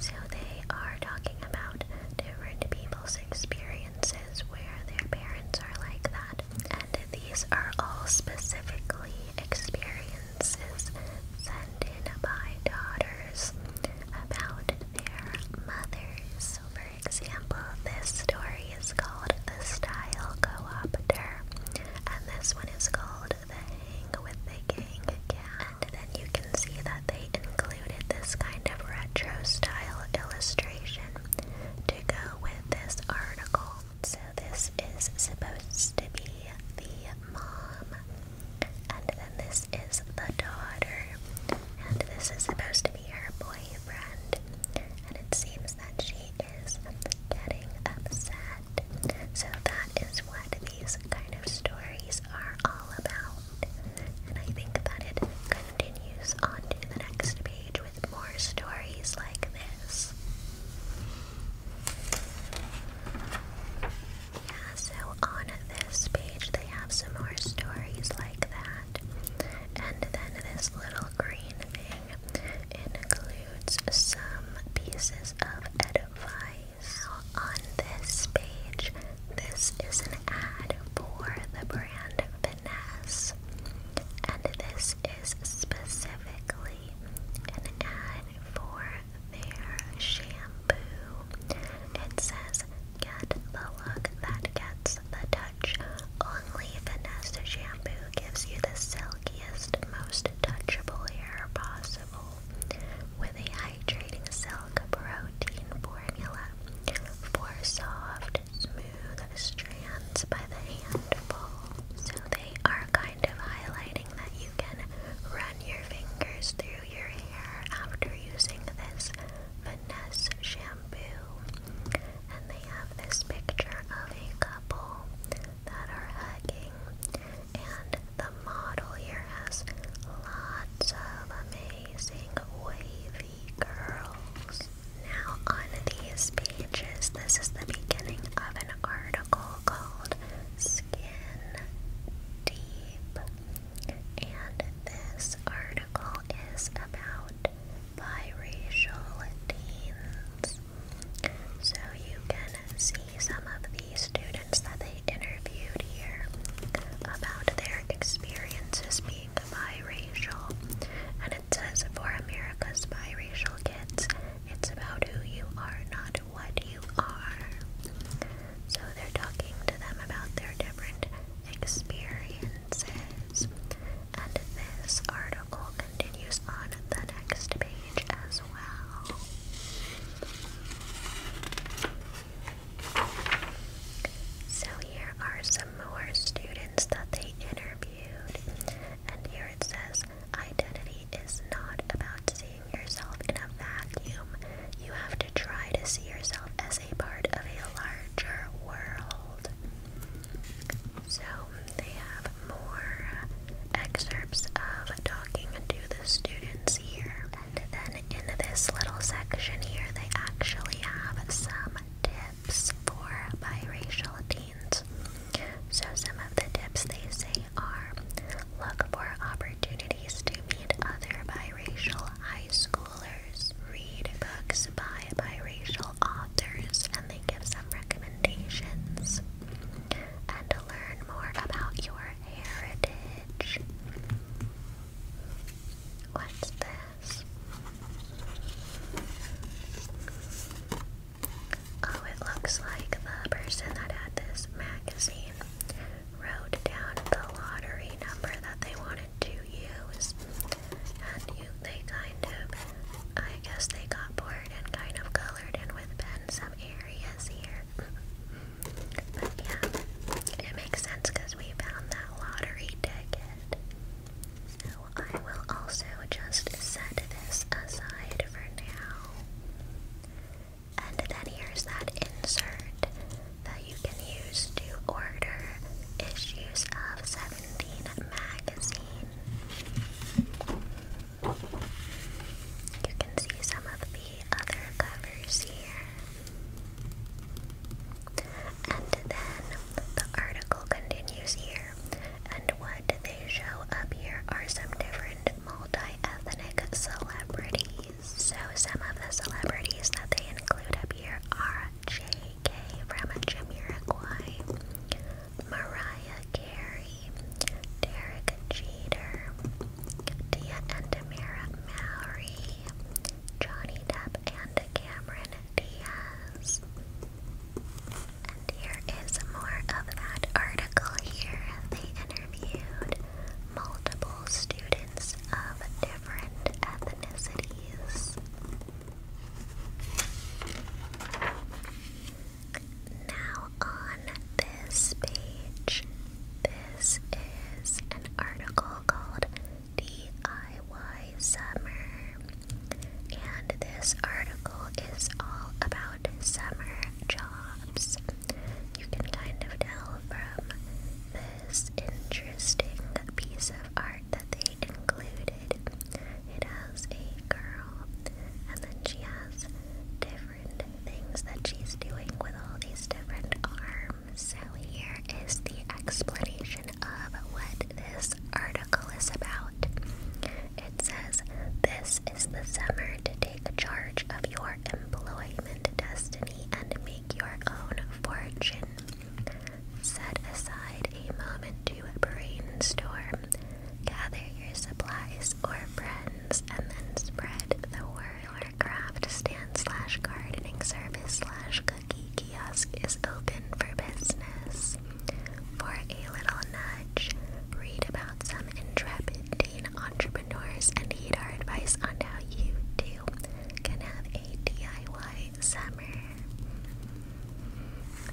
So they are talking about different people's experiences where their parents are like that. And these are all specifically experiences sent in by daughters about their mothers. So, for example, this story is called The Style Co-opter, and this one is called and then you can see that they included this kind of retro style illustration to go with this article. So this is supposed to be the mom, and then this is the daughter, and this is supposed to be her boyfriend. And it seems that she is getting upset. So that is what these kind of stories are all about. And I think that it continues on to the next page with more stories like this. Yeah, so on this page they have some more stories like that. And then this little green thing includes some pieces of edible on this page, this is an ad for the brand Finesse. And this is specifically an ad for their shampoo. It says, get the look that gets the touch. Only Finesse shampoo gives you the silkiest, most touchable hair possible with a hydrating silk protein formula for soft, smooth strands by the handful. So they are kind of highlighting that you can run your fingers through your hair after using this Vanessa shampoo. And they have this picture of a couple that are hugging, and the model here has lots of amazing wavy girls. Now, on these pages, this is the beginning of an article called Skin Deep, and this article is about biracial teens. So you can see some of the students that they interviewed here about their experiences being biracial. And it says for America's biracial kids, it's about who you are, not what you are. So they're talking to them about their different experiences. And this article continues on the next page. So here are some more students that they interviewed. And here it says, identity is not about seeing yourself in a vacuum. You have to try to see yourself as a part of a larger world. So they have more excerpts of talking to the students here. And then in this little section here, they actually have some tips for biracial teens. So some of the tips they say are look for opportunities to meet other biracial high schoolers, read books by biracial authors, and they give some recommendations and learn more about your heritage. What's this? Oh, it looks like the person that had this magazine wrote down the lottery number that they wanted to use, and they kind of, I guess they got bored and kind of colored in with pen in some areas here. but yeah, it makes sense because we found that lottery ticket. So I will also just set this aside for now. And then here's that insert that you can use to order issues of 17 magazine. You can see some of the other covers here. And then the article continues here. And what they show up here are some different multi-ethnic celebrities. So some of the celebrities that they include up here are J.K. from Jamiroquai, Mariah Carey, Derek Jeter, Dia and Amira Johnny Depp and Cameron Diaz. And here is more of that article here. They interviewed multiple students of different ethnicities. Now, on this page, this is an article called DIY Summer. And this article is all about summer jobs. You can kind of tell from this interesting piece of art that they included. It has a girl, and then she has two different things that she's doing with all these different arms. So here is the explanation of what this article is about. It says, This is the summer to take charge of your employment destiny and make your own fortune. Set aside a moment to brainstorm Gather your supplies or friends and then spread the word. Our craft stand slash gardening service slash cookie kiosk is open for business. For a little nudge, read about some intrepid teen entrepreneurs and heed our advice on how you too can have a DIY summer.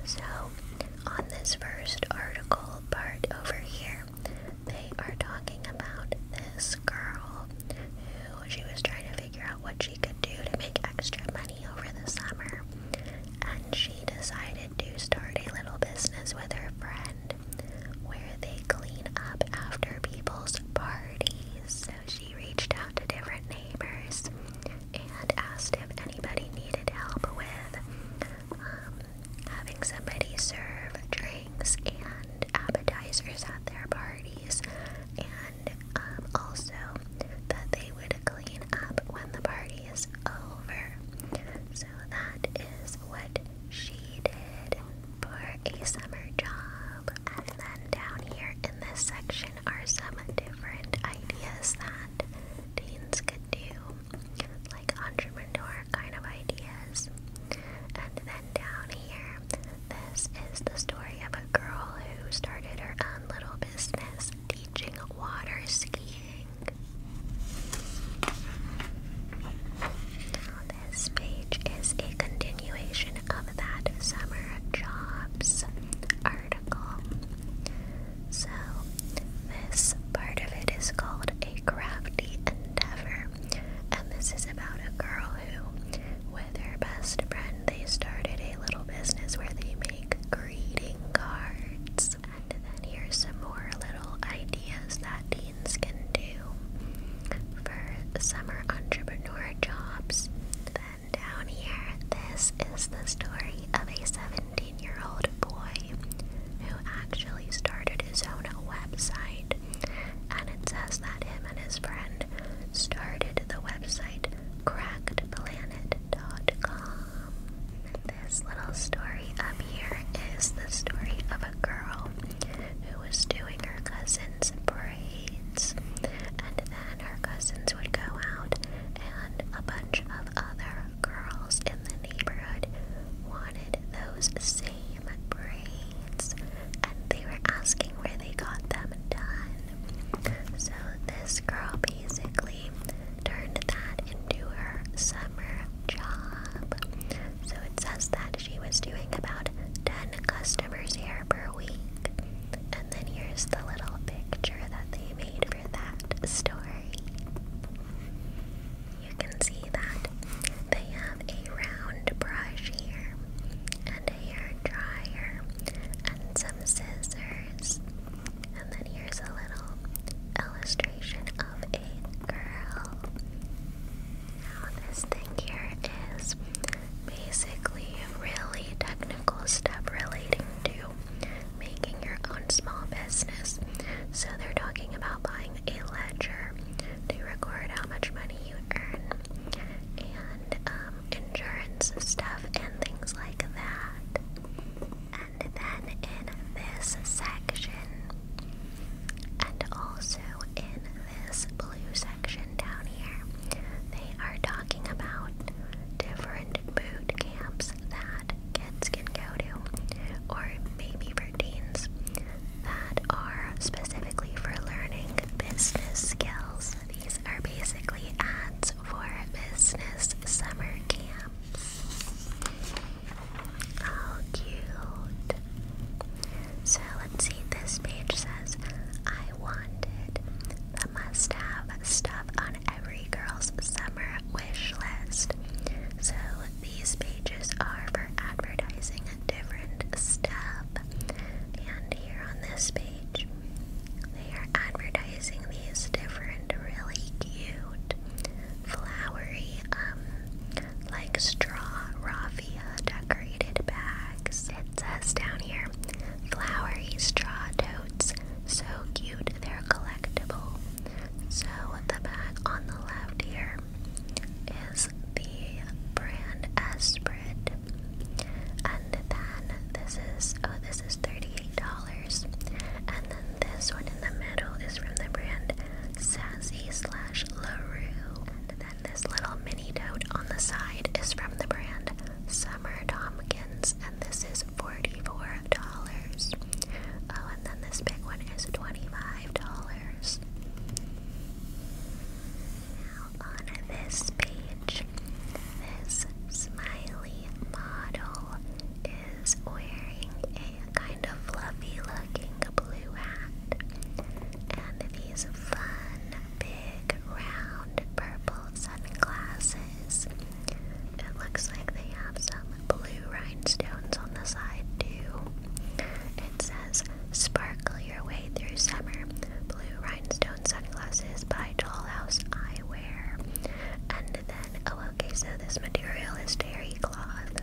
So, on this first article part over here, later, they are talking about this girl who she was trying to figure out what she could do to make extra money over the summer. And she decided to start a little business with her friend where they clean up after people's parties. So she reached out to different neighbors and asked if anybody needed help with um, having somebody serve drinks and appetizers at their parties, and um, also that they would clean up when the party is over. So that is what she did for a summer job. And then down here in this section are some different ideas that teens could do like entrepreneur kind of ideas. And then down here, this is the story of a girl who started her own little business teaching water skiing. this page is a continuation of that summer jobs article. So, this part of it is called a crafty endeavor. And this is about a girl who, with her best friend, they started a little business where they make greeting cards. And then here's some more little ideas that teens can do for summer entrepreneur jobs. Then down here, this is the story of a 17 year old boy who actually started his own website. And it says that him and his friend started the website crackedplanet.com. This little story up here is the story of a girl who was doing her cousin's braids. And then her cousins would go out, and a bunch of other girls in the neighborhood wanted those same human brains, and they were asking where they got them done. So this girl basically turned that into her summer job. So it says that she was doing about 10 customers here per week. And then here's the little picture that they made for that story you can see that they have a round brush here, and a hair dryer, and some scissors. And then here's a little illustration of a girl. Now, this thing here is basically really technical stuff relating to making your own small business. So, they're talking about buying having a ledger to record how much money you earn and um, insurance stuff and things like that. And then in this section, and also in this blue section down here, they are talking about different boot camps that kids can go to, or maybe for teens that are specifically for learning business skills. These are basically ads for business summer camps. How cute! So let's see, this page says, I wanted the must have stuff on every girl's summer wish list. So these pages are for advertising different stuff. And here on this page, they are advertising these different really cute flowery, um, like straw raffia decorated bags. It says down here, flowery straw totes, so cute they're collectible. So the bag on the left here is the brand Esprit, and then this is oh this is thirty-eight dollars, and then this one in the middle is from the brand Sassy slash Larue, and then this little mini tote on the side is from the brand Summer Tomkins, and this is forty-four dollars. Oh, and then this big one is $25 on this page, this smiley model is wearing a kind of fluffy looking blue hat and these fun, big, round, purple sunglasses. It looks like they have some blue blue rhinestones on the side, too. It says, Sparkle your way through summer. Blue rhinestone sunglasses by Tall Dollhouse Eyewear. And then, oh, okay, so this material is terry cloth.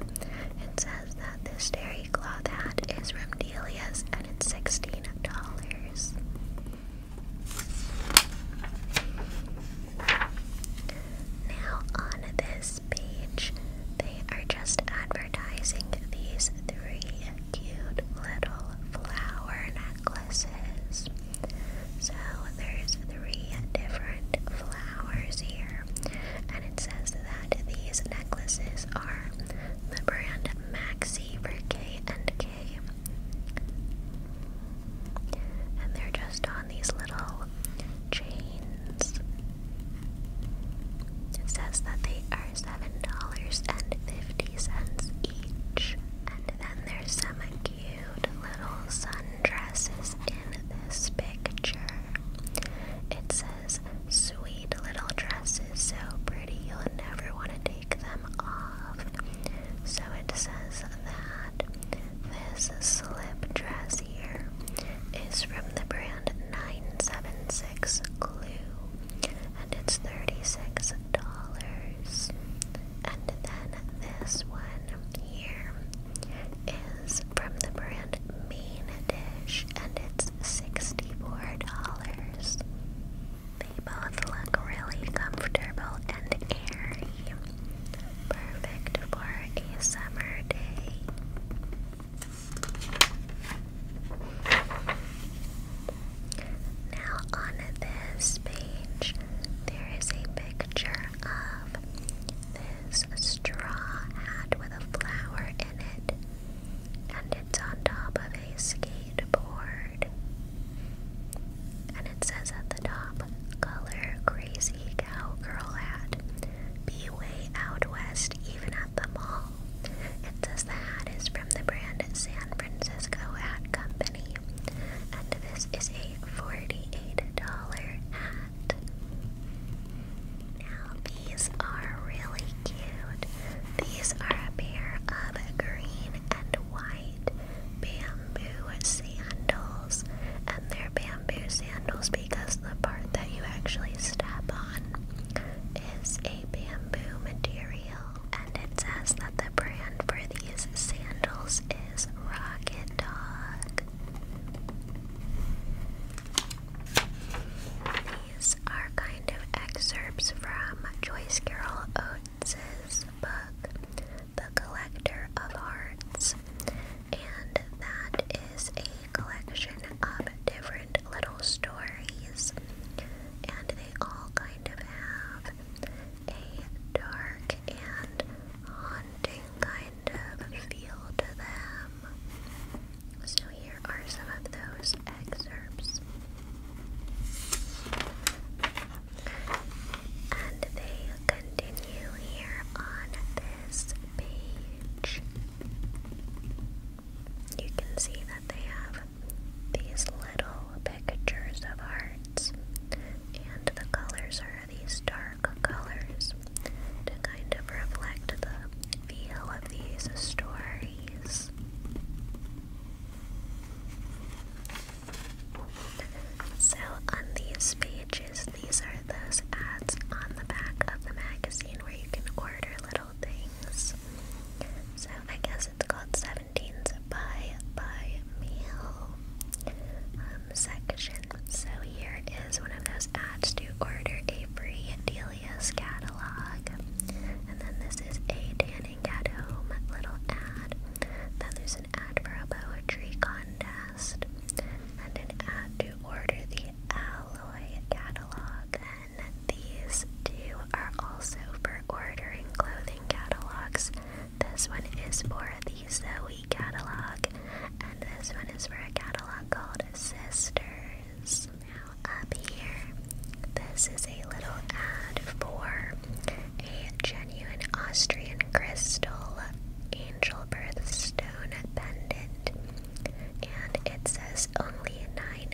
It says that this terry cloth hat is from Delia's and it's $16. Now, on this page, they are just advertising these three cute little flower necklaces. So there's three different flowers here, and it says that these necklaces are the brand Maxi for K and K, and they're just on these little chains. It says that they are $7.50 each. And then there's some cute little sundresses in this picture. It says, sweet little dresses, so pretty you'll never want to take them off. So it says that this slip dress here is from the brand 976 Glue, and it's $36. And then this one here is from the brand Main Dish, and it's $64. They both look really comfortable and airy. Perfect for a summer day. Now, on this page, there is a picture of this straw hat with a flower in it, and it's on top of a skateboard. And it says at the top, color crazy cowgirl hat. Be way out west, even the mall. It says the hat is from the brand San Francisco Hat Company, and this is a dollars hat. Now, these are really cute. These are a pair of green and white bamboo sandals, and they're bamboo sandals because the part that you actually step on is a bamboo material. And it says that the brand for these sandals is Rocket Dog. These are kind of excerpts from Joyce Carol Oates' book, The Collector of Hearts, and that is a collection of different little stories, and they all kind of have a dark and haunting kind of feel to them. So, here are some of those excerpts. And they continue here on this page. You can see that they have these little pictures of hearts, and the colors are these dark colors to kind of reflect the feel of these stories. So, on these pages, these are those ads on the back of the magazine where you can order little things. So I guess it's called 17's Buy Buy Meal um, section. So here is one of those ads to order a free Delia's catalog. And then this is a tanning at home little ad. Then there's an ad for a poetry contest and an ad to order the alloy catalog, and these two are also for ordering clothing catalogs. This one is for the Zoe catalog, and this one is for a catalog called Sisters. Now, up here, this is a little ad for a genuine Austrian crystal angel birthstone pendant and it says only 9 dollars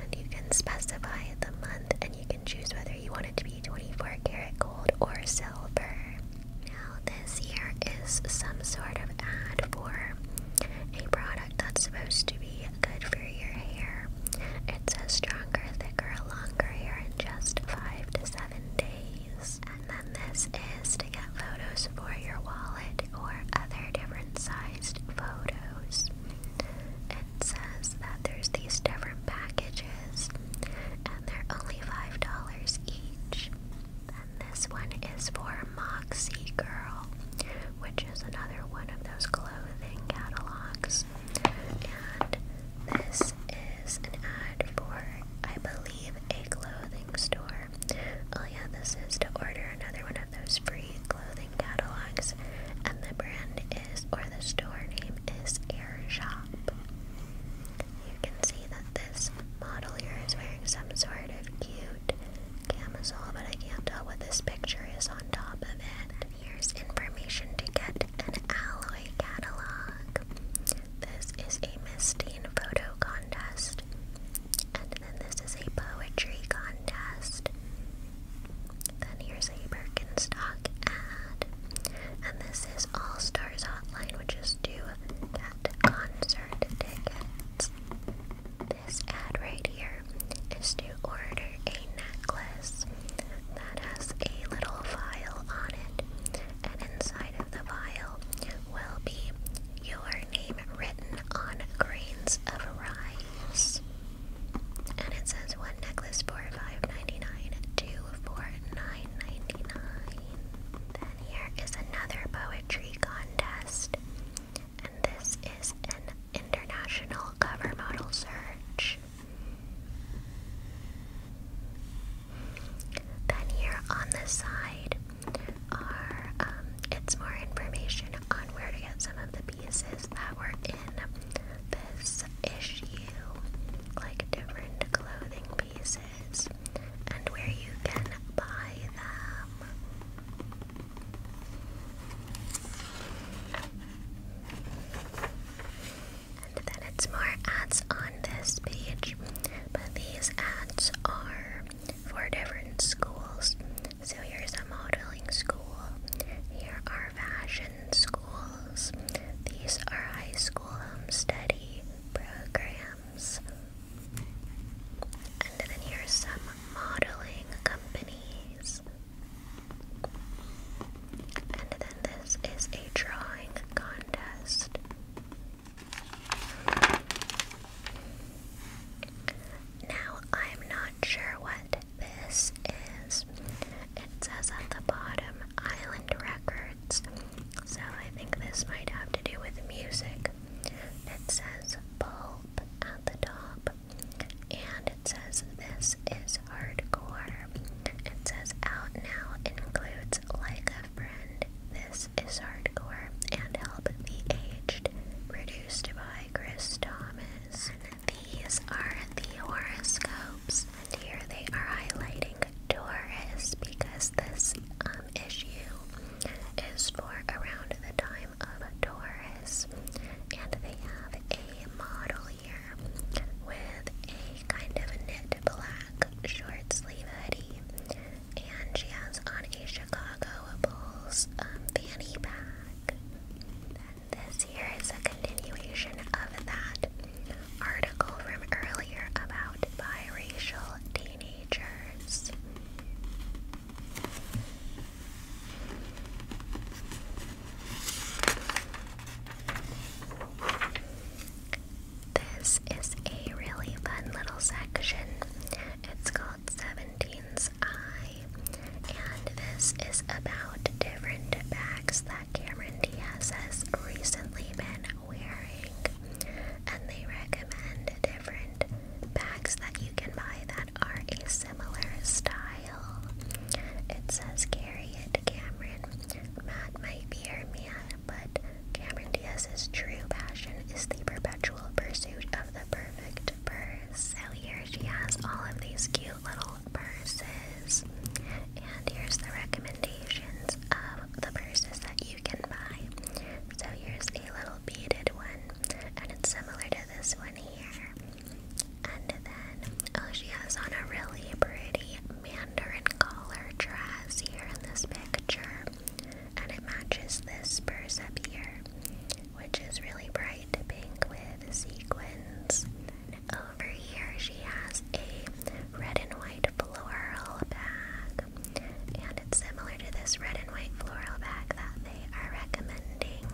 And you can specify the month and you can choose whether you want it to be 24 karat gold or silver. Now, this here is some sort of ad for a product that's supposed to be good for your hair. It says stronger, thicker, longer hair in just five to seven days. And then this is to get photos for your wallet or other different sized photos. It says that there's these different packages and they're only $5 each. And this one is for Moxie Girl, which is another one of those clothing catalogs. And this is an ad for, I believe, a clothing store Oh yeah, this is to order another one of those free clothing catalogs. And the brand is, or the store name is Air Shop. You can see that this model here is wearing some sort of cute camisole, but I can't tell what this picture is on top of it. And here's information to get an alloy catalog. This is a Mistine photo contest. And then this is a poetry contest. Then here's a Birkenstock ad. And this is All Stars Hotline, which is to get concert tickets. This ad right here is to order a necklace that has a little vial on it and inside of the vial will be your name written on grains of rice. And it says one necklace for five ninety nine, two for nine ninety nine. Then here is another poetry contest, and this is an international cover model search. Then here on the side are it's um, more information on where to get some of the pieces that were in this issue, like different clothing pieces and where you can buy them. And then it's more ads on this page, but these ads are four different schools. So here's a modeling school. Here are fashion schools. These are high school home study programs. And then here's some modeling companies. And then this is a drawing contest. Now, I'm not sure what this is. It says at the bottom Island Records, so I think this might have to do with music. It says Pulp at the top, and it says this is hardcore. It says Out Now includes Like this is Hardcore and Help the Aged, produced by Chris Thomas. These are the horoscopes, and here they are highlighting Taurus because this um, issue is for around the time of Taurus, and they have a model here with a kind of knit black short sleeve hoodie and she has on a Chicago Bulls um, fanny pack. this here is a continuation of that article from earlier about biracial teenagers. This is a really fun little section. It's called 17's Eye, and this is about different bags that Cameron Diaz has recently been wearing. And they recommend different bags that you can buy that are a similar style. It says, Carry it, Cameron. Matt might be your man, but Cameron Diaz's true passion is the perpetual pursuit of the perfect purse. So here she has all of these cute little purses. And here's the recommendations of the purses that you can buy. So here's a little beaded one, and it's similar to this one here. And then, oh, she has on a really pretty mandarin collar dress here in this picture and it matches this purse up here, which is really bright pink with sequins. Over here, she has a red and white floral bag, and it's similar to this red and white floral bag that they are recommending.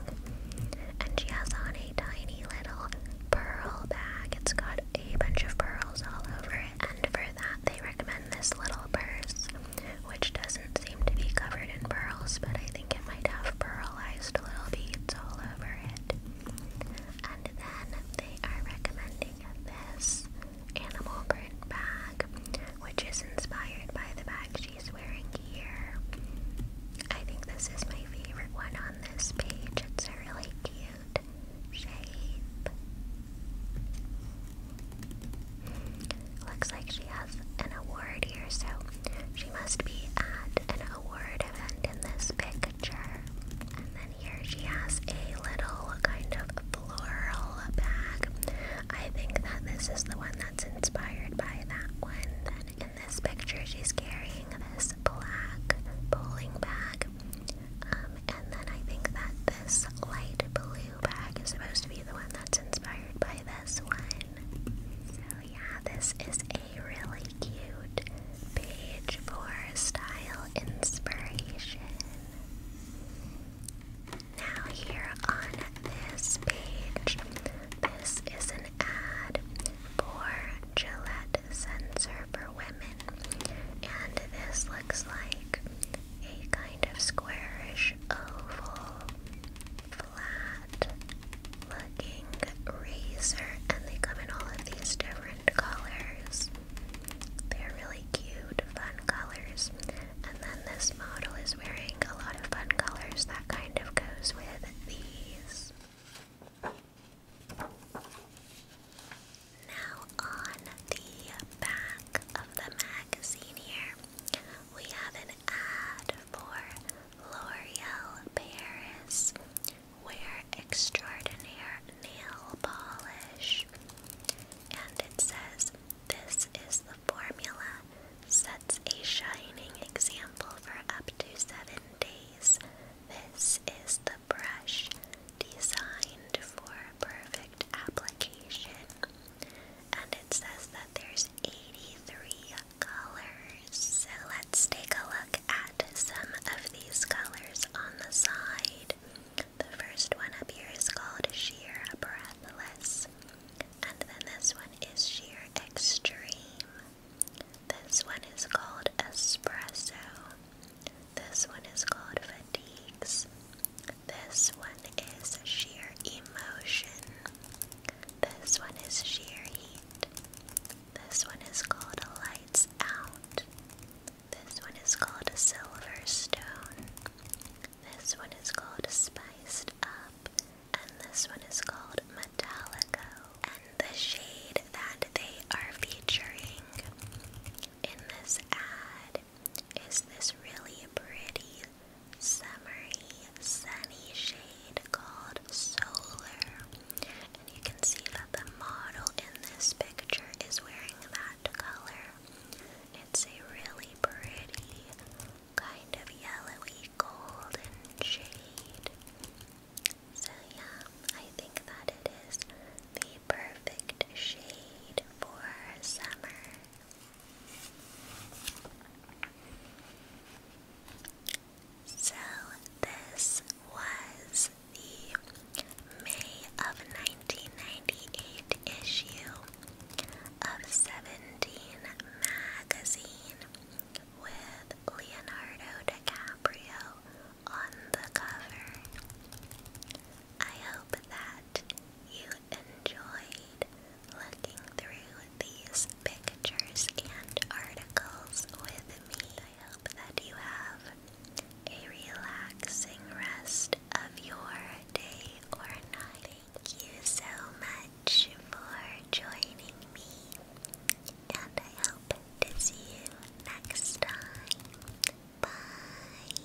And she has on a tiny little pearl bag, it's got a bunch of pearls all over it and for that they recommend this little purse, which doesn't seem to be covered in pearls, but I think it might have pearlized little beads all over it. And then they are recommending this animal print bag, which is inspired by the bag she's wearing here. I think this is my favorite one on this page. It's a really cute shape. Looks like she has an award here, so she must be at an award event in this picture. And then here she has a little kind of floral bag. I think that this is the one that's inspired by that one. Then in this picture, she's carrying this black pulling bag. Um, and then I think that this light blue bag is supposed to be the one that's inspired by this one. So, yeah, this is a really cute page for style inspiration. Now, here on this page, this is an ad for Gillette Sensor for Women, and this looks like a kind of squarish oval, flat looking razor, and they come in all of these different colors. They're really cute, fun colors. And then this model is wearing a lot of fun colors that kind of goes with these. Now on the back of the magazine here, we have an ad for L'Oreal Paris Wear Extraordinaire Nail Polish. And it says, This is the formula, sets a shining example for up to seven days. This is the brush designed for perfect application. And it says that there's 83 colors. So let's take a look at some of these colors on the side. The first one up here is called Sheer Breathless. And then this one is Sheer Extreme. This one is called Espresso. This one is called Fatigues. This one is sheer emotion. This one is sheer heat. This one is called lights out. This one is called silver stone. This one is called spiced up. And this one is called metalico. And the shade that they are featuring in this ad is this really a pretty, summery, sunny shade called Solar. And you can see that the model in this picture is wearing that color. It's a really pretty, kind of yellowy golden shade. So, yeah, I think that it is the perfect shade for summer. So, this was the May of 1998 issue of 17 magazine with Leonardo DiCaprio on the cover. I hope that you enjoyed looking through these pictures and articles with me. I hope that you have a relaxing rest of your day or night. Thank you so much for joining me, and I hope to see you next time. Bye.